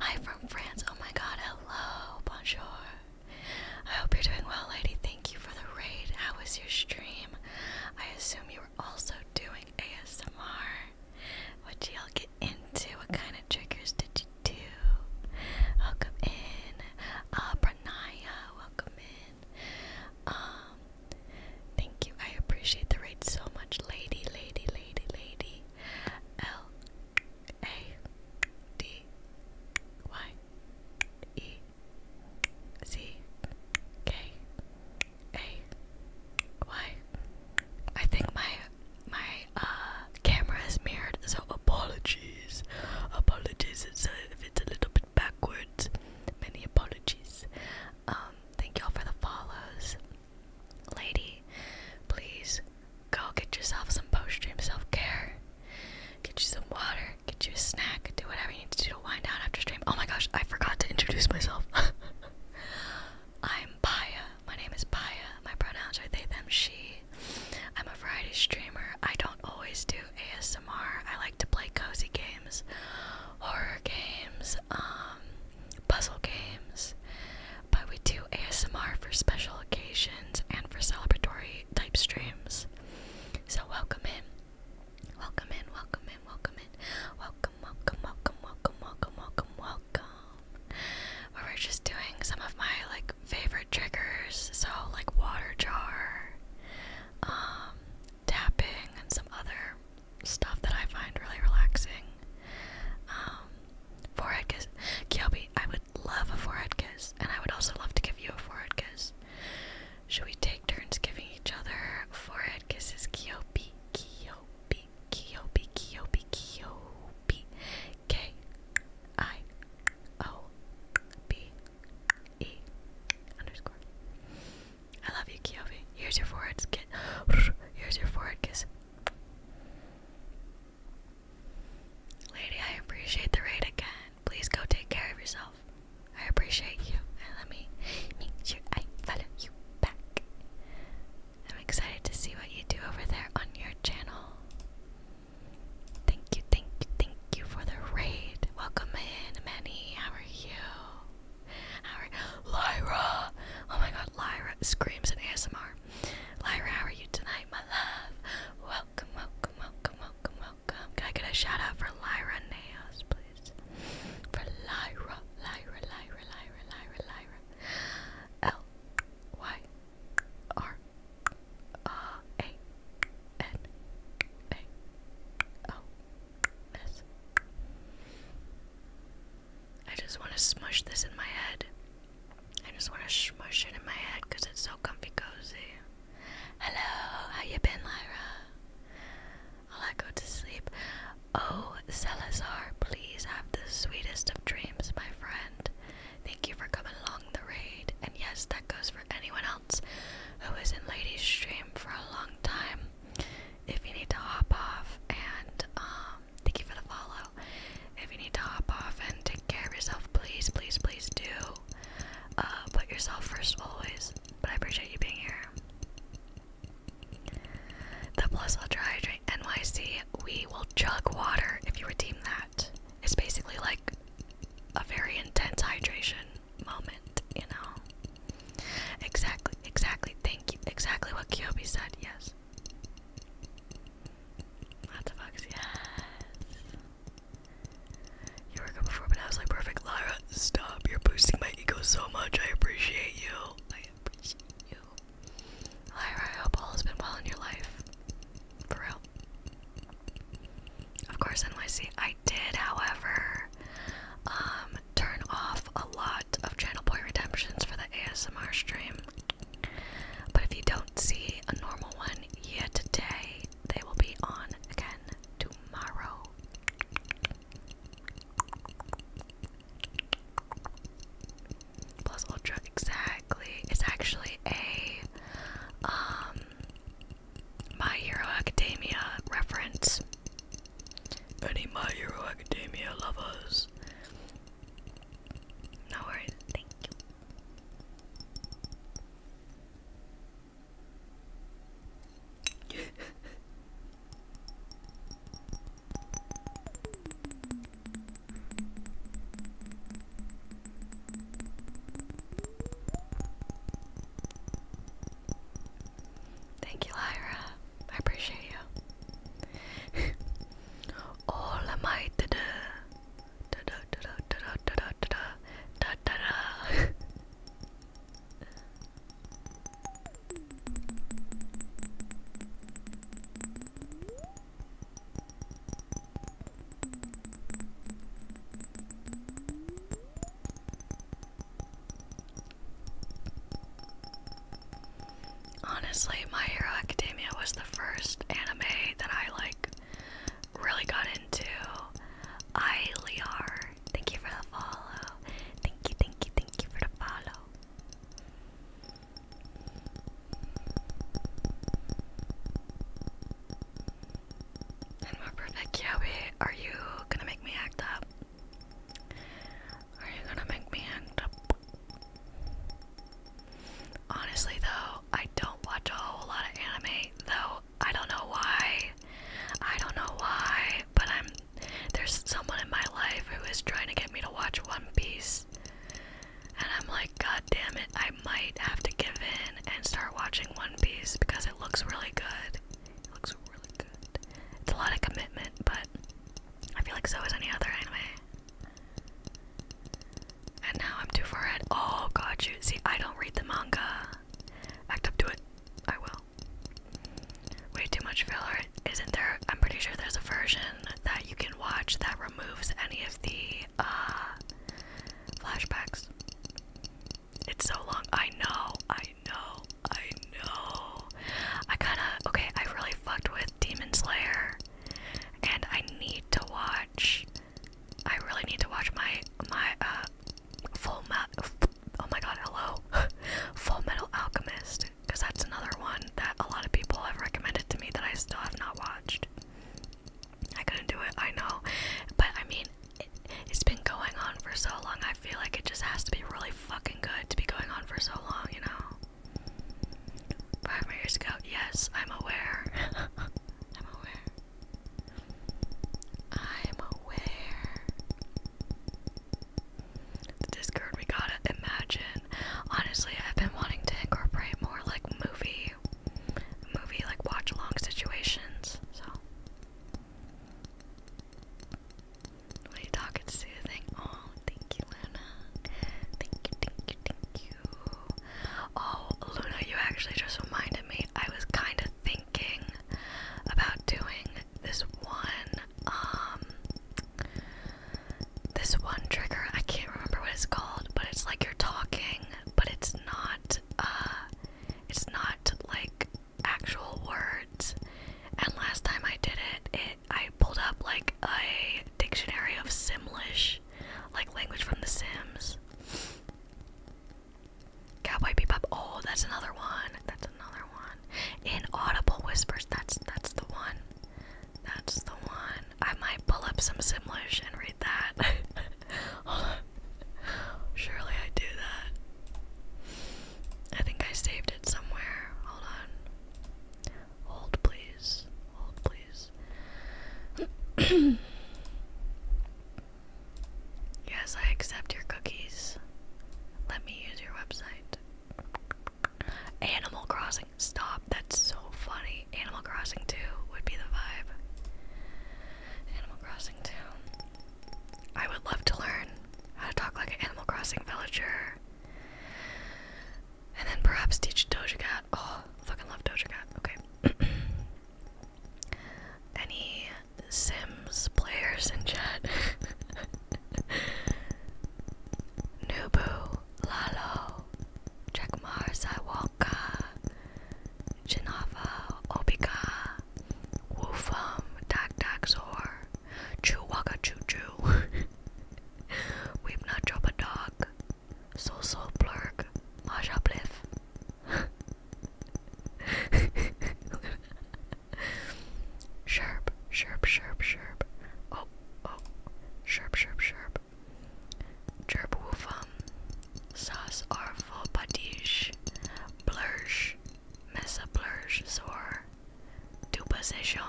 Speaker 1: Hi from France. Oh my God. Hello. Bonjour. I hope you're doing well, lady. Thank you for the raid. How was your stream? I assume you also doing ASMR, What which y'all get into. What kind of triggers did you do? Welcome in. Uh, Pranaya, welcome in. Um, thank you. I appreciate the raid so much. Lady, lady, lady, lady. L A D Y E Z K Hey, why? I think my my uh camera is mirrored, so apologies. Apologies it's if it's a little bit backwards. Many apologies. Um, thank y'all for the follows. Lady, please go get yourself some post-stream self-care. Get you some water, get you a snack, do whatever you need to do to wind down after stream. Oh my gosh, I forgot to introduce myself. I'm Paya. My name is Paya. My pronouns are they, them, she. I'm a Friday streamer. I don't always do ASMR. I like to play cozy games, horror games, um, puzzle games. But we do ASMR for special occasions and for celebratory type streams. So welcome in. Welcome in, welcome in, welcome in. Welcome, welcome, welcome, welcome, welcome, welcome, welcome. we're just doing some of my like favorite triggers, so like water jar, um, tapping, and some other stuff that I find really relaxing. Um, forehead kiss. Kyobi, I would love a forehead kiss, and I would also love to give you a forehead kiss. Should we take turns giving each other forehead kisses? Kyobi, Kyobi. Kiopi, Kiopi, Kiopi, Kiopi, K I O B E love you, Kiopi. Here's your forehead kiss. Here's your forehead kiss. Lady, I appreciate the raid again. Please go take care of yourself. I appreciate you, and let me make sure I follow you back. I'm excited to see what you do over there on your channel. Thank you, thank you, thank you for the raid. Welcome in, Manny. How are you? How are Lyra? Oh my god, Lyra screams in ASMR. Lyra, how are you tonight, my love? Welcome, welcome, welcome, welcome, welcome. Can I get a shout out Lyra Nails, please? is for Lyra, Lyra, Lyra, Lyra, Lyra, Lyra. L Y R A N A O S. I just want to smush this in my head. I just want to smush it in my head because it's so comfy cozy. Hello, how you been, Lyra? i I go to sleep. Oh, Salazar, please have the sweetest of dreams, my friend. Thank you for coming along the raid. And yes, that goes for anyone else who is in Lady's stream for a long time. If you need to hop off and um thank you for the follow. If you need to hop off and take care of yourself, please, please, please do. Uh put yourself first always. But I appreciate you being here. The Plus Ultra Hydrate NYC We Will Chug Water if you redeem that. It's basically like a very intense hydration moment, you know? Exactly, exactly, thank you. Exactly what Kyobi said, yes. What the fuck, yes. You were good before, but I was like, perfect. Lara, stop. You're boosting my ego so much. I appreciate you appreciate you. Lyra, I has been well in your life. For real. Of course, NYC. I did, however, um, turn off a lot of channel Boy redemptions for the ASMR stream. But if you don't see a normal one yet today, they will be on again tomorrow. Plus Ultra, exactly. It's actually a um My Hero Academia reference. Any My Hero Academia lovers. No worries, thank you. Thank you, Lyra. I appreciate you. All of my da da da da da da da da da da da da Honestly, My Hero Academia was the first anime that I like really got into. I thank you for the follow. Thank you, thank you, thank you for the follow. And perfect, Yowie. Are you gonna make me act up? Are you gonna make me act up? Honestly, though, I don't watch a whole lot of anime, though. I don't know why. I don't know why, but I'm there's someone in my life who is trying to get me to watch One Piece. And I'm like, God damn it, I might have to give in and start watching One Piece because it looks really good. It looks really good. It's a lot of commitment, but I feel like so is any other anime. And now I'm too far ahead. Oh, God, you. See, I don't read the manga. Act up to it. I will. Way too much filler isn't there? I'm pretty sure there's a version that you can watch that removes any of the uh, flashbacks. It's so long. I know. I know. I know. I kind of okay. I really fucked with Demon Slayer, and I need to watch. I really need to watch my my uh full metal. Oh my god, hello, Full Metal Alchemist because that's another one that a lot of people have recommended to me that I still have not watched. I couldn't do it, I know, but I mean, it, has been going on for so long. I feel like it just has to be really fucking good to be going on for so long, you know. Five years yes, I'm aware. I'm aware. I'm aware. This Discord, we gotta imagine. Honestly, I've been wanting to incorporate more like movie, movie like watch along situations. So, what are you talking soothing? Oh, thank you, Luna. Thank you, thank you, thank you. Oh, Luna, you actually just reminded me. I was kind of thinking about doing this one um this one trigger I can't remember what it's called, but it's like you're talking, but it's not uh it's not like actual words. And last time I did it, it I pulled up like a dictionary of Simlish, like language from The Sims. Cowboy Bebop. Oh, that's another one. That's another one. Inaudible whispers. That's that's the one. That's the one. I might pull up some Simlish and read that. Surely I do that. I think I saved it somewhere. Hold on. Hold, please. Hold, please. yes, I accept your cookies. Let me use your website. Animal Crossing. Stop. That's so funny. Animal Crossing 2 would be the vibe. Animal Crossing 2. I would love to learn how to talk like an Animal Crossing villager. And then perhaps teach Doja Cat. Oh, fucking love Doja Cat. Okay. Any Sims players in chat? Nubu Lalo Jackmar Saiwalka chinava Obika Woofum tak tak Zor Choo Waka Choo Choo Weep Dog So So Maja Bliff Sherp, sherp, sherp, sherp. Oh, Oh, sharp, sharp, sharp. Jerb woofum. Sas arfo patish. Blursh. Mesa blursh zor. Dupa session.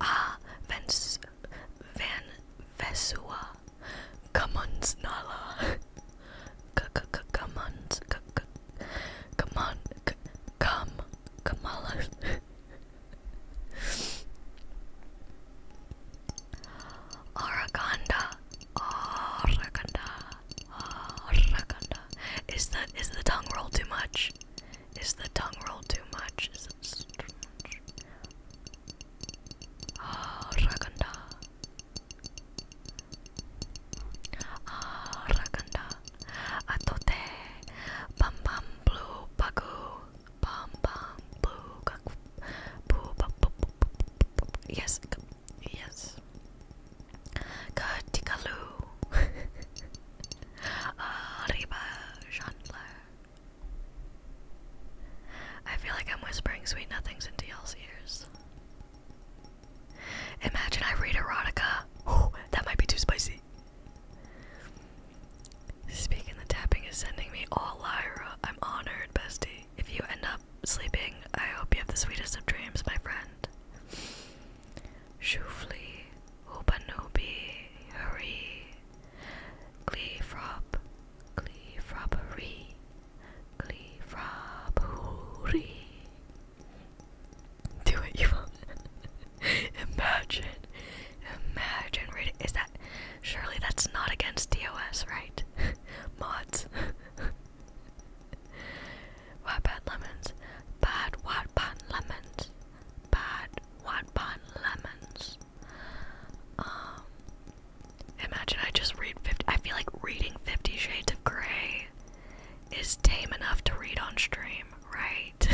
Speaker 1: ah, Vens Van Vesua Kamunsnala come on, come on, come, come on. Araconda, Araconda, Araconda. Is the is the tongue roll too much? Is the tongue roll too much? Is it too much? Ah, atote, pam blue bagu, pam pam blue kaku, boo boo boo Yes, yes. Katikalu, arriba, Chandler. I feel like I'm whispering sweet nothings into y'all's ears. Imagine I read erotica. that might be too spicy. Speaking the tapping is sending me all Lyra. I'm honored, bestie. If you end up sleeping, I hope you have the sweetest of dreams, my friend. Shufli, Hubanobi, Hurry, Gleefrop, Gleefroppery, Gleefroppery do what you want. imagine, imagine reading. Is that surely that's not against DOS, right? Mods. Wattpad lemons. Bad Wattpad lemons. Bad Wattpad lemons. Um. Imagine I just read 50. I feel like reading Fifty Shades of Grey is tame enough to read on stream, right?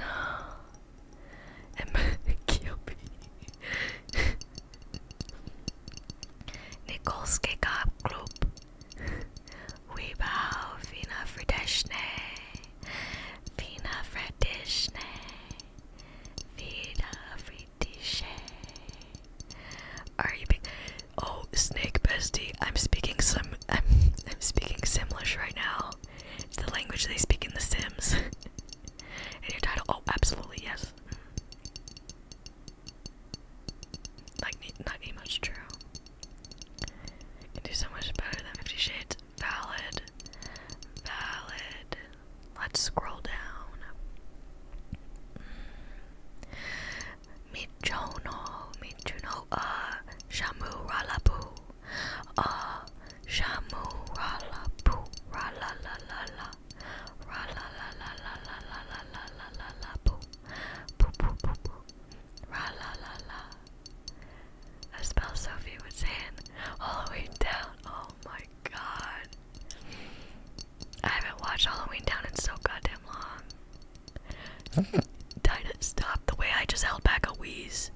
Speaker 1: no. Nikolske Gab Group. We bow Fina Frideshne. Fina pretty shade. Are you Oh, snake bestie. I'm speaking some. I'm, I'm speaking Simlish right now. It's the language they speak in The Sims. and your title? Oh, absolutely yes. Like not even much true. Can do so much better than Fifty Shades. Valid. Valid. Let's scroll down. Michono, Michuno, uh, Shamu Ralapu, uh, Shamu Ralapu, Ralalalala, Ralalalalalalalalalalapu, Poo Poo Poo Poo, Ralalala. A spell Sophie was in all the way down. Oh my god. I haven't watched Halloween Town in so goddamn long. Dinah, stop. The way I just held back a wheeze.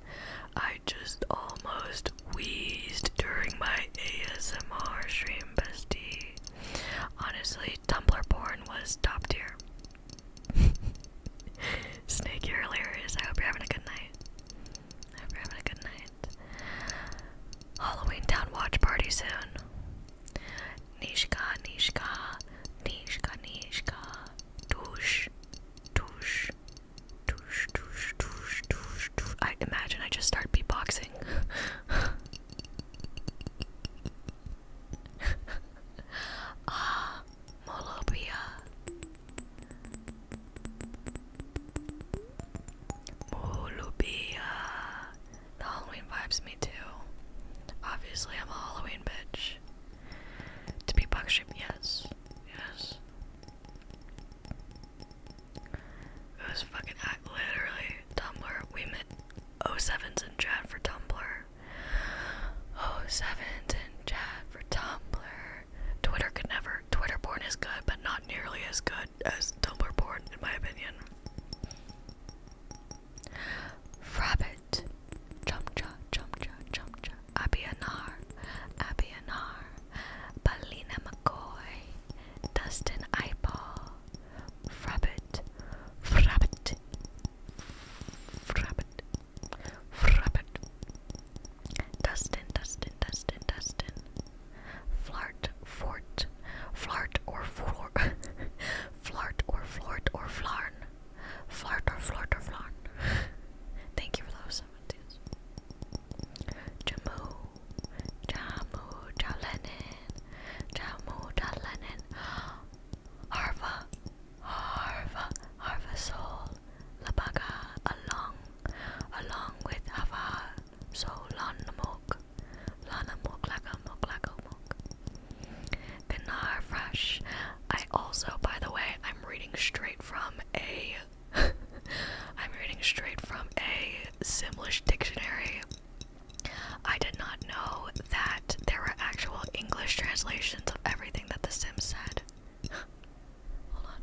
Speaker 1: I just almost wheezed during my ASMR stream, bestie. Honestly, Tumblr porn was top tier. Snake, you're hilarious. I hope you're having a good night. I hope having a good night. Halloween Town watch party soon. Nishka, Nishka, Nishka, Nishka, Tush, Tush, Tush, Tush, Tush, Tush, Tush. I imagine I just start beatboxing. ah, Molopia. Molopia. The Halloween vibes me too. Obviously, I'm a Halloween bitch. To be buck yes. Yes. It was fucking I literally Tumblr. We met 07s in chat for Tumblr. 07s in chat for Tumblr. Twitter could never. Twitter porn is good, but not nearly as good as Tumblr porn, in my opinion. Rabbit, Chumcha, Chumcha, Chumcha, Abianar, Abianar, Balina McCoy, Dustin Eyeball, Frabbit, Frabbit, Frabbit, Frabbit, Dustin, Dustin, Dustin, Dustin, Flart, Fort, Flart or Flor, Flort or flort or flarn. Flart or flort or flarn. Thank you for those seventies. Jamu. Jamu Jalenin. Jamu Jalenin. Harva. Harva. Harva Labaga along. Along with Hava. So Lanamok. Lana Fresh. I also, by the way, I'm reading straight from a I'm reading straight from a Simlish dictionary. I did not know that there were actual English translations of everything that The Sims said. Hold on.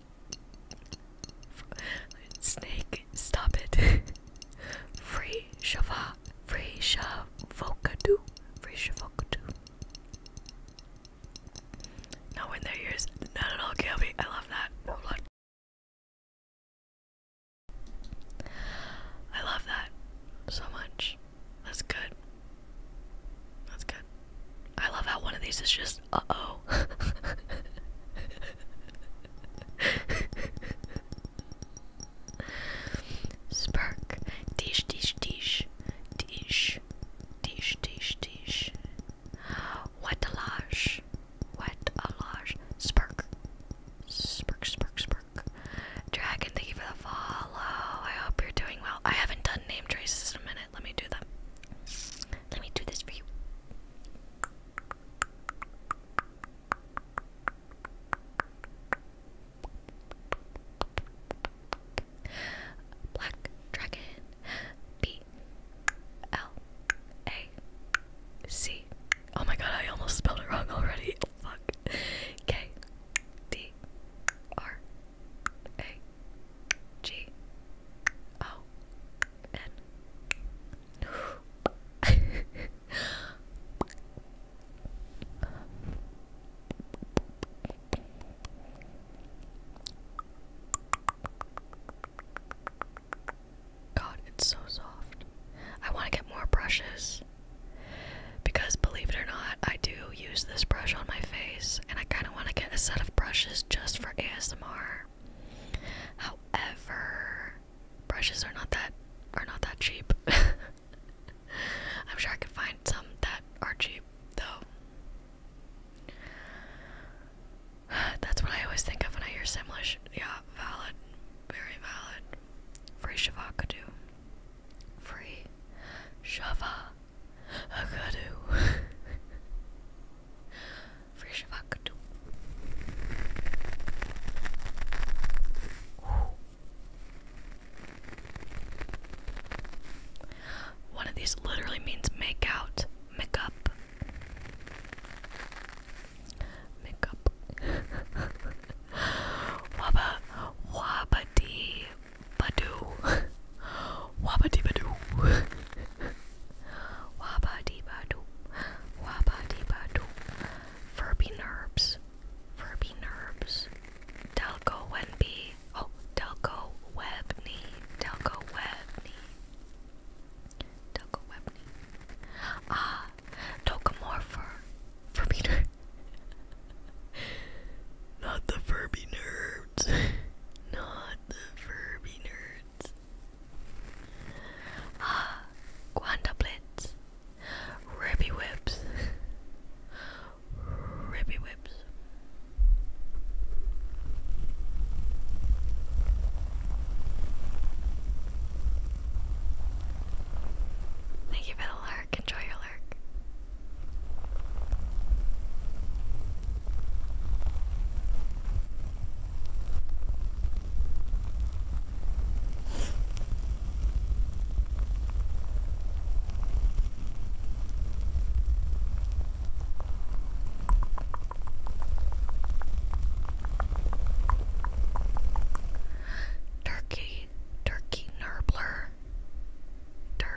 Speaker 1: Snake, stop it. Free Shava, Free shava, Shavokadu, Free shava, Shavokadu. No in their ears, not at all, Gabby. I love
Speaker 2: that. Hold on. I love
Speaker 1: that so much. That's good. That's good. I love how one of these is just uh oh. Spark. Dish, dish, dish. Dish. Dish, dish, dish. What a lash. What a lash. Spark. Spark, spark, spark. Dragon, thank you for the follow. I hope you're doing well. I haven't done name traces in a minute. Let me do them. Let me do this for you. Black Dragon B L A C. Oh my god, I almost spelled it wrong already. Fuck. K D R a G O N. God, it's so soft. I want to get more brushes because, believe it or not, I do use this brush on my face, and I kind of want to get a set of brushes just ASMR. However, brushes are not that are not that cheap. I'm sure I could find some that are cheap though. That's what I always think of when I hear Simlish. Yeah, valid. Very valid. Free Shiva do. Free Shiva Agadu. Fresh Agadu. One of these literally means make out, make up. Make up. Waba wabadi badu. Wabadi badu. Waba Diba Waba Diba Furby Nerbs. Furby Nerbs. Delco Wenby. Oh, Delco Webney. Delco Webney. Delco Webney. Ah, Tocomorpher. Furby Nerve. Not the Furby Nerve. not the Furby nerds. Ah, Quantablitz, Ribby Whips, Ribby Whips. Thank you for the lurk. Enjoy your lurk. Turkey, turkey nurbler, turkey.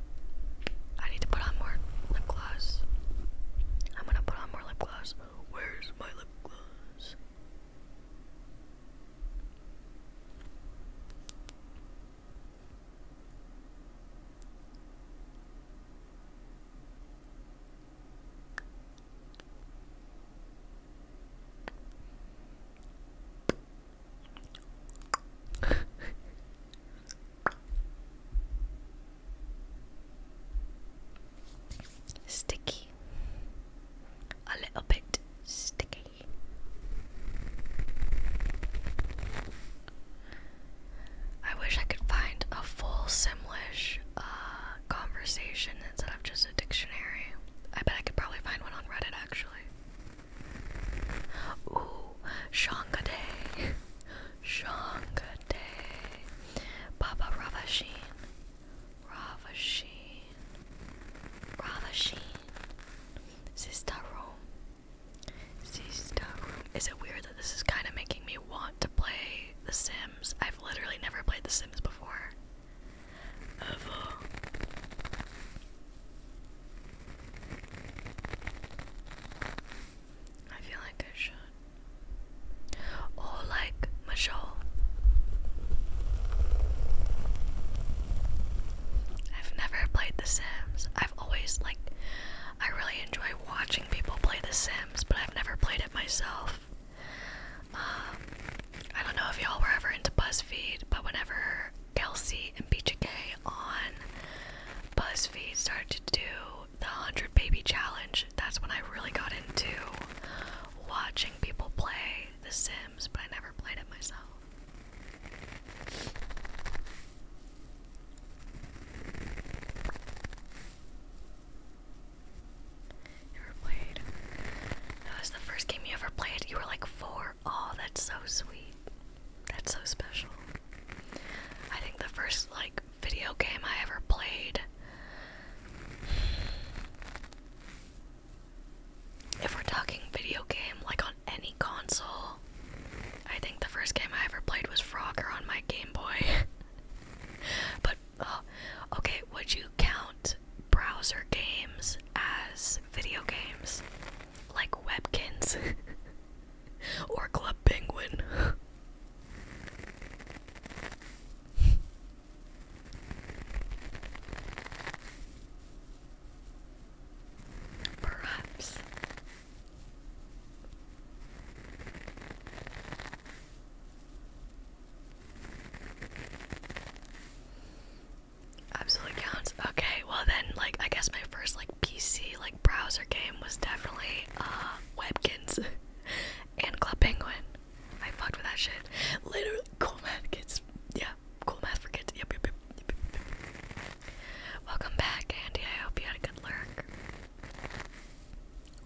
Speaker 1: I need to put on more lip gloss. I'm gonna put on more lip gloss. Where's my lip gloss? Sticky. A little bit sticky. I wish I could find a full Simlish uh, conversation instead of just a dictionary. I bet I could probably find one on Reddit actually. Ooh, Shangade. Shangade birthday, Baba Ravashin. Ravashin. Sister room. Sister room. Is it weird that this is kind of making me want to play The Sims? I've literally never played The Sims before. I feel like I should. Oh, like Michelle. I've never played The Sims. I've always like I really enjoy watching people play The Sims, but I've never played it myself. Um, I don't know if y'all were ever into BuzzFeed, but whenever Kelsey and BJK on BuzzFeed started to do the 100 baby challenge, that's when I really got into watching people play The Sims, but I never played it myself. Never played. That was the first game you ever played. You were like four. Oh, that's so sweet. That's so special. I think the first like video game I ever played. If we're talking video game, like on any console, I think the first game I ever played was Frogger on my Game Boy. but, oh, okay, would you count browser games as video games? Like Webkins? or Club Penguin? Perhaps absolutely counts. Okay, well then, like I guess my first like PC like browser game was definitely uh WebKit and Club Penguin. I fucked with that shit. Literally, cool math kids. Yeah, cool math for kids. Yep, yep, yep. Welcome back, Andy. I hope you had a good lurk.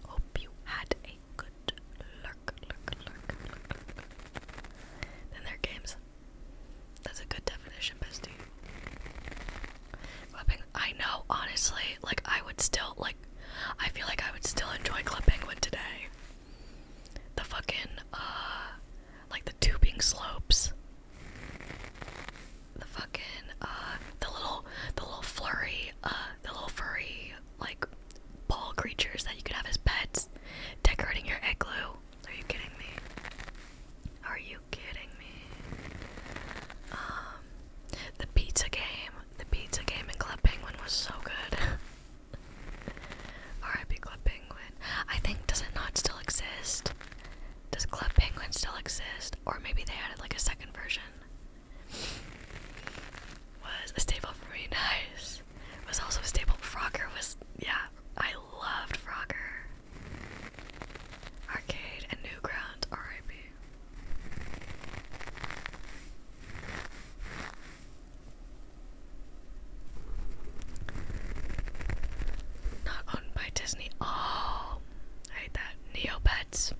Speaker 1: Hope you had a good lurk, Then there are games. That's a good definition, bestie. Club I know, honestly, like I would still like I feel like I would still enjoy Club Penguin today. The fucking uh like the tubing slopes. The fucking uh the little the little furry uh the little furry like ball creatures that you could have as pets decorating your igloo. Are you kidding me? Are you kidding me? Um, the pizza game. The pizza game in Club Penguin was so good. R.I.P. Club Penguin. I think does it not still exist? Does Club Penguin still exist? Or maybe they added like a second version. Was a staple for me, nice. Was also a staple. Frogger was yeah, I loved Frogger. Arcade and Newgrounds, R.I.P. Not owned by Disney. Oh, I hate that. Neopets.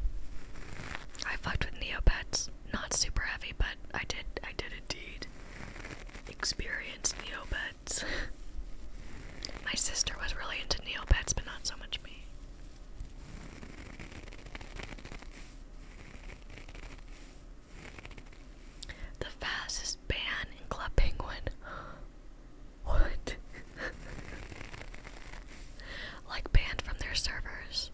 Speaker 1: I fucked with Neopets. Not super heavy, but I did. I did indeed experience Neopets. My sister was really into Neopets, but not so much me. The fastest ban in Club Penguin. what? like banned from their servers.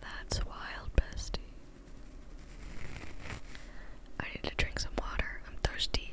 Speaker 1: That's wild, bestie. I need to drink some water.
Speaker 2: I'm thirsty.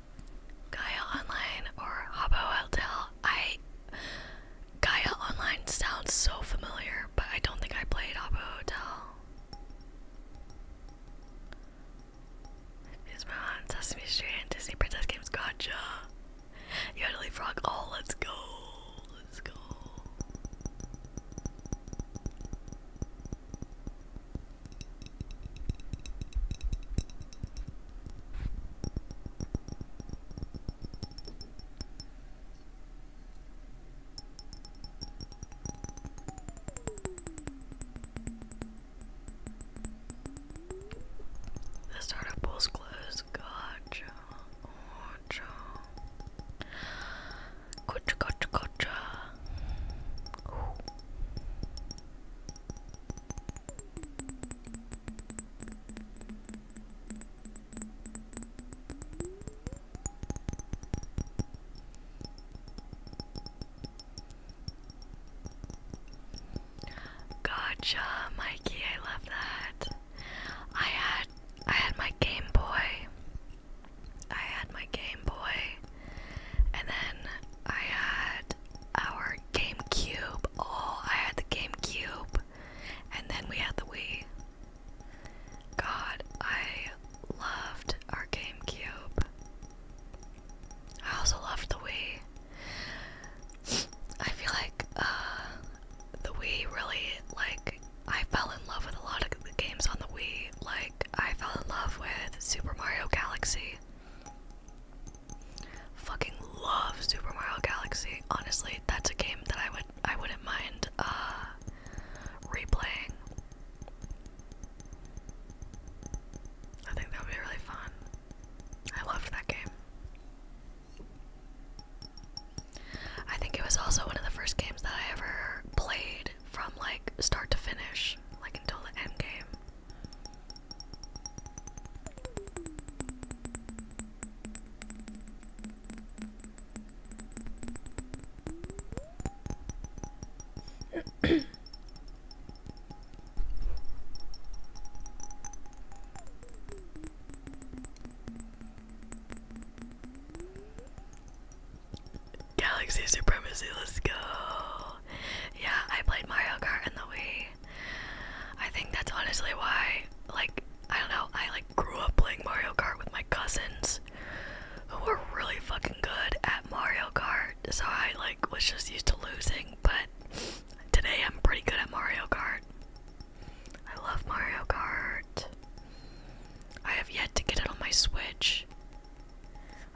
Speaker 1: Gaya Online or Habbo Hotel. I Gaia Online sounds so familiar, but I don't think I played Habbo Hotel. Is my Sesame Street and Disney Princess Games? Gotcha. You had to leave frog. Oh, let's go. Let's go. The startup pool's closed. Gotcha. Gotcha. Gotcha, gotcha, gotcha. Gotcha, Mikey, I love that. I had I had my Game Boy. I had my Game Boy and then I had our GameCube. Oh, I had the GameCube. And then we had the Wii. God, I loved our GameCube. I also loved the Wii. I feel like uh, the Wii really, like, I fell in love with a lot of the games on the Wii. Like, I fell in love with Super Mario Galaxy. Fucking love Super Mario Galaxy. Honestly, that's a game that I would I wouldn't mind uh replaying. I think that would be really fun. I loved that game. I think it was also one of the first games that I ever played from like start to finish, like until the end game. Galaxy Supremacy, let's go. Yeah, I played Mario Kart in the Wii. I think that's honestly why, like, I don't know, I like grew up playing Mario Kart with my cousins who were really fucking good at Mario Kart. So I like was just used to losing, but today I'm pretty good at Mario Kart. I love Mario Kart. I have yet to get it on my Switch.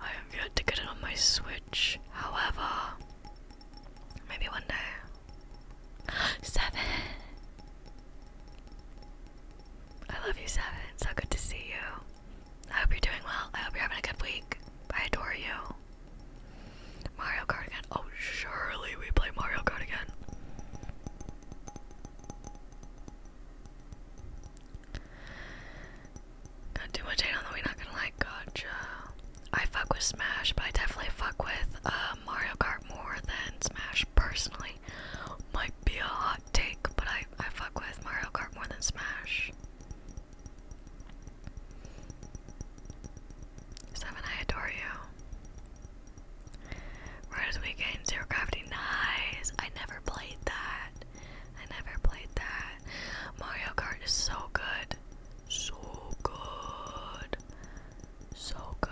Speaker 1: I have yet to get it on my Switch. However, Maybe one day. Seven! I love you, Seven. So good to see you. I hope you're doing well. I hope you're having a good week. I adore you. Mario Kart again. Oh, surely we play Mario Kart again. Got too much hate on the way, not gonna like gotcha. I fuck with Smash, but I definitely fuck with uh, Mario Kart more than Smash personally. Might be a hot take, but I, I fuck with Mario Kart more than Smash. Seven, I adore you. Riders Weekend, Zero Gravity, nice. I never played that. I never played that. Mario Kart is so good. So good. So good.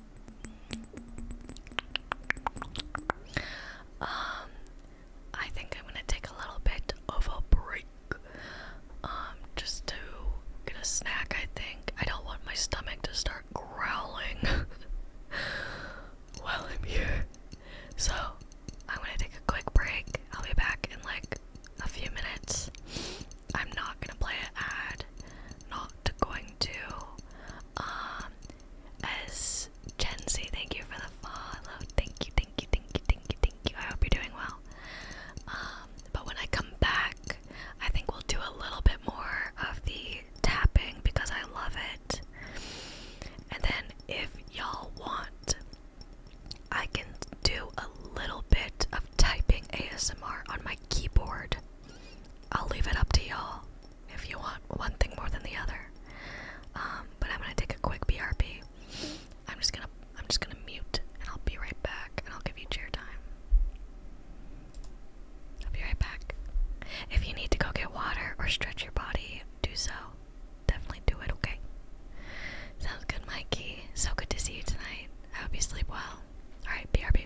Speaker 1: Um, I think I'm gonna take a little bit of a break. Um, just to get a snack, I think. I don't want my stomach to start growling while I'm here. So, I'm gonna take a quick break. I'll be back in like a few minutes. I'm not gonna play an ad, not going to. Um, as Gen Z, thank you for the follow. Thank you, thank you, thank you, thank you, thank you. I hope you're doing well. Um, but when I come back, I think we'll do a little bit more of the tapping because I love it. And then if y'all want, I can do a little bit of typing ASMR on my keyboard. I'll leave it up to y'all if you want one thing more than the other. Um, but I'm gonna take a quick BRP. I'm just gonna I'm just gonna mute and I'll be right back and I'll give you chair time. I'll be right back. If you need to go get water or stretch your body, do so. Definitely do it, okay? Sounds good, Mikey. So good to see you tonight. I hope you sleep well.
Speaker 2: Alright, BRB.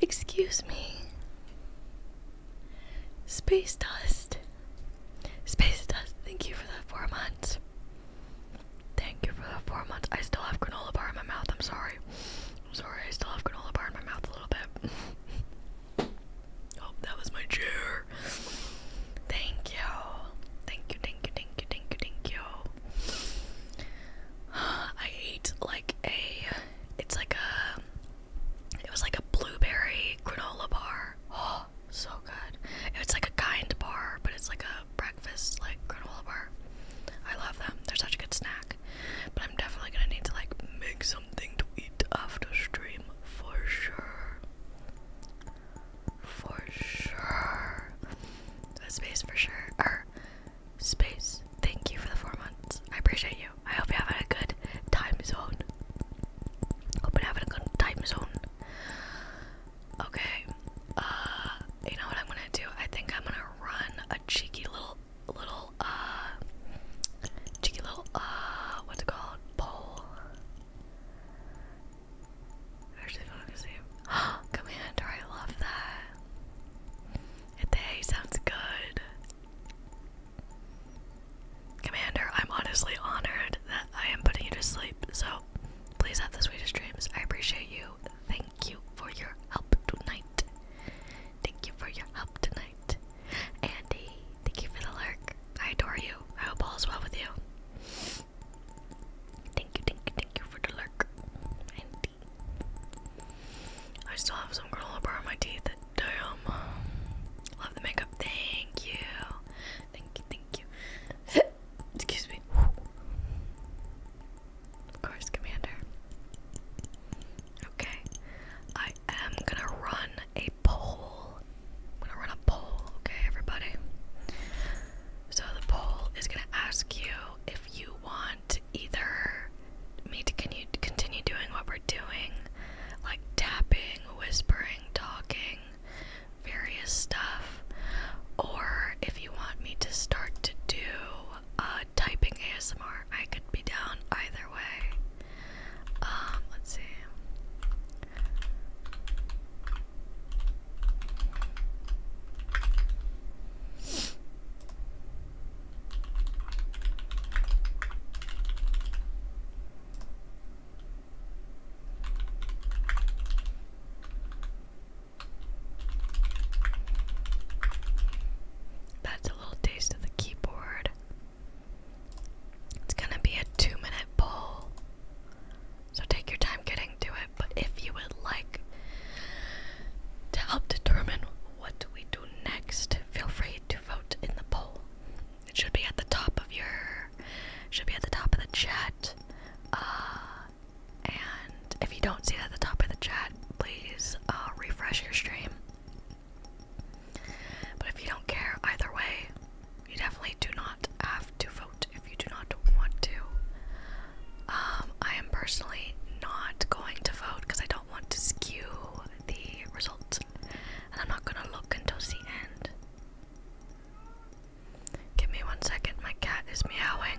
Speaker 1: Excuse me. Space dust. Space dust. Thank you for the four months. Thank you for the four months. I still have granola bar in my mouth. I'm sorry. I'm sorry, I still have granola bar in my mouth a little bit. oh, that was my chair. Thank you. Thank you, thank you, thank you, thank you, thank you. I ate like a, it's like a, it was like a blueberry granola bar. Oh, so good. It's like a kind bar, but it's like a breakfast, like granola bar. I love them. They're such a good snack. But I'm definitely gonna need to like make something to eat after stream for sure. For sure. space for sure. Er, space. Thank you for the four months. I appreciate you. I hope you're having a good time zone. Hope you're having a good time zone. Okay. Uh you know what I'm gonna do? I think I'm gonna run a cheeky little little uh cheeky little uh what's it called bowl. actually don't Commander, I love that. It hey, sounds good. Commander, I'm honestly honored that I am putting you to sleep, so please have the sweetest dreams. I appreciate you. Thank you for your help tonight. Thank you for your help tonight. Andy, thank you for the lurk. I adore you. I hope all is well with you. Thank you, thank you, thank you for the lurk. Andy. I still have some granola up on my teeth. Damn. Love the makeup. Thank you. Thank you, thank you. Excuse me. Of course, Commander. Okay. I am gonna run a poll. I'm gonna run a poll, okay, everybody? So the poll is gonna ask you if you want either me to con continue doing what we're doing, like tapping, whispering, talking, various stuff, or if you want me to start to do uh, typing ASMR. I could be down either way. Um, let's see. That's a little taste the keyboard. It's gonna be a two minute poll. So take your time getting to it, but if you would like to help determine what we do next, feel free to vote in the poll. It should be at the top of your should be at the top of the chat. Uh, and if you don't see it at the top of the chat, please uh, refresh your stream but if you don't care either way, you definitely do not have to vote if you do not want to. Um, I am personally not going to vote because I don't want to skew the results, and I'm not gonna look until the end. Give me one second, my cat is meowing.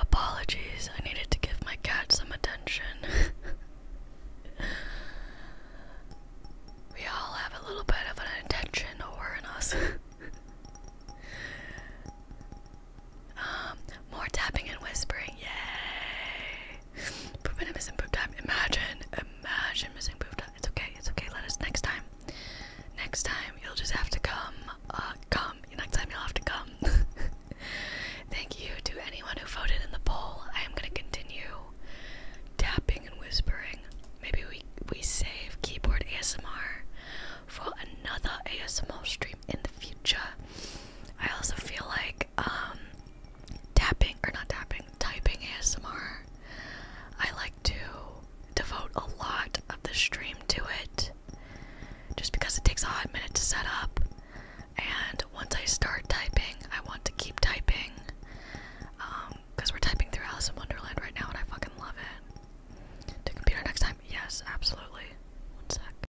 Speaker 2: Apologies,
Speaker 1: I needed to give my cat some attention. we all have a little bit of an attention whore in us. um, more tapping and whispering, yay! Proof and missing proof time. Imagine, imagine missing proof time. It's okay, it's okay. Let us next time. Next time you'll just have to come. Uh, come. Next time you'll have to come. Thank you to anyone who voted in the poll. I am gonna continue tapping and whispering. Maybe we we save keyboard ASMR for another ASMR stream in the future. I also feel like um tapping or not tapping, typing ASMR. I like to devote a lot of the stream to it just because it takes a hot minute to set up. And once I start typing, I want to keep typing. Um, because we're typing through Alice in Wonderland right now and I fucking love it. To computer next time? Yes, absolutely.
Speaker 2: One sec.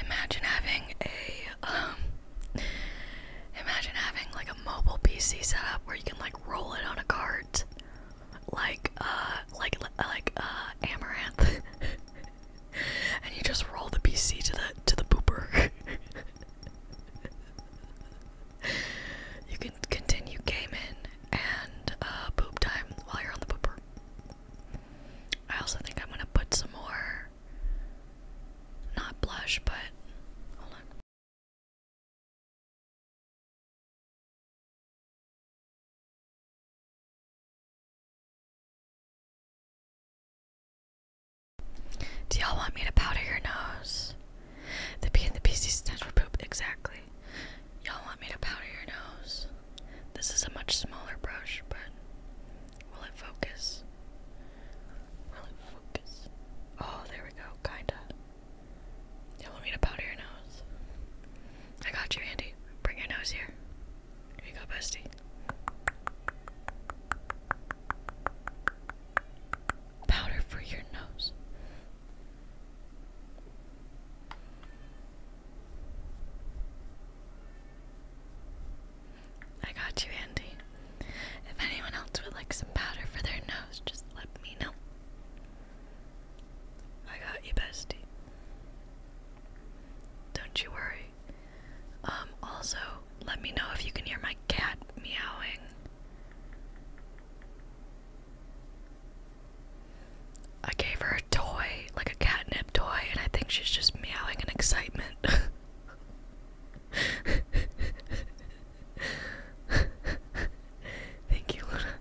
Speaker 2: Imagine having a
Speaker 1: um imagine having like mobile PC setup where you can like roll it on a cart, like uh, like like uh, Amaranth, and you just roll the PC to the to the booper. you can continue gaming and uh, poop time while you're on the booper. I also think I'm gonna put some more, not blush, but hold on. Do y'all want me to powder your nose? The P and the PC stands for poop, exactly. Y'all want me to powder your nose? This is a much smaller brush, but will it focus? Will it focus? Oh, there we go, kinda. You want me to powder your nose? I got you, Andy. Bring your nose here. Here you go, bestie. Powder for your nose. I got you, Andy. If anyone else would like some powder for their nose, just let me know. I got you, bestie. Don't you worry. Um, also, let me know if you can hear my cat meowing. I gave her a toy, like a catnip toy, and I think she's just meowing in excitement. Thank you, Luna.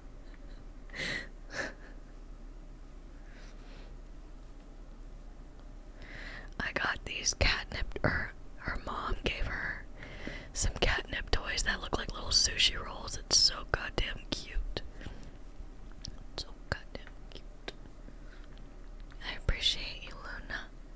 Speaker 1: I got these catnip, or her mom gave her some catnip toys that look like little sushi rolls. It's so goddamn cute. so goddamn cute. I appreciate you, Luna.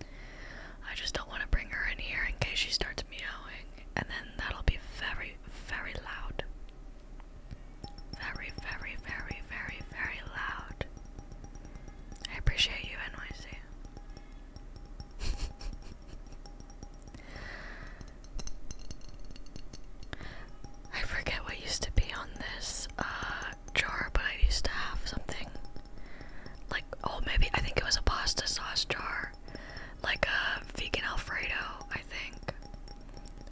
Speaker 1: I just don't want to bring her in here in case she starts meowing, and then that'll be very, very loud. Very, very, very, very, very loud. I appreciate you, NYC. I forget what used to be on this uh, jar, but I used to have something like oh maybe I think it was a pasta sauce jar, like a vegan Alfredo. I think.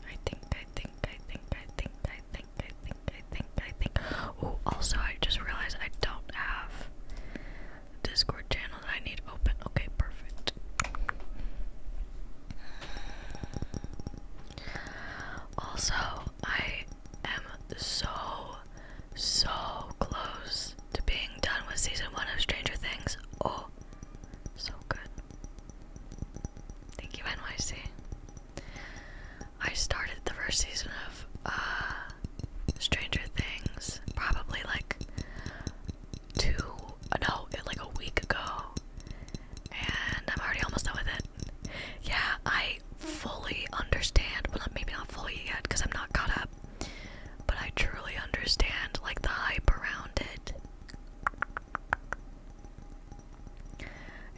Speaker 1: I think. I think. I think. I think. I think. I think. I think. I think. Oh, also I just realized I don't have Discord channel that I need open. Okay, perfect. Also, I am so, so close to being done with season one of Stranger Things. Oh, so good. Thank you, NYC. I started the first season of uh, Stranger Things probably like two, uh, no, like a week ago, and I'm already almost done with it. Yeah, I fully understand, well, maybe not fully yet because I'm not caught up, but I truly understand like the hype around it.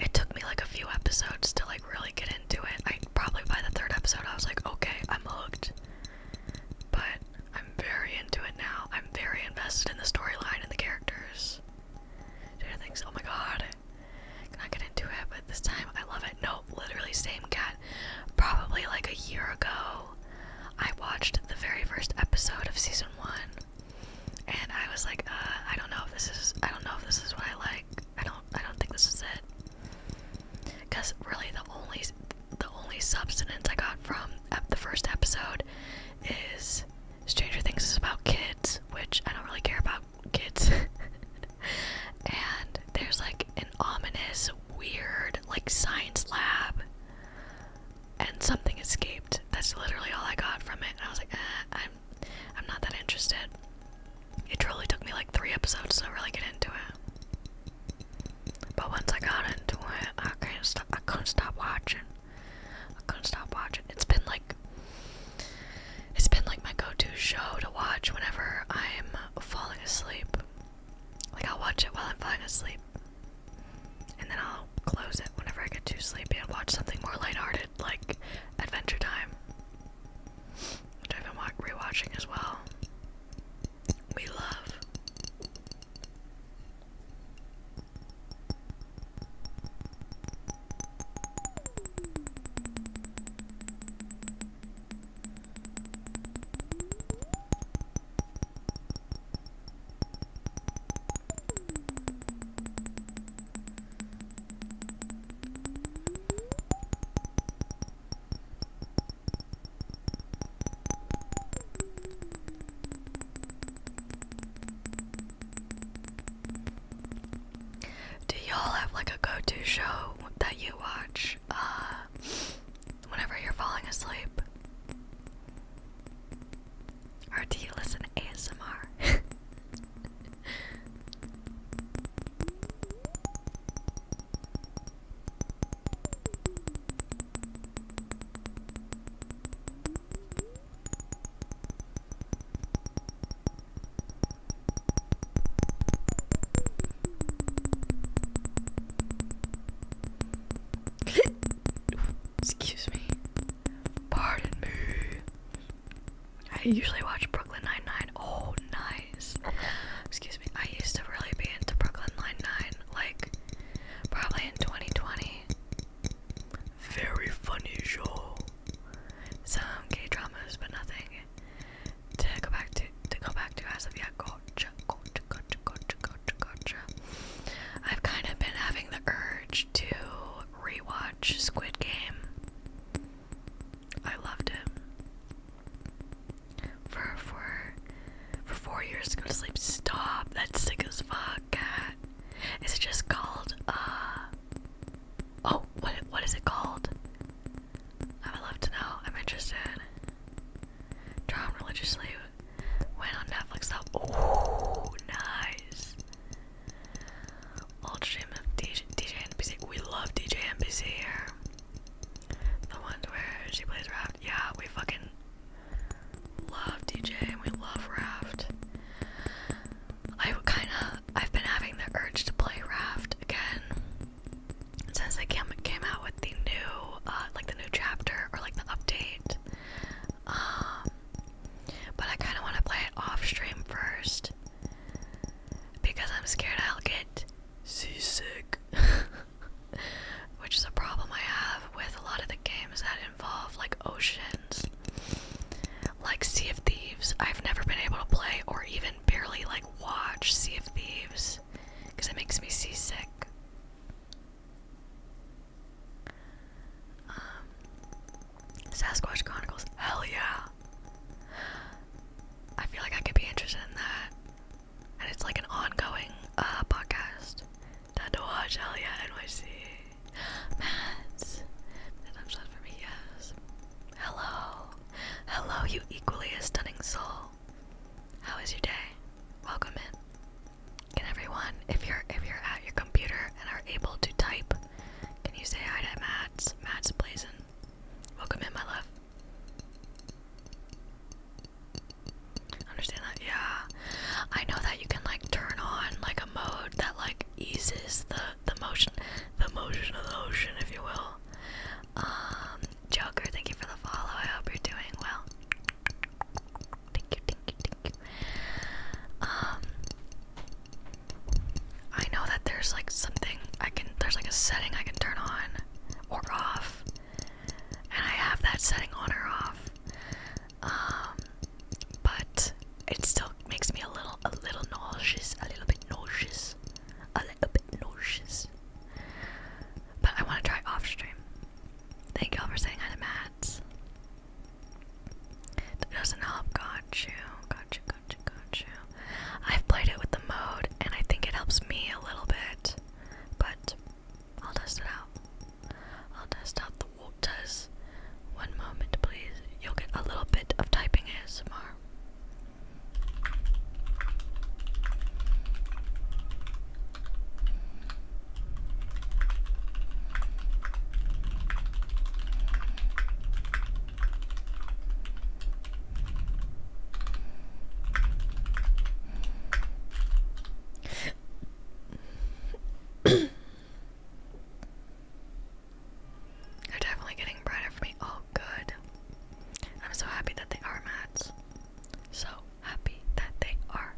Speaker 1: It took me like a few episodes to like really get into it. I probably by the third episode I was like, okay, I'm hooked. But I'm very into it now. I'm very invested in the storyline and the characters. Dude, I think Oh my god. Not gonna do it, but this time I love it. Nope, literally same cat. Probably like a year ago, I watched the very first episode of season one, and I was like, uh, I don't know if this is, I don't know if this is what I like. I don't, I don't think this is it. Cause really, the only, the only substance I got from the first episode is Stranger Things is about kids, which I don't really care about kids. and there's like an ominous, weird, like science lab. And something escaped. That's literally all I got from it. I was like, eh, I'm, I'm not that interested. It truly took me like three episodes to really get into it. But once I got into it, I can't stop. I couldn't stop watching. I couldn't stop watching. It's been like it's been like my go-to show to watch whenever I'm falling asleep. Like I'll watch it while I'm falling asleep. And then I'll close it whenever I get too sleepy and watch something more lighthearted like Adventure Time. Which I've been rewatching as well. We love. Do y'all have like a go to show that you watch? uh, whenever you're falling asleep? Or do you listen ASMR? Excuse me. Pardon me. I usually watch Brooklyn Nine-Nine. Oh, nice. Excuse me. I used to really be into Brooklyn Nine-Nine, like, probably in 2020. Very funny show. Some K dramas, but nothing to go back to to go back to as yeah gotcha gotcha gotcha gotcha gotcha gotcha. I've kind of been having the urge to rewatch Squid Game. I loved it. For for for four years to go to sleep. Stop. That's sick as fuck, cat. Is it just called uh Oh, what what is it called? I would love to know. I'm interested. Drawn religiously went on Netflix though. Ooh, nice. Old stream of DJ, DJ NPC. We love DJ and NPC here. The ones where she plays Raft. Yeah, we fucking love DJ and we love Raft. I kinda, I've been having the urge to play Raft again since they came came out with the new uh, like the new chapter or like the update. Um, but I kind of want to play it off stream first because I'm scared I'll get seasick, which is a problem I have with a lot of the games that involve like oceans, like Sea of Thieves. I've never been able to play or even barely like watch Sea of Thieves because it makes me seasick. Um, Sasquatch Chronicles. Hell yeah! I feel like I could be interested in that. And it's like an ongoing uh, podcast. Time to watch Hell yeah NYC. Mads. That's for me, yes. Hello. Hello, you equally as stunning soul. How was your day? Welcome in. Can everyone, if you're if you're at your computer and are able to type, can you say hi to Matt's Matt's Blazin? Welcome in, my love. Understand that? Yeah. I know that you can like turn on like a mode that like eases the the motion the motion of the ocean, if you will. Um, Joker, thank you for the follow. I hope you're doing well. Thank you, thank you, thank you. Um, I know that there's like something I can, there's like a setting I can turn on or off, and I have that setting on or off. Um, but it still makes me a little, a little nauseous, a little bit nauseous a little bit nauseous. But I want to try off stream. Thank y'all for saying hi to Mads. That doesn't help. Got you. Got you. Got you. Got you. I've played it with the mode, and I think it helps me a little bit. But I'll test it out. I'll test out the waters. One moment, please. You'll get a little bit of typing ASMR. They're definitely getting bread for me. Oh, good. I'm so happy that they are mats. So happy that they are.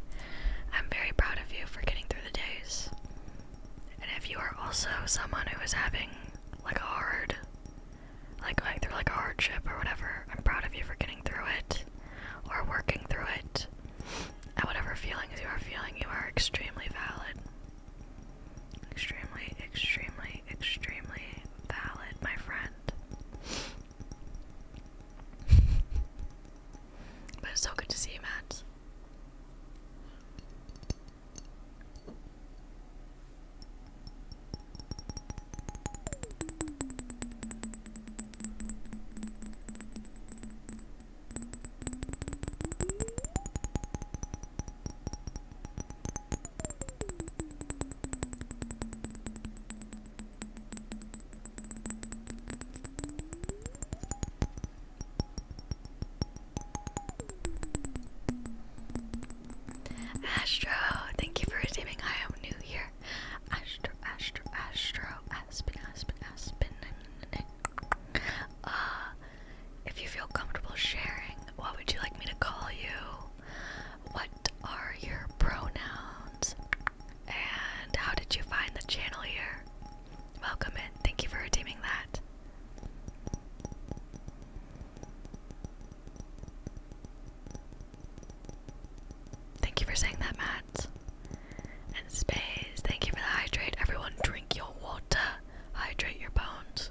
Speaker 1: I'm very proud of you for getting through the days. And if you are also someone who is having like a hard, like going through like a hardship or whatever, I'm proud of you for getting through it or working through it. At whatever feelings you are feeling, you are extremely valid. Extremely, extremely extremely, valid, my friend. but it's so good to see you, Matt. Astro, thank you for receiving. I'm new here. Astro, Astro, Astro, Aspen, Aspen, Aspen. Uh, if you feel comfortable sharing, what would you like me to call you? What are your pronouns? And how did you find the channel here? Welcome in. Thank you for redeeming that. Thank you for saying that, Matt. And Space, thank you for the hydrate. Everyone, drink your water. Hydrate your bones.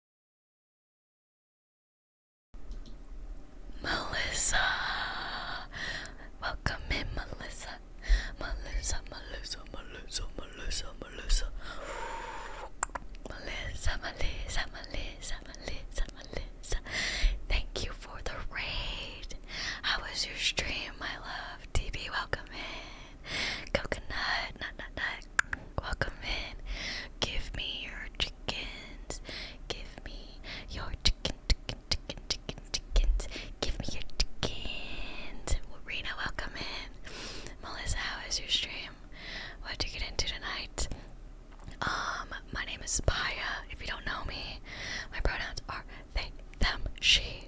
Speaker 2: Melissa,
Speaker 1: welcome in, Melissa. Melissa, Melissa, Melissa, Melissa, Melissa. Melissa, Melissa, Melissa, Melissa, Melissa. Thank you for the raid. How was your stream, my love? TV, welcome in. Coconut, nut, nut, nut. Welcome in. Give me your chickens. Give me your chicken, chicken, chicken, chickens. Give me your chickens. Rena, welcome in. Melissa, how is your stream? What did you get into tonight? Um, my name is Paya. If you don't know me, my pronouns are they, them, she.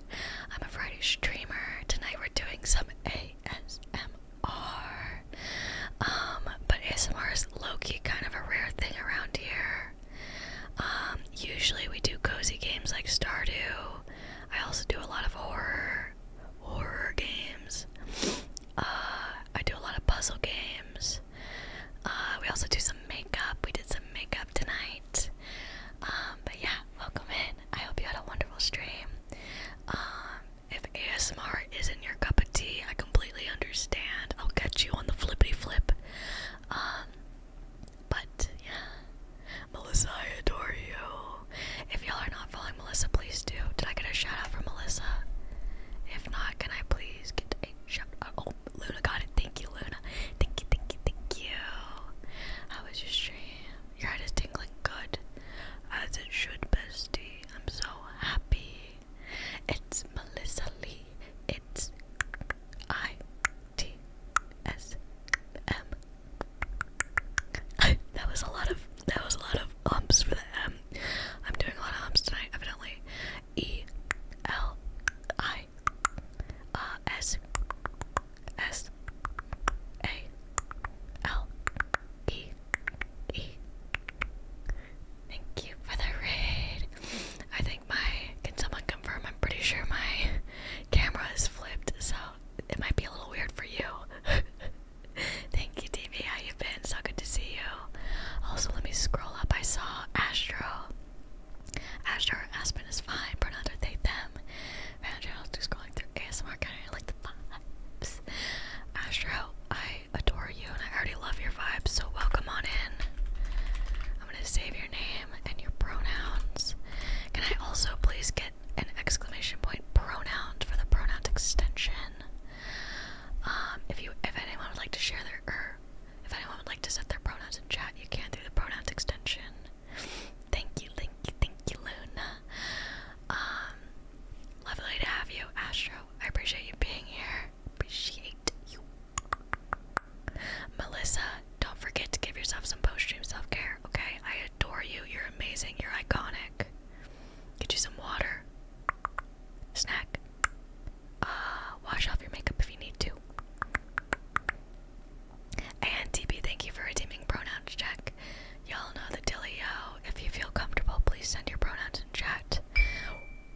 Speaker 1: I'm a Friday streamer. Tonight we're doing some ASMR. Um, but ASMR is low-key kind of a rare thing around here. Um, usually we do cozy games like Stardew. I also do a lot of horror horror games. Uh, I do a lot of puzzle games. Uh, we also do some makeup. We did some makeup tonight. Um, but yeah, welcome in. I hope you had a wonderful stream. If ASMR isn't your cup of tea, I completely understand. I'll catch you on the flippity flip. Um, but yeah, Melissa, I adore you. If y'all are not following Melissa, please do. Did I get a shout out from Melissa? If not, can I please get a shout out? Oh, Luna got it. Thank you, Luna. Thank you, thank you, thank you. How was your stream? Your head is tingling good, as it should, bestie. I'm so happy. It's Melissa Lee. It's I T S M. that was a lot of that was a lot of umps for the M. I'm doing a lot of umps tonight, evidently. E L I Thank you for the raid. I think my can someone confirm? I'm pretty sure my camera is flipped, so it might be a little weird for you. Thank you, TV. How you been? So good to see you. Also, let me scroll up. I saw Astro. Astro Aspen is fine. Pronounced they them. Man, I was just scrolling through ASMR. Kind like the vibes. Astro, I I adore you and I already love your vibe, so welcome on in. I'm gonna save your name and your pronouns. Can I also please get an exclamation point pronoun for the pronouns extension? Um, if you, if anyone would like to share their, er, if anyone would like to set their pronouns in chat, you can through the pronouns extension. thank you, thank you, thank you, Luna. Um, lovely to have you, Astro. I appreciate you being here. Melissa, don't forget to give yourself some post stream self care, okay? I adore you. You're amazing. You're iconic. Get you some water. Snack. Uh, wash off your makeup if you need to. And TB, thank you for redeeming pronouns check. Y'all know the dealio. If you feel comfortable, please send your pronouns in chat.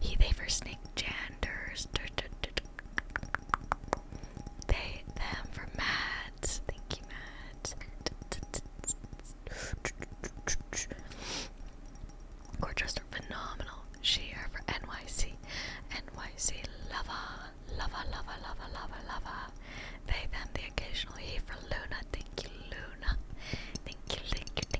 Speaker 1: He they for snake janders. They them for mads. Thank you, mads. Gorgeous are phenomenal. She are for NYC. NYC lava. Lava, lava, lava, lava, lava. They them the occasional he for Luna. Thank you, Luna. Thank you, thank you,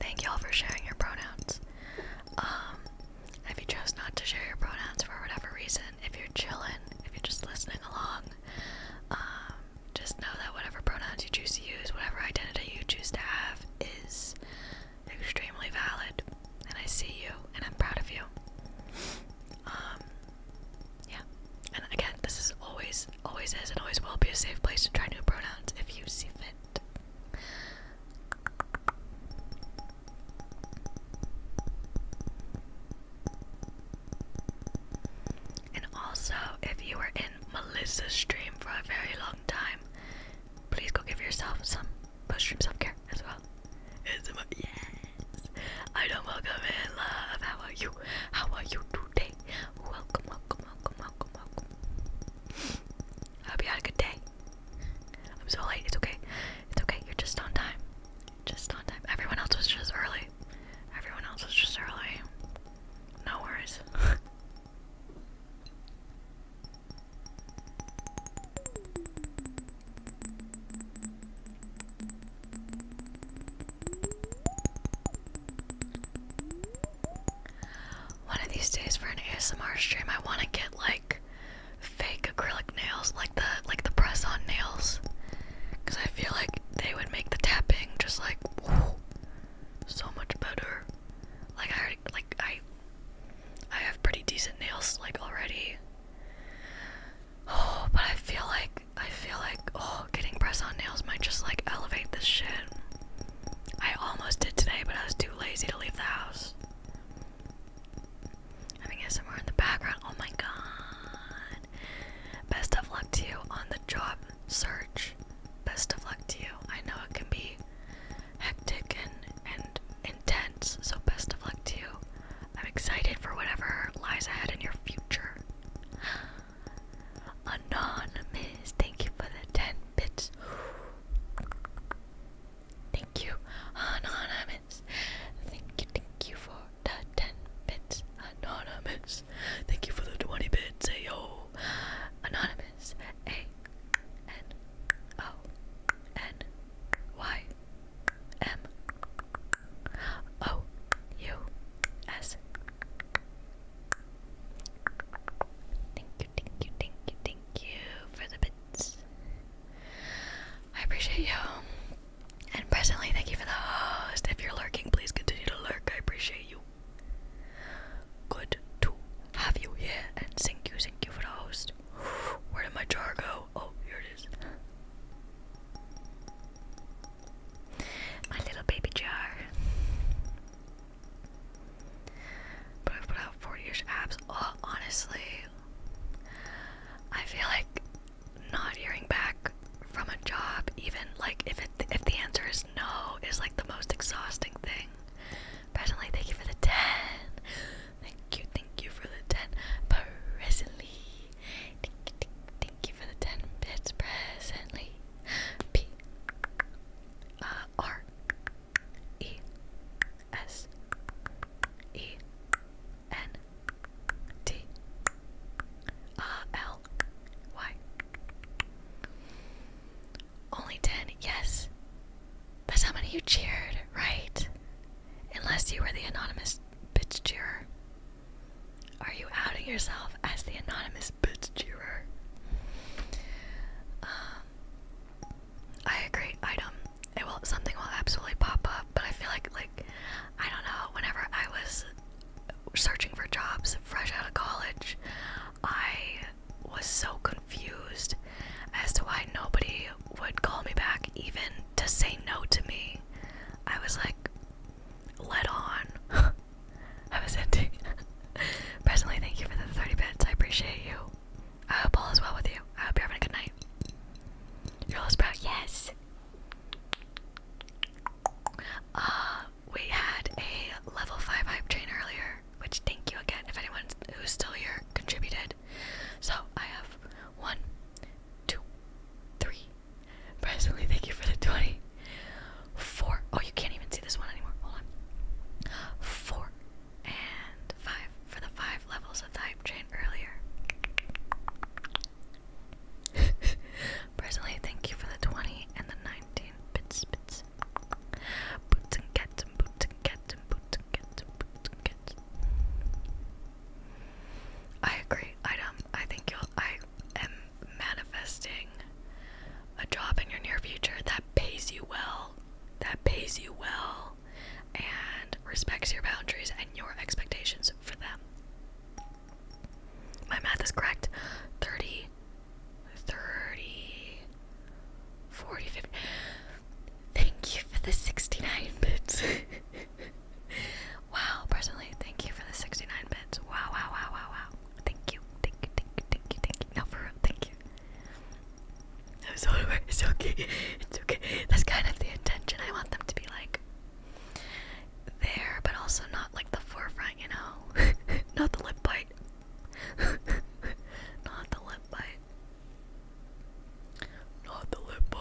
Speaker 1: Thank y'all for sharing your pronouns. Um, if you chose not to share your pronouns for whatever reason, if you're chilling, if you're just listening along, um, just know that whatever pronouns you choose to use, whatever identity you choose to have, is extremely valid. And I see you, and I'm proud of you. Um, yeah. And again, this is always, always is, and always will be a safe place to try new pronouns if you see fit. And also, if you were in Melissa's stream for a very long time, please go give yourself some pushroom self-care as well. Yes, I don't welcome in love. How are you? How are you today? Welcome, welcome, welcome, welcome, welcome. I hope you had a good day. I'm so late. It's okay. It's okay. You're just on time. Just on time. Everyone else was just early. Everyone else was just early. No worries. One of these days for an ASMR stream, I want to get like fake acrylic nails, like the like the press-on nails, because I feel like they would make the tapping just like whoa, so much better. Like I already, like I I have pretty decent nails like already. Oh, but I feel like I feel like oh, getting press-on nails might just like elevate this shit. I almost did today, but I was too lazy to leave the house. I mean, somewhere in the background. Oh my god. Best of luck to you on the job search. Best of luck to you. I know it can be hectic and, and intense, so best of luck to you. I'm excited for whatever lies ahead in your future. Anonymous, thank you for the 10 bits. Thank you, Anonymous. Thank you, thank you for the 10 bits, Anonymous. Thank you for the 20 bits, ayo. Anonymous, A N O N Y M O U S. Thank thank you, thank you, thank you for the bits. I appreciate you. And presently, thank you for the host. If you're lurking, please continue to lurk. I appreciate you. Good to have you here, and thank you, thank you for the host. Where did my jar go? Oh, here it is. My little baby jar. But I've put out 40ish abs. Oh, honestly, I feel like not hearing back from a job, even like if it if the answer is no, is like the most exhausting thing. Presently, thank you for the ten. Thank you, thank you for the ten. Presently, thank you, thank, you for the ten bits. Presently, P. Uh, E S E N T R L Y. Only 10, yes. That's how many you cheered, right? Unless you were the anonymous bitch cheerer. Are you outing yourself as the anonymous bitch cheerer? Uh, I agree item. It will something will absolutely pop up, but I feel like like I don't know, whenever I was searching for jobs fresh out of college, I was so confused as to why nobody would call me back even to say no to me. I was like let on. I was ending Presently, thank you for the 30 bits. I appreciate you. I hope all is well with you. I hope you're having a good night. You're all sprout, yes. Uh, we had a level 5 hype train earlier, which thank you again if anyone who's still here contributed. So I have one, two, three. Presently, thank you for the 20. Oh, you can't even see this one anymore. Hold on. Four and five for the five levels of the hype earlier. Personally, thank you for the 20 and the 19 I agree, item. Um, I think you'll I am manifesting a job in your near future that pays you well that pays you well and respects your boundaries and your expectations for them. My math is correct. 30, 30, 40, Thank you for the 69 bits. wow, personally, thank you for the 69 bits. Wow, wow, wow, wow, wow. Thank you, thank you, thank thank thank No, for real, thank you it's okay, it's okay. That's kind of the intention. I want them to be like there, but also not like the forefront, you know? not the lip bite. not the lip bite. Not the lip bite.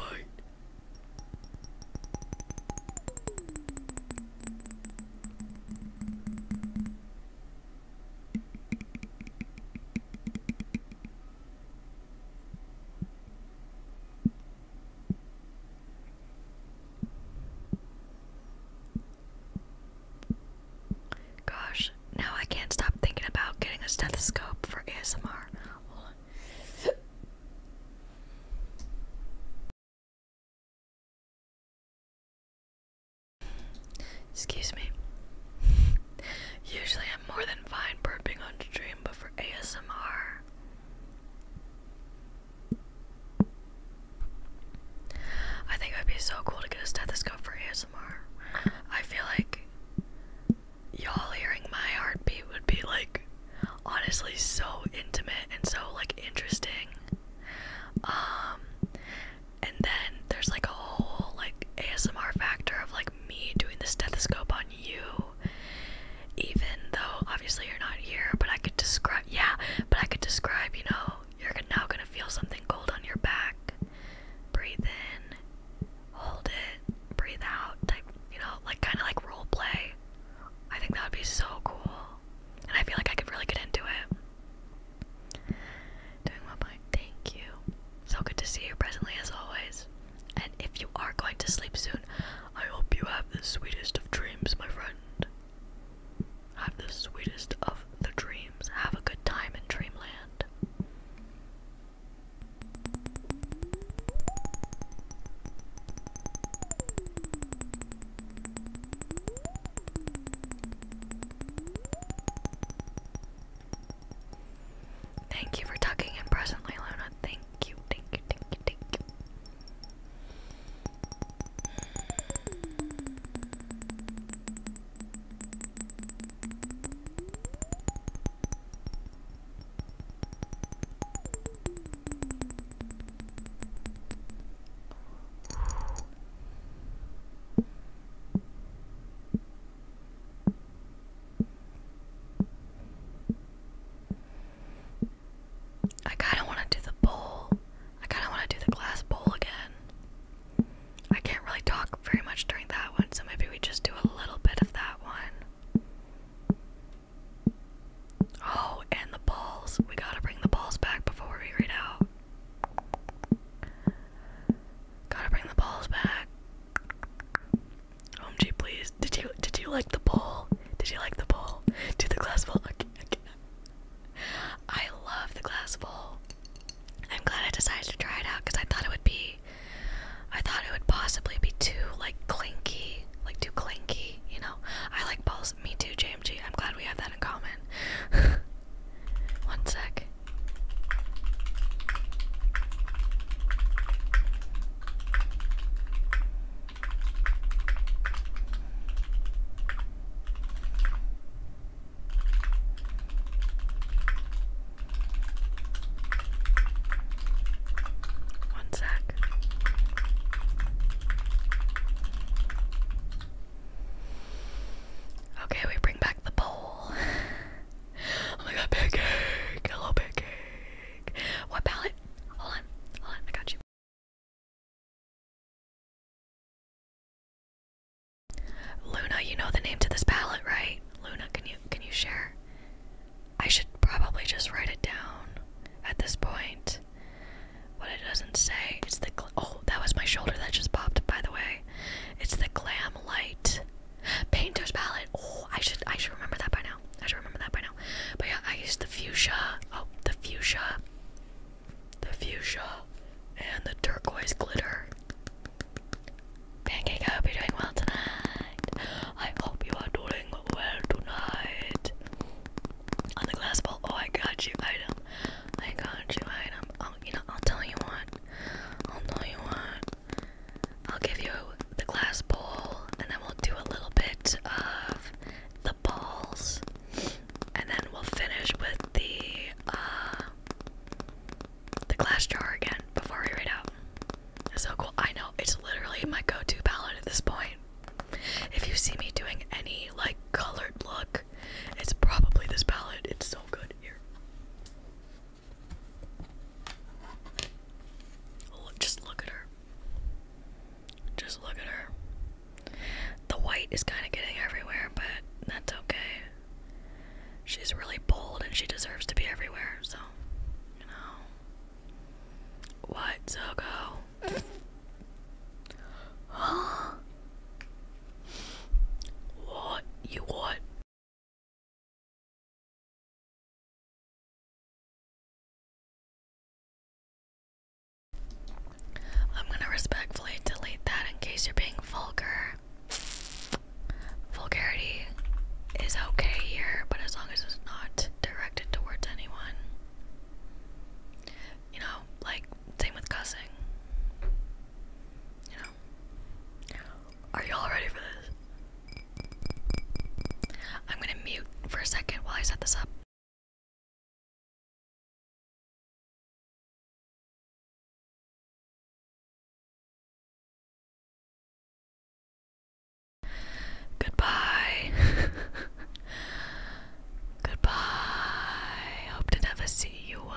Speaker 1: Gosh, now I can't stop thinking about getting a stethoscope for ASMR. Excuse me. Usually I'm more than fine burping on stream, but for ASMR. I think it would be so cool to get a stethoscope for ASMR. I feel like y'all hearing my heartbeat would be like honestly so intimate and so like interesting. Um and then there's like a whole like ASMR factor of like me doing the stethoscope on you even though obviously you're not here but I could describe yeah but I could describe you know you're now gonna feel something cold on your back breathe in hold it breathe out type you know like kind of like role play I think that would be so cool and I feel like I could really get into it Doing well, bye. Thank you. So good to see you presently, as always. And if you are going to sleep soon, I hope you have the sweetest of dreams, my friend. Have the sweetest of the dreams. Have a good time in dreamland. Thank you for tucking in presently, Luna. Thank you, thank you, thank you, thank you. I kind of want to do the bowl. I kind of want to do the glass bowl again. I can't really talk very much during that one, so maybe we just do a little bit of that one. Oh, and the balls. We gotta bring the balls back before we read out. Gotta bring the balls back. OMG, please. Did you did you like the bowl? Did you like the bowl? Do the glass bowl. I love the glass bowl. I'm glad I decided to try it out because I thought it would be. I thought it would possibly be too like clinky, like too clinky. You know, I like balls. Me too, JMG. I'm glad we have that in common. One sec. One sec. Okay, we bring back the bowl oh my god, pancake! Hello, pancake! What palette? Hold on, hold on, I got you.
Speaker 2: Luna, you know the name to this palette,
Speaker 1: right? Luna, can you can you share? I should probably just write it down at this point. What it doesn't say, it's the oh, that was my shoulder that just popped. By the way, it's the glam light painter's palette oh i should i should remember that by now i should remember that by now but yeah i used the fuchsia oh the fuchsia the fuchsia and the turquoise glitter pancake i hope you're doing well tonight i hope you are doing well tonight on the glass bowl oh i got you item i got you item oh you know i'll tell you what I'll know you want. I'll give you the glass bowl, and then we'll do a little bit of the balls, and then we'll finish with the uh, the glass jar again before we read out. It's so cool. I know it's literally my go-to palette at this point. If you see me doing any like colored look, it's probably this palette. It's so good here. Oh, just look at her. Just look at her. The white is kind of getting everywhere, but that's okay. She's really bold and she deserves to be everywhere, so, you know. What, Zogo? Huh? What? You
Speaker 2: what? I'm gonna respectfully
Speaker 1: delete that in case you're being vulgar. Vulgarity is okay here, but as long as it's not directed towards anyone. You know, like, same with cussing. Are y'all ready for this?
Speaker 2: I'm gonna mute for a second while I set this up. Goodbye.
Speaker 1: Goodbye. Hope to never see you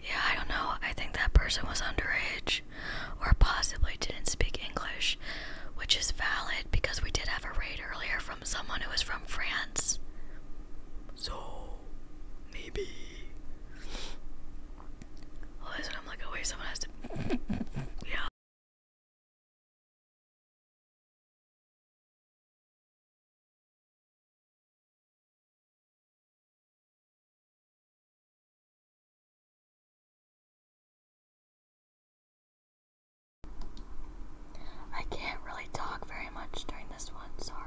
Speaker 1: Yeah, I don't know. I think that person was underage or possibly didn't speak English, which is valid because we did have a raid earlier from someone who was from France. So, maybe. Well, that's I'm like, oh, wait, someone has to. yeah. I can't really talk very much during this one, sorry.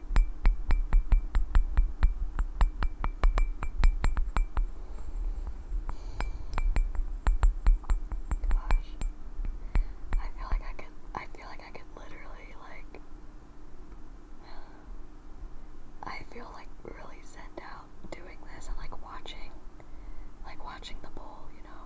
Speaker 1: Gosh. I feel like I could I feel like I could literally like I feel like really sent out doing this and like watching like watching the bowl, you know.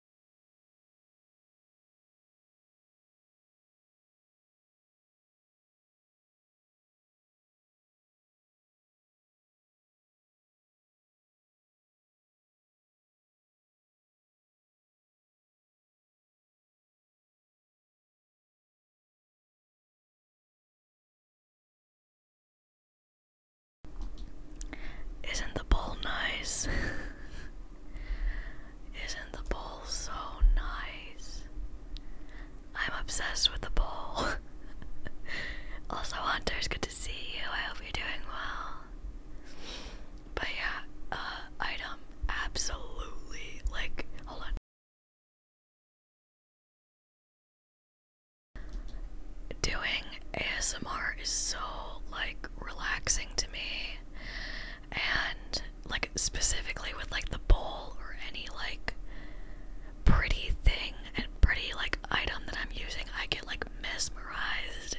Speaker 1: Isn't the bowl nice? Isn't the bowl so nice? I'm obsessed with the bowl. also, Hunters, good to see you. I hope you're doing well. But yeah, uh, item absolutely like. Hold on. Doing ASMR is so like relaxing to me and like specifically with like the bowl or any like pretty thing and pretty like item that I'm using, I get like mesmerized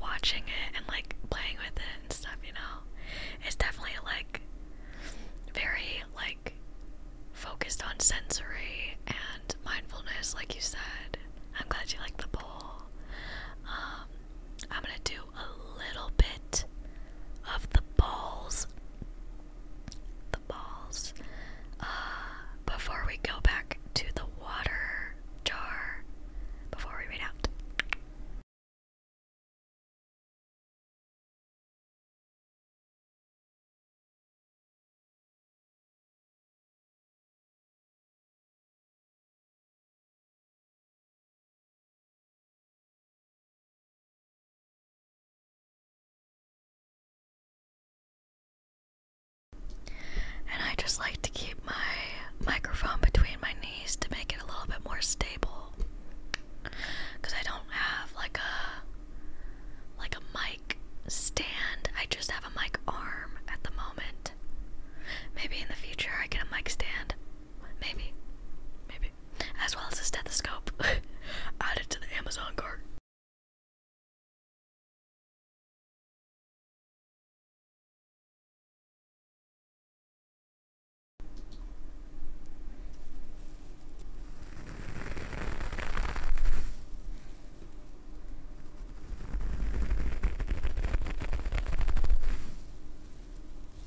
Speaker 1: watching it and like playing with it and stuff, you know. It's definitely like very like focused on sensory and mindfulness like you said. I'm glad you like the bowl. Um I'm gonna do a little bit of the balls, the balls, uh, before we go back to the water jar, before we read out. And I just like to keep my microphone between my knees to make it a little bit more stable. Cuz I don't have like a like a mic stand. I just have a mic arm at the moment. Maybe in the future I get a mic stand. Maybe. Maybe. As well as a stethoscope add it to the Amazon cart.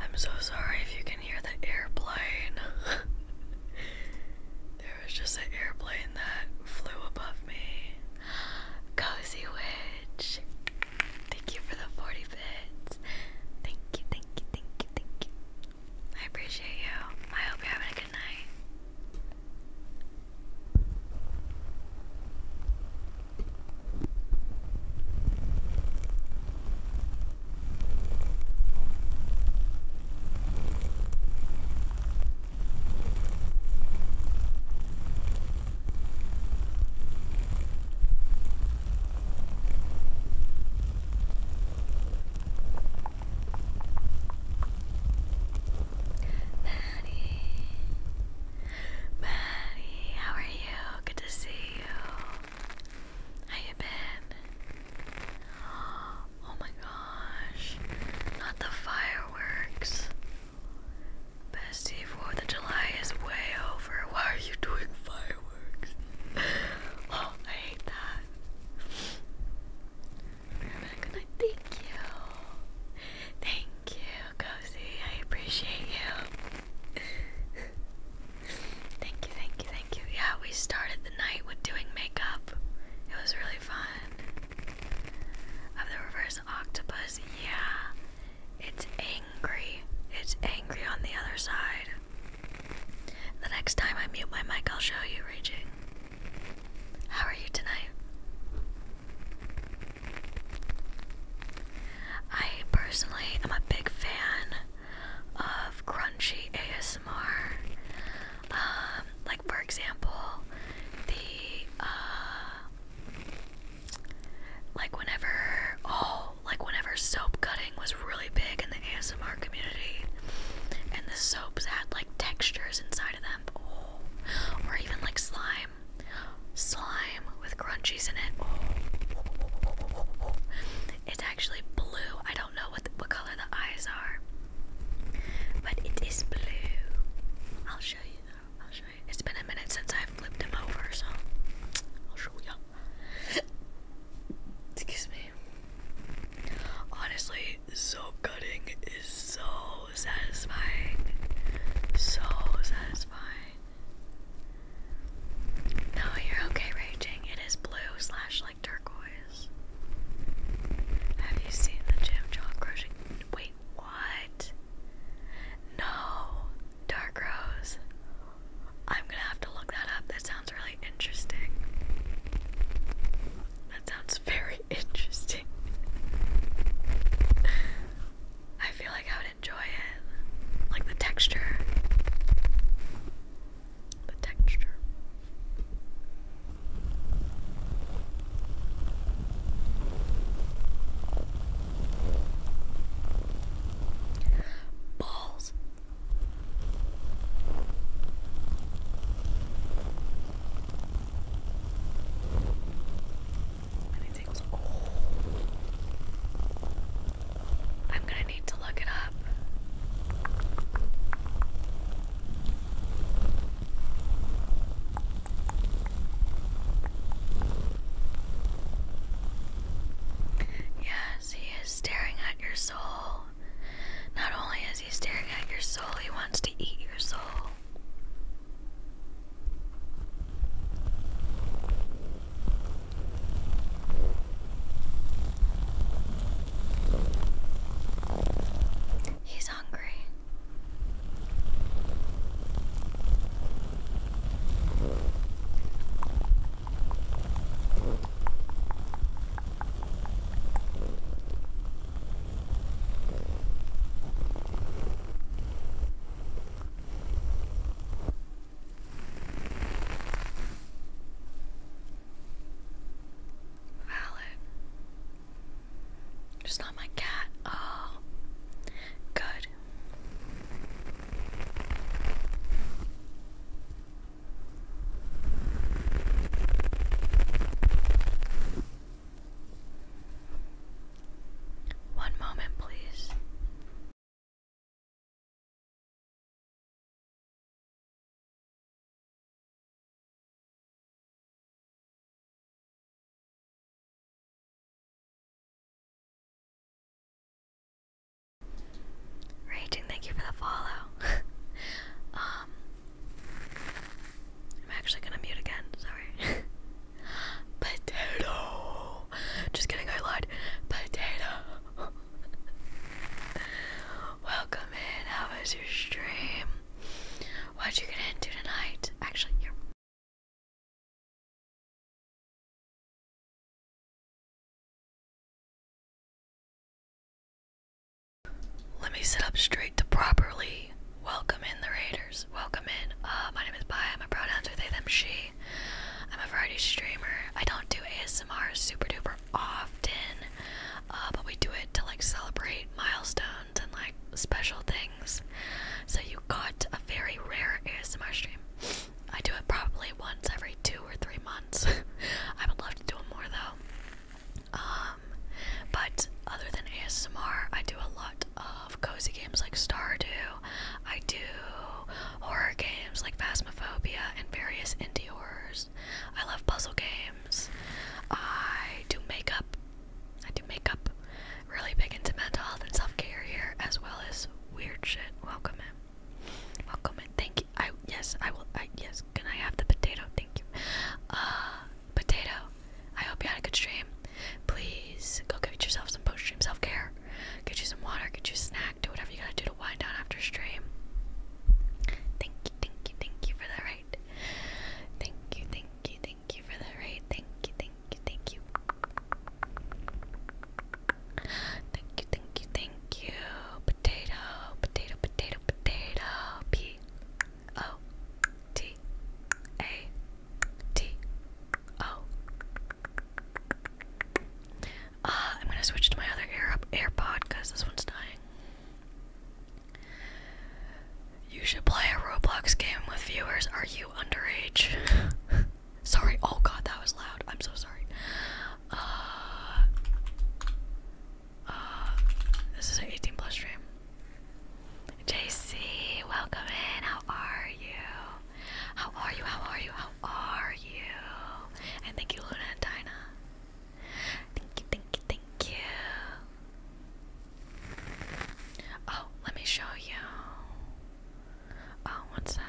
Speaker 1: I'm so sorry if you can hear the airplane. there was just an airplane that flew above me. Cozy Witch. Thank you for the 40 bits. Thank you, thank you, thank you, thank you. I appreciate you. I hope you're having a good night. Patty, Maddie, how are you? Good to see you. How you been? Oh my gosh. Not the fireworks. Bestie, 4th of July is way over. Why are you doing fireworks? oh, I hate that. Rebecca, thank you. Thank you. Cozy. I appreciate you. thank you, thank you, thank you. Yeah, we started the night with doing makeup. It was really fun. Of the reverse octopus, yeah. It's angry. It's angry on the other side. The next time I mute my mic, I'll show you raging. How are you tonight? I personally am a big fan of crunchy ASMR. Um, like, for example, the, uh, like, whenever, oh, like, whenever soap cutting was really big in the ASMR community, and the soaps had, like, textures inside of them, oh, or even, like, slime slime with crunchies in it. It's actually blue. I don't know what what color the eyes are, but it is blue. I'll show you. Though. I'll show you. It's been a minute since I've flipped him over, so I'll show you. Excuse me. Honestly, soap cutting is so satisfying. So satisfying. No, oh, you're okay, Raging. It is blue slash like turquoise. Have you seen the Jim John Crochet? Wait, what? No, Dark Rose. I'm gonna have to look that up. That sounds really interesting. That sounds very interesting. I feel like I would enjoy it. Like the texture. The texture. Balls. Oh. I'm gonna need to look it up. Yes, he is staring at your soul. Not only is he staring at your soul, he wants to eat your soul. He's hungry. Valid. Just not my cat. Oh, good. One moment, please.
Speaker 2: Raging, thank you for the follow.
Speaker 1: um, I'm actually gonna mute again, sorry. Potato. Just kidding, I lied. Potato. Welcome in. How was your stream? What'd you get into tonight? Actually, Let me sit up straight to properly welcome in the raiders. Welcome in. Uh, my name is Bai. I'm a they, them, she. I'm a variety streamer. I don't do ASMR super duper often, uh, but we do it to like celebrate milestones and like special things. So you got a very rare ASMR stream. I do it probably once every two or three months. I would love to do it more though. Um, but other than ASMR, I do a lot of cozy games like Stardew I do horror games like Phasmophobia and various indie horrors. I love puzzle games. I do makeup. I do makeup. Really big into mental health and self care here, as well as weird shit. Welcome in. Welcome in. Thank you. I yes. I will. I yes. Can I have the potato? Thank you. Uh, potato. I hope you had a good stream. Please go give yourself some post stream self care. Get you some water, get you a snack, do whatever you gotta do to wind down after stream. Thank you, thank you, thank you for the raid. Thank you, thank you, thank you for the raid. Thank you, thank you, thank you. Thank you, thank you, thank you. Potato, potato, potato, potato. P O T A T O Ah, I'm gonna switch to my other AirPod because this one's dying. You should play a Roblox game with viewers. Are you underage? sorry. Oh God, that was loud. I'm so sorry. Uh, uh, this is an 18 plus stream. JC, welcome in. How are you? How are you? How are you? How are you? And thank you, Luna and Dinah. Thank you, thank you, thank you. Oh, let me show you. Oh, one sec.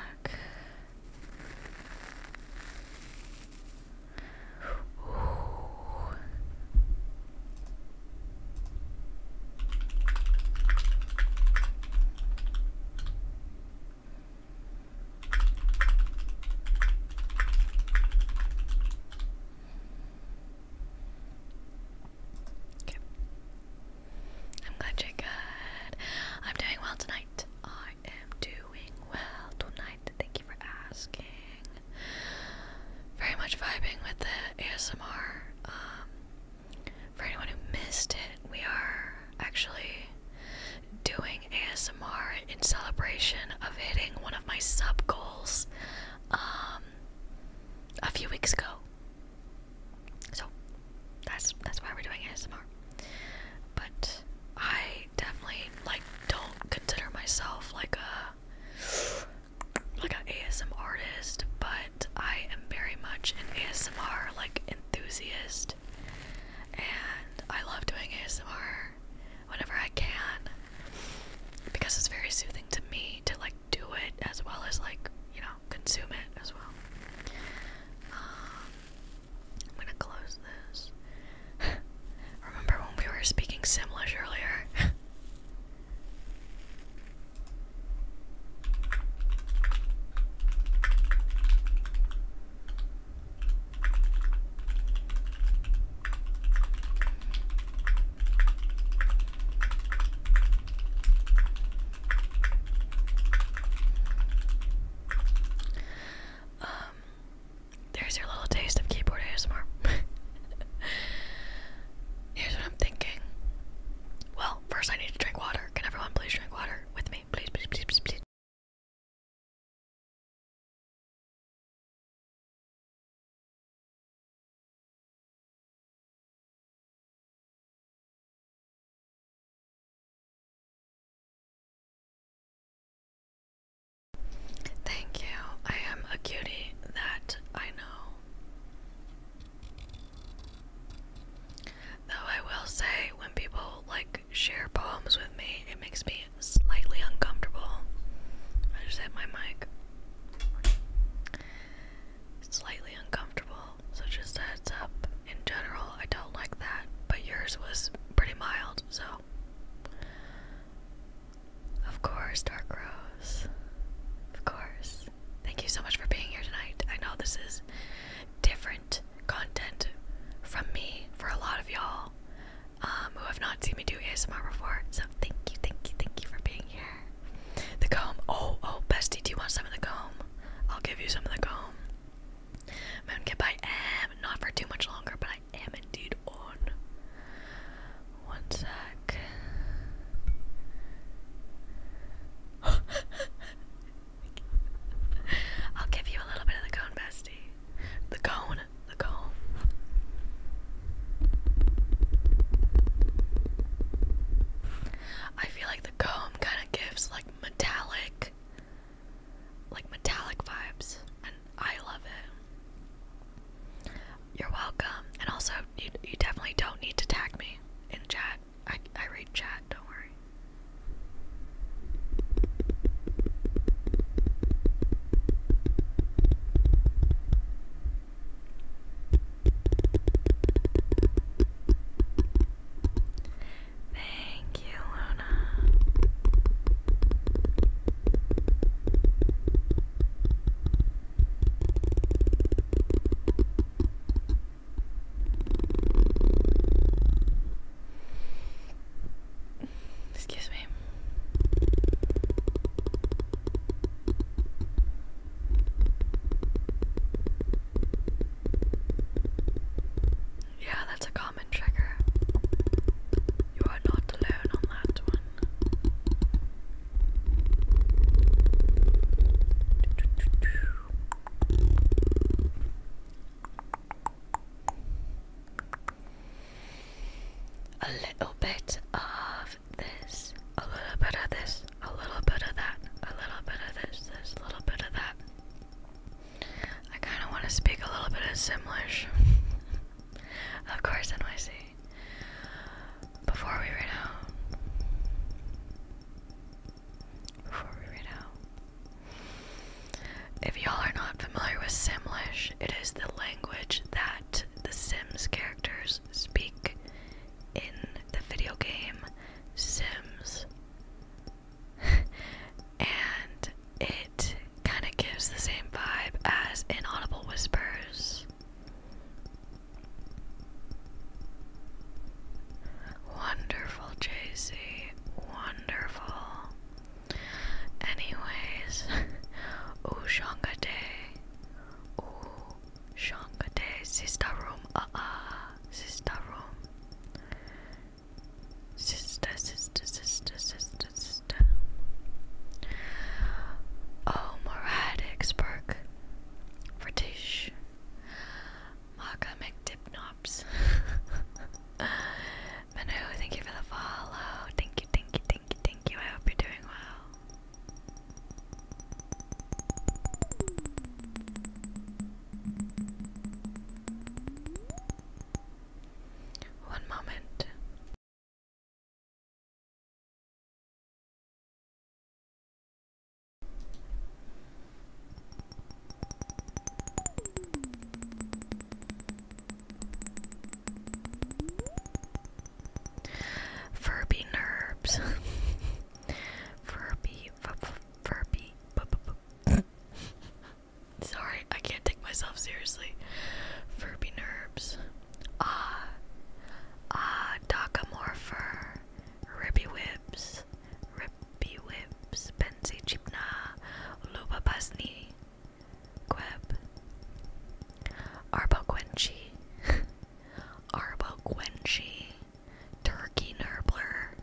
Speaker 1: I'm glad you're good. I'm doing well tonight. I am doing well tonight. Thank you for asking. Very much vibing with the ASMR. Um, for anyone who missed it, we are actually doing ASMR in celebration of hitting one of my sub goals um, a few weeks ago. So that's that's why we're doing ASMR. But I definitely like don't consider myself like a like an ASMR artist, but I am very much an ASMR like enthusiast, and I love doing ASMR whenever I can because it's very soothing to me to like do it as well as like you know consume it as well. Um, I'm gonna close this. Remember when we were speaking Simlish earlier? Um, there's your little taste of keyboard ASMR. Here's what I'm thinking. Well, first I need to drink water. Can everyone please drink water with me? please, please, please, please, please. Thank you. I am a cutie that I know. Though I will say, when people like share poems with me, it makes me slightly uncomfortable. I just hit my mic. Slightly uncomfortable, so just a heads up. In general, I don't like that, but yours was pretty mild, so. Of course, Dark Rose. Of course. Thank you so much for being here tonight. I know this is different content from me for a lot of y'all um, who have not seen me do ASMR before. So thank you, thank you, thank you for being here. The comb. Oh, oh, bestie, do you want some of the comb? I'll give you some of the comb. Moonkip, I am not for too much longer, but I am indeed on. One sec. I'll give you a little bit of the cone, bestie. The cone, the cone. I feel like the comb kind of gives like metallic, like metallic vibes, and I love it. You're welcome, and also you, you definitely don't need to tag me in chat. I, I read chat, don't worry. Thank you, Luna. Excuse me. Yeah, that's a common trigger. You are not alone on that one. A little bit of this, a little bit of this, a little bit of that, a little bit of this, this, a little bit of that. I kind of want to speak a little bit of Simlish. of course, NYC. Before we ran out. If y'all are not familiar with Simlish, it is the language that the Sims characters speak in the video game Sims. and it kind of gives the same vibe as Inaudible Whispers. Wonderful, JC. Wonderful. Anyways, ooh, Shanga Day. Ooh, Sister room. Uh Sister room. Sister, sister, sister, sister, sister. Oh, Morad Experk. Marco McDipnops. Manu, thank you for the follow. Thank you, thank you, thank you, thank you. I hope you're doing well. One moment. Furby nerves. Furby. Furby. Sorry, I can't take myself seriously. Furby nerves. Ah. Ah, docamorpher. Ribby whips. Rippy whips, pensy chipna, luba pasni, queb, arba quenchi, arba quenchi, turkey nurbler,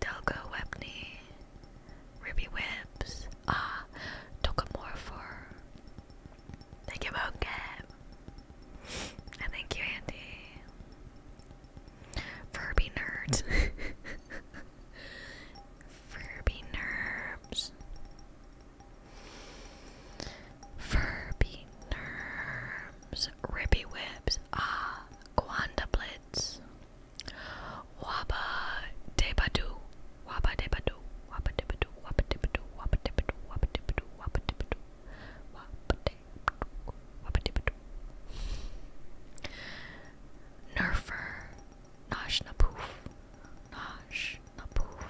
Speaker 1: delgo webney, ribby whips, ah, for. Thank you, Moke. And thank you, Andy. Furby nerds. Furby nerds. Furby nerds. Ribby whips. Ah, Quandablitz. Wabba debadoo. Wabba debadoo. Wabba debadoo. Wabba debadoo. Wabba debadoo. Wabba debadoo. Wabba debadoo. Wabba Nerfer, Nosh Napoof, Nosh Napoof,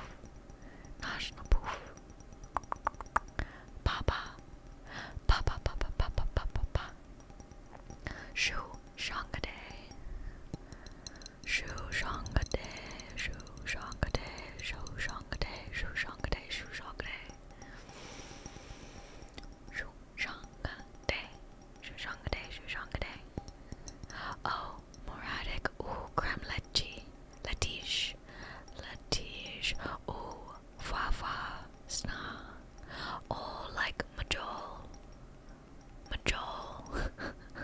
Speaker 1: Nosh Napoof, Papa, Papa, Papa, Papa, Papa, Papa, Shu Shangade, Shu Shangade, Shu Shangade, Shu Shangade, Shu Shangade, Shu Shangade. Shushangade. Shushangade, Shushangade. Oh, Moradic. Ooh, creme leche. Latish. Latish. Ooh, fa Sna. Oh, like majol. Majol.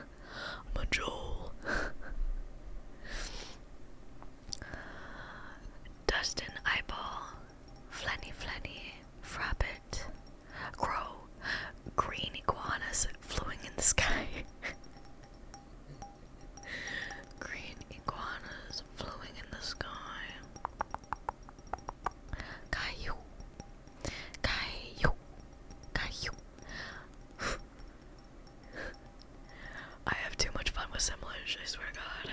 Speaker 1: majol. Dustin Eyeball. Flanny, Flanny, rabbit, Crow, Green Iguanas flowing in the sky. Green Iguanas flowing in the sky. Caillou, Caillou, Caillou. I have too much fun with similars, I swear God.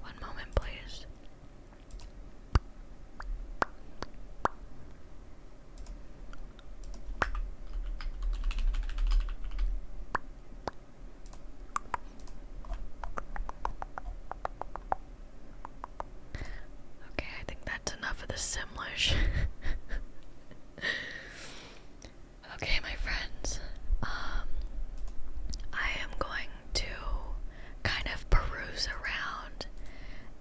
Speaker 1: One moment, please. Okay, I think that's enough of the Simlish. okay, my friends. Um I am going to kind of peruse around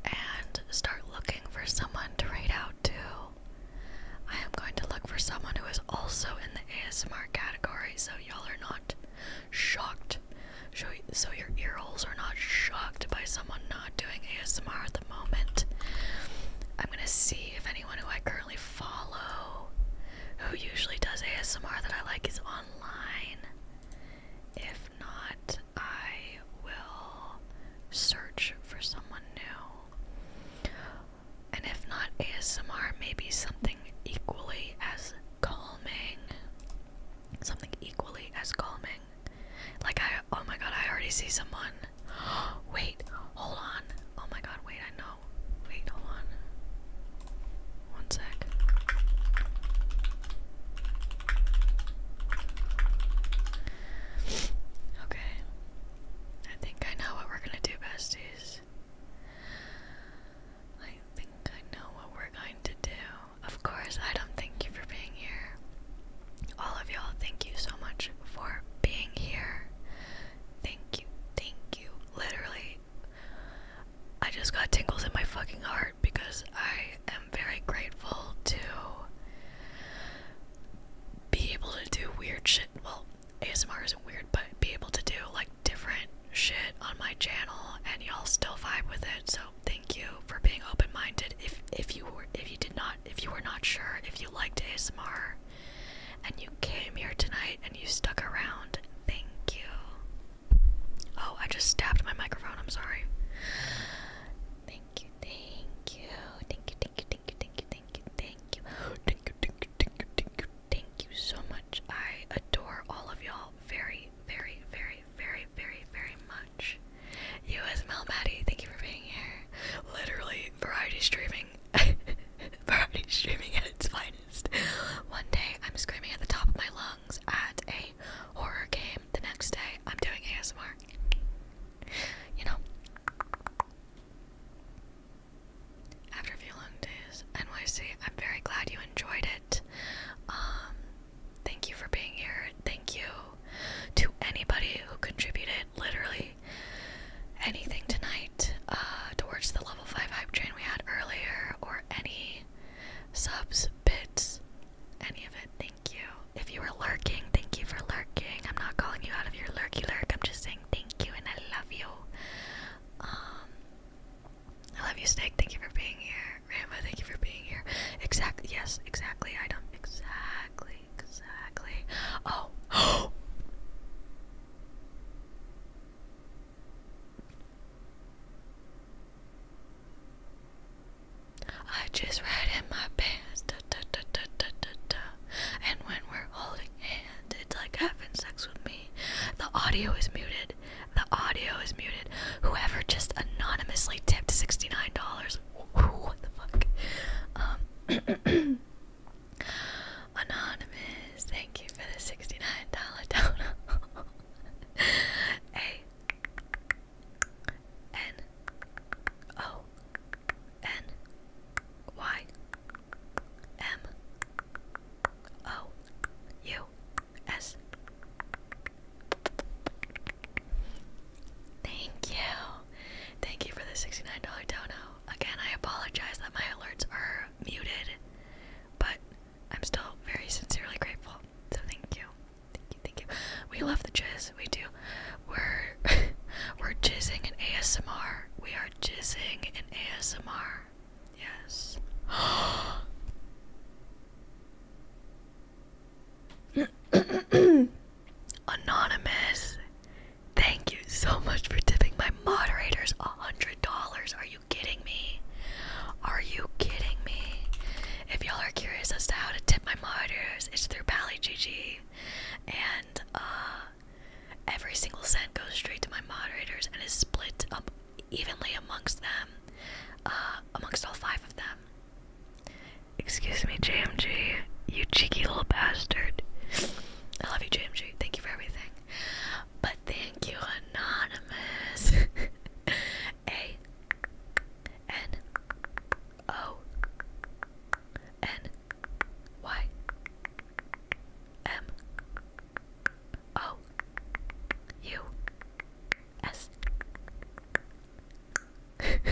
Speaker 1: and start looking for someone to raid out to. I am going to look for someone who is also in ASMR category, so y'all are not shocked. So your ear holes are not shocked by someone not doing ASMR at the moment. I'm gonna see if anyone who I currently follow, who usually does ASMR that I like, is online. If not, I will search for someone new. And if not ASMR, maybe something equally as calming. Something equally as calming. Like, I, oh my god, I already see someone.
Speaker 2: wait, hold on.
Speaker 1: Oh my god, wait, I know. Wait, hold on. One sec. Okay. I think I know what we're gonna do, besties. I think I know what we're going to do. Of course, I don't thank you for being here. All of y'all, thank you so much for being here. Thank you, thank you. Literally, I just got tingles in my fucking heart because I am very grateful to be able to do weird shit. Well, ASMR isn't weird, but be able to do like different shit on my channel and y'all still vibe with it. So thank you for being open-minded. If if you were if you did not if you were not sure if you liked ASMR and you came here tonight and you stuck around, thank you. Oh, I just stabbed my microphone, I'm sorry. Thank you, thank you, thank you, thank you, thank you, thank you, thank you, thank you, thank you, Thank you so much. I adore all of y'all very, very, very, very, very, very much. You as well, Maddie. Thank you for being here. Literally, variety streaming. variety streaming at its finest. One day, I'm screaming at the top of my lungs at a horror game. The next day, I'm doing ASMR. You know? after a few long days. NYC, I'm very glad you enjoyed it. Um, thank you for being here. Thank you to anybody who contributed literally anything tonight uh, towards the level 5 hype train we had earlier or any subs, bits, any of it. Thank you. If you were lurking, thank you for lurking. I'm not calling you out of your lurky lurk. I'm just saying thank you and I love you. Um, I love you, Snake. Thank you for being here. Rama, thank you for being here. Exactly. Yes, exactly. I don't. Exactly. Exactly. Oh. I just read in my pants, da, da, da, da, da, da, da. and when we're holding and it's like having sex with me. The audio is muted. The audio is muted. Whoever just anonymously tipped sixty-nine dollars. What the fuck? Um, anonymous. Thank you for the sixty-nine dollar donut. A N O N Y M O U S. Thank you. Thank you for the $69 dono. Again, I apologize that my alerts are muted, but I'm still very sincerely grateful. So thank you. Thank you, thank you. We love the jizz, we do. We're we're jizzing an ASMR. We are jizzing an ASMR. Yes. Anonymous, thank you so much for tipping my moderators a hundred dollars. Are you kidding me? Are you kidding me? If y'all are curious as to how to tip my moderators, it's through PallyGG, and uh, every single cent goes straight to my moderators and is split up evenly amongst them, uh, amongst all five of them. Excuse me, JMG, you cheeky little bastard. I love you, JMG. Thank you for everything. But thank you, Anonymous. A N O N Y M O U S. thank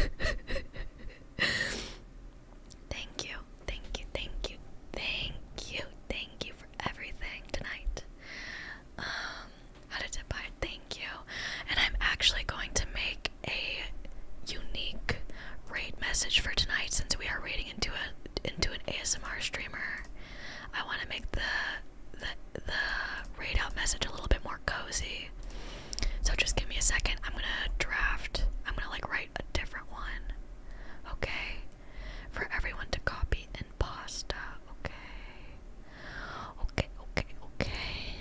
Speaker 1: you, thank you, thank you, thank you, thank you for everything tonight. Um, how to divide? Thank you, and I'm actually going to make a unique rate message for tonight since we are raiding into a into an ASMR streamer. I want to make the, the the read out message a little bit more cozy. So just give me a second. I'm gonna draft. I'm gonna like write a different one. Okay, for everyone to copy and pasta. Okay. Okay. Okay. Okay.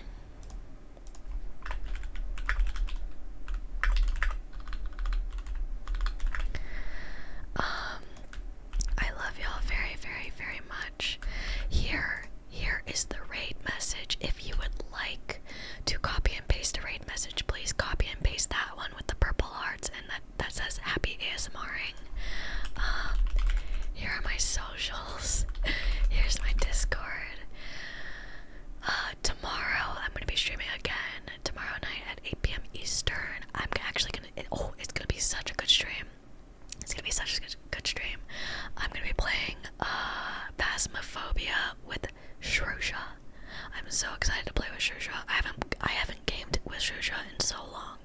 Speaker 1: Um, I love y'all very, very, very much. Here, here is the raid message. If you would like to copy and paste the raid message, please copy and paste that one with the purple hearts and that that says happy ASMRing. Um, here are my socials. Here's my Discord. Uh, tomorrow I'm gonna be streaming again. Tomorrow night at 8 p.m. Eastern. I'm actually gonna oh it's gonna be such a good stream. It's gonna be such a good, good stream. I'm gonna be playing uh Phasmophobia with Shrosha. I'm so excited to play with Shrosha. I haven't I haven't gamed with Shrosha in so long.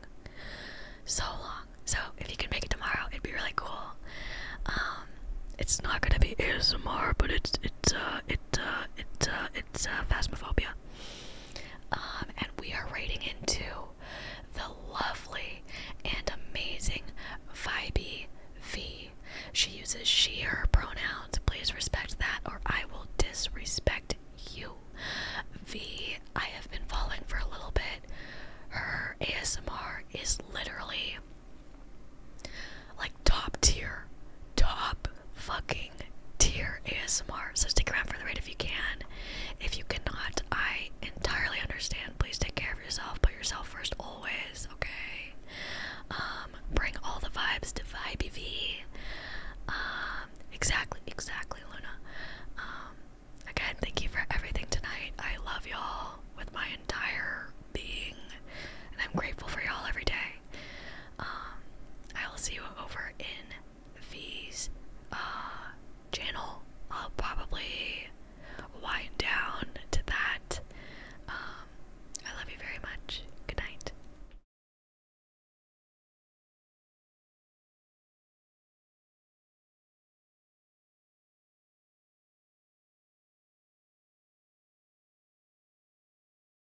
Speaker 1: So long. So if you can make it tomorrow, it'd be really cool. Um it's not gonna be ASMR, but it's it's uh it uh it uh it's uh, Phasmophobia. Um, and we are raiding into the lovely and amazing Vibe V. She uses she, her pronouns. Please respect that, or I will disrespect you. V, I have been following for a little bit. Her ASMR is literally like top tier, top fucking tear ASMR. So stick around for the rate if you can. If you cannot, I entirely understand. Please take care of yourself. Put yourself first always, okay? Um, bring all the vibes to Vibe V. Um, exactly, exactly, Luna. Um, again, thank you for everything tonight. I love y'all with my entire being, and I'm grateful for y'all every day. Um, I will see you over in these uh channel I'll probably wind down to that. Um, I love you very much. Good night.